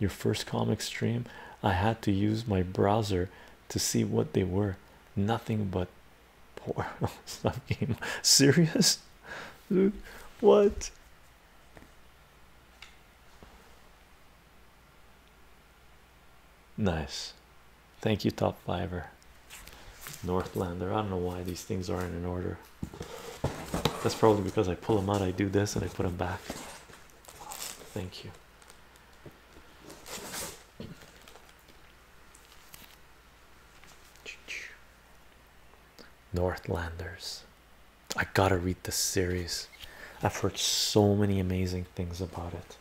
your first comic stream i had to use my browser to see what they were nothing but Poor stuff game. Serious, dude. What? Nice. Thank you, Top Fiver. Northlander. I don't know why these things aren't in order. That's probably because I pull them out, I do this, and I put them back. Thank you. Northlanders. I gotta read this series. I've heard so many amazing things about it.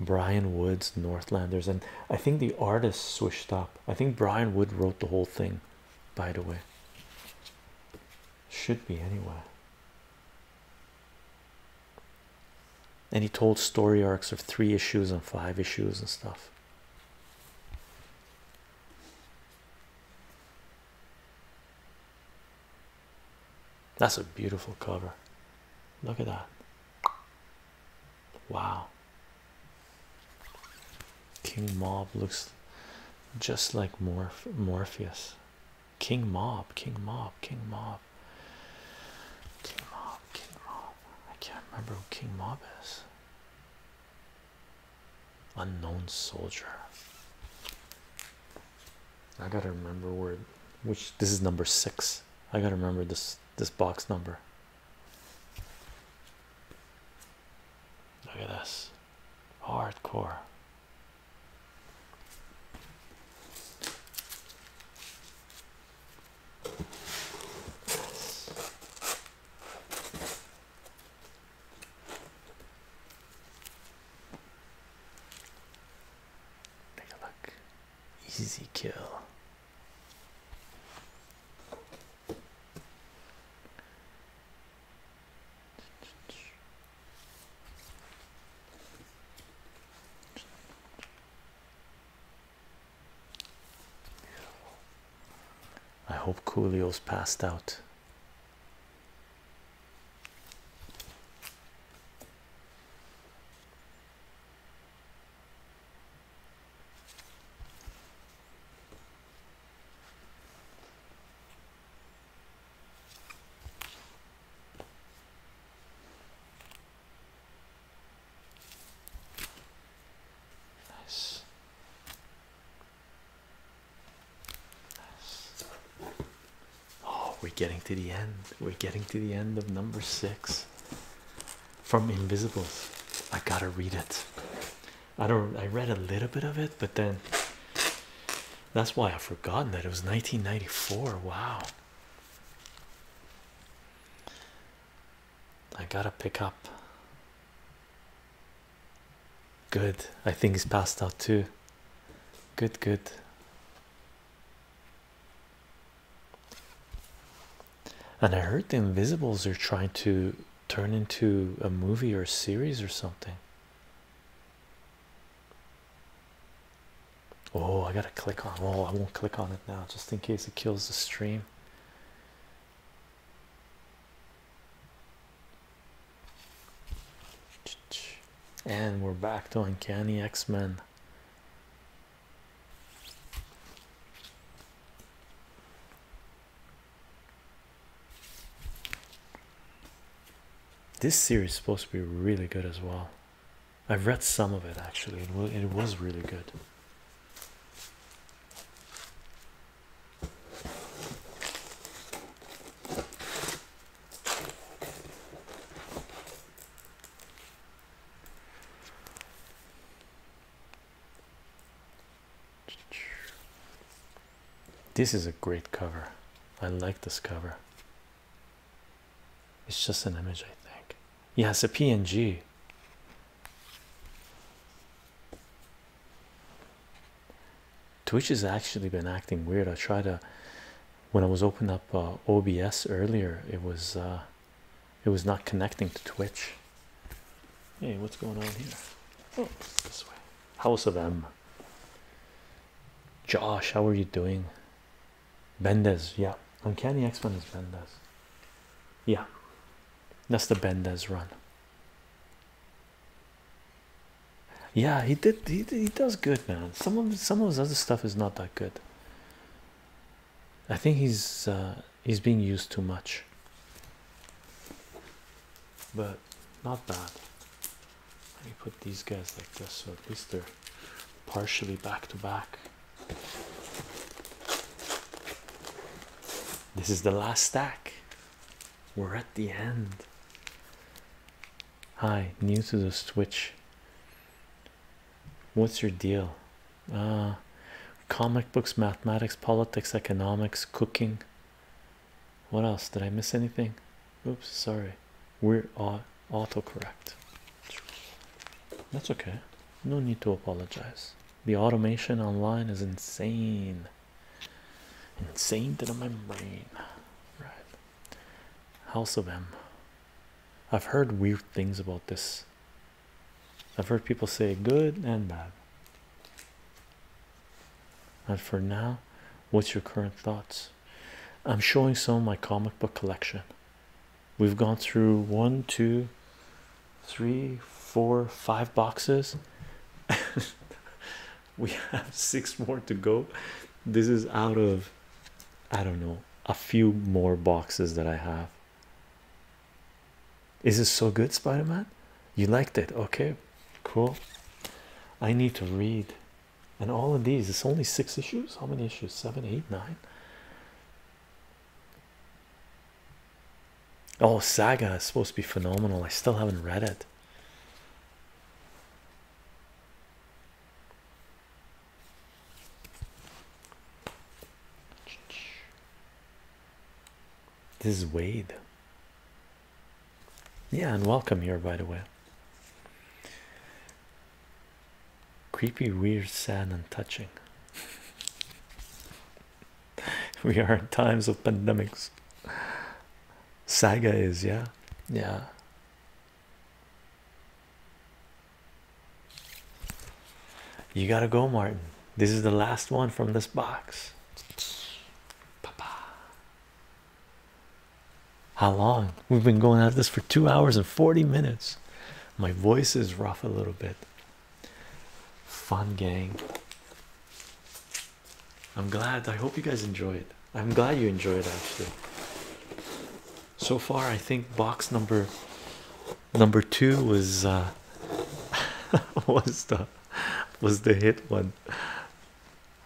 Brian Wood's Northlanders, and I think the artist switched up. I think Brian Wood wrote the whole thing, by the way. Should be anyway and he told story arcs of three issues and five issues and stuff. That's a beautiful cover. Look at that. Wow. King Mob looks just like Morpheus. King Mob, King Mob. King Mob. King Mob. I can't remember who King Mob is. Unknown soldier. I gotta remember where which this is number six. I gotta remember this this box number. Look at this. Hardcore. Take a look. Easy kill. I hope Coolio's passed out. Nice. Nice. Oh, we're getting to the end. We're getting to the end of number six from Invisibles. I gotta read it. I don't I read a little bit of it, but then that's why I've forgotten that it was 1994. Wow. I gotta pick up. Good. I think he's passed out too. Good, good. And I heard the Invisibles are trying to turn into a movie or a series or something. Oh, I gotta click on. Oh, I won't click on it now just in case it kills the stream. And we're back to Uncanny X Men. This series is supposed to be really good as well. I've read some of it actually, and it was really good. This is a great cover. I like this cover. It's just an image, I think. Yes, a PNG. Twitch has actually been acting weird. I tried to when I was opening up uh, OBS earlier. It was uh, it was not connecting to Twitch. Hey, what's going on here? Oh, this way. House of M. Josh, how are you doing? Bendes, yeah. Uncanny X Men's is Bendez. Yeah, that's the Bendez run. Yeah, he did. He he does good, man. Some of some of his other stuff is not that good. I think he's uh, he's being used too much, but not bad. Let me put these guys like this, so at least they're partially back to back. This is the last stack. We're at the end. Hi, new to the switch. What's your deal? Uh comic books, mathematics, politics, economics, cooking. What else? Did I miss anything? Oops, sorry. We're autocorrect. That's okay. No need to apologize. The automation online is insane, insane to the membrane. Right, House i I've heard weird things about this. I've heard people say good and bad. And for now, what's your current thoughts? I'm showing some of my comic book collection. We've gone through one, two, three, four, five boxes. we have six more to go. This is out of, I don't know, a few more boxes that I have. Is this so good, Spider Man? You liked it, okay? Cool. I need to read, and all of these. It's only six issues. How many issues? Seven, eight, nine. Oh, Saga is supposed to be phenomenal. I still haven't read it. This is Wade. Yeah, and welcome here, by the way creepy, weird, sad, and touching. we are in times of pandemics. Saga is, yeah, yeah. You gotta go, Martin. This is the last one from this box. How long? We've been going at this for two hours and 40 minutes. My voice is rough a little bit. Fun gang. I'm glad. I hope you guys enjoyed. I'm glad you enjoyed actually. So far, I think box number number two was uh, was the was the hit one.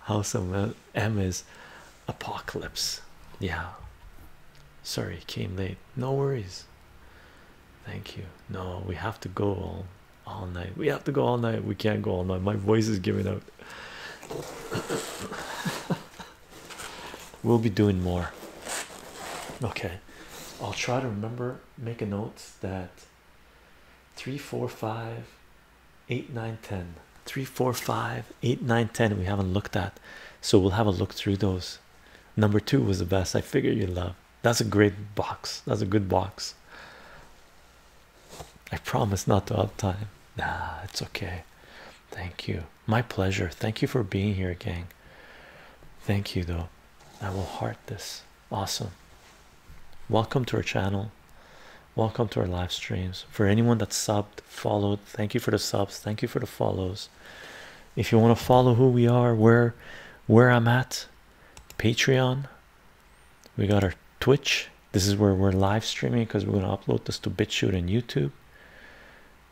House of M is apocalypse. Yeah. Sorry, came late. No worries. Thank you. No, we have to go all, all night. We have to go all night. We can't go all night. My voice is giving out. we'll be doing more. Okay. I'll try to remember, make a note that 3, 4, 5, 8, 9, 10. 3, 4, 5, 8, 9, 10 we haven't looked at. So we'll have a look through those Number two was the best. I figure you love. That's a great box. That's a good box. I promise not to up time. Nah, it's okay. Thank you. My pleasure. Thank you for being here, gang. Thank you though. I will heart this. Awesome. Welcome to our channel. Welcome to our live streams. For anyone that subbed, followed, thank you for the subs. Thank you for the follows if you want to follow who we are where where i'm at patreon we got our twitch this is where we're live streaming because we're going to upload this to bitchute and youtube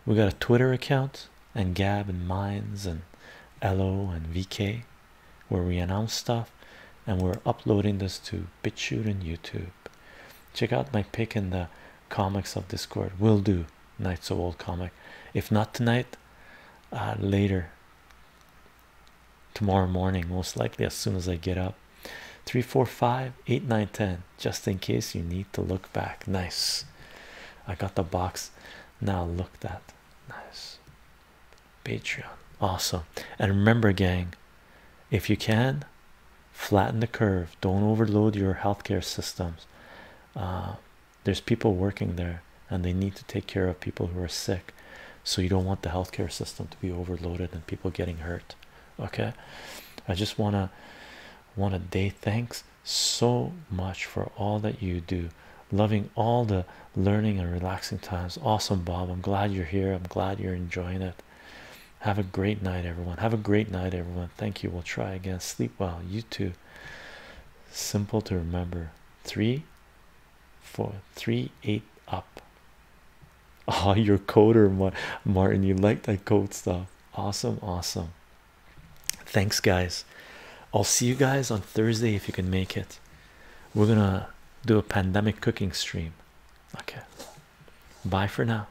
we got a twitter account and gab and mines and lo and vk where we announce stuff and we're uploading this to bitchute and youtube check out my pick in the comics of discord will do Night so Old Comic. If not tonight, uh, later tomorrow morning, most likely as soon as I get up. Three, four, five, eight, nine, ten. just in case you need to look back. Nice. I got the box now look that. Nice. Patreon. Awesome. And remember, gang, if you can, flatten the curve. Don't overload your healthcare systems. Uh, there's people working there and they need to take care of people who are sick. So you don't want the healthcare system to be overloaded and people getting hurt. Okay. I just wanna wanna day thanks so much for all that you do. Loving all the learning and relaxing times. Awesome Bob. I'm glad you're here. I'm glad you're enjoying it. Have a great night, everyone. Have a great night, everyone. Thank you. We'll try again. Sleep well. You too simple to remember three four three eight up Ah, your coder martin you like that code stuff awesome awesome thanks guys i'll see you guys on thursday if you can make it we're gonna do a pandemic cooking stream okay bye for now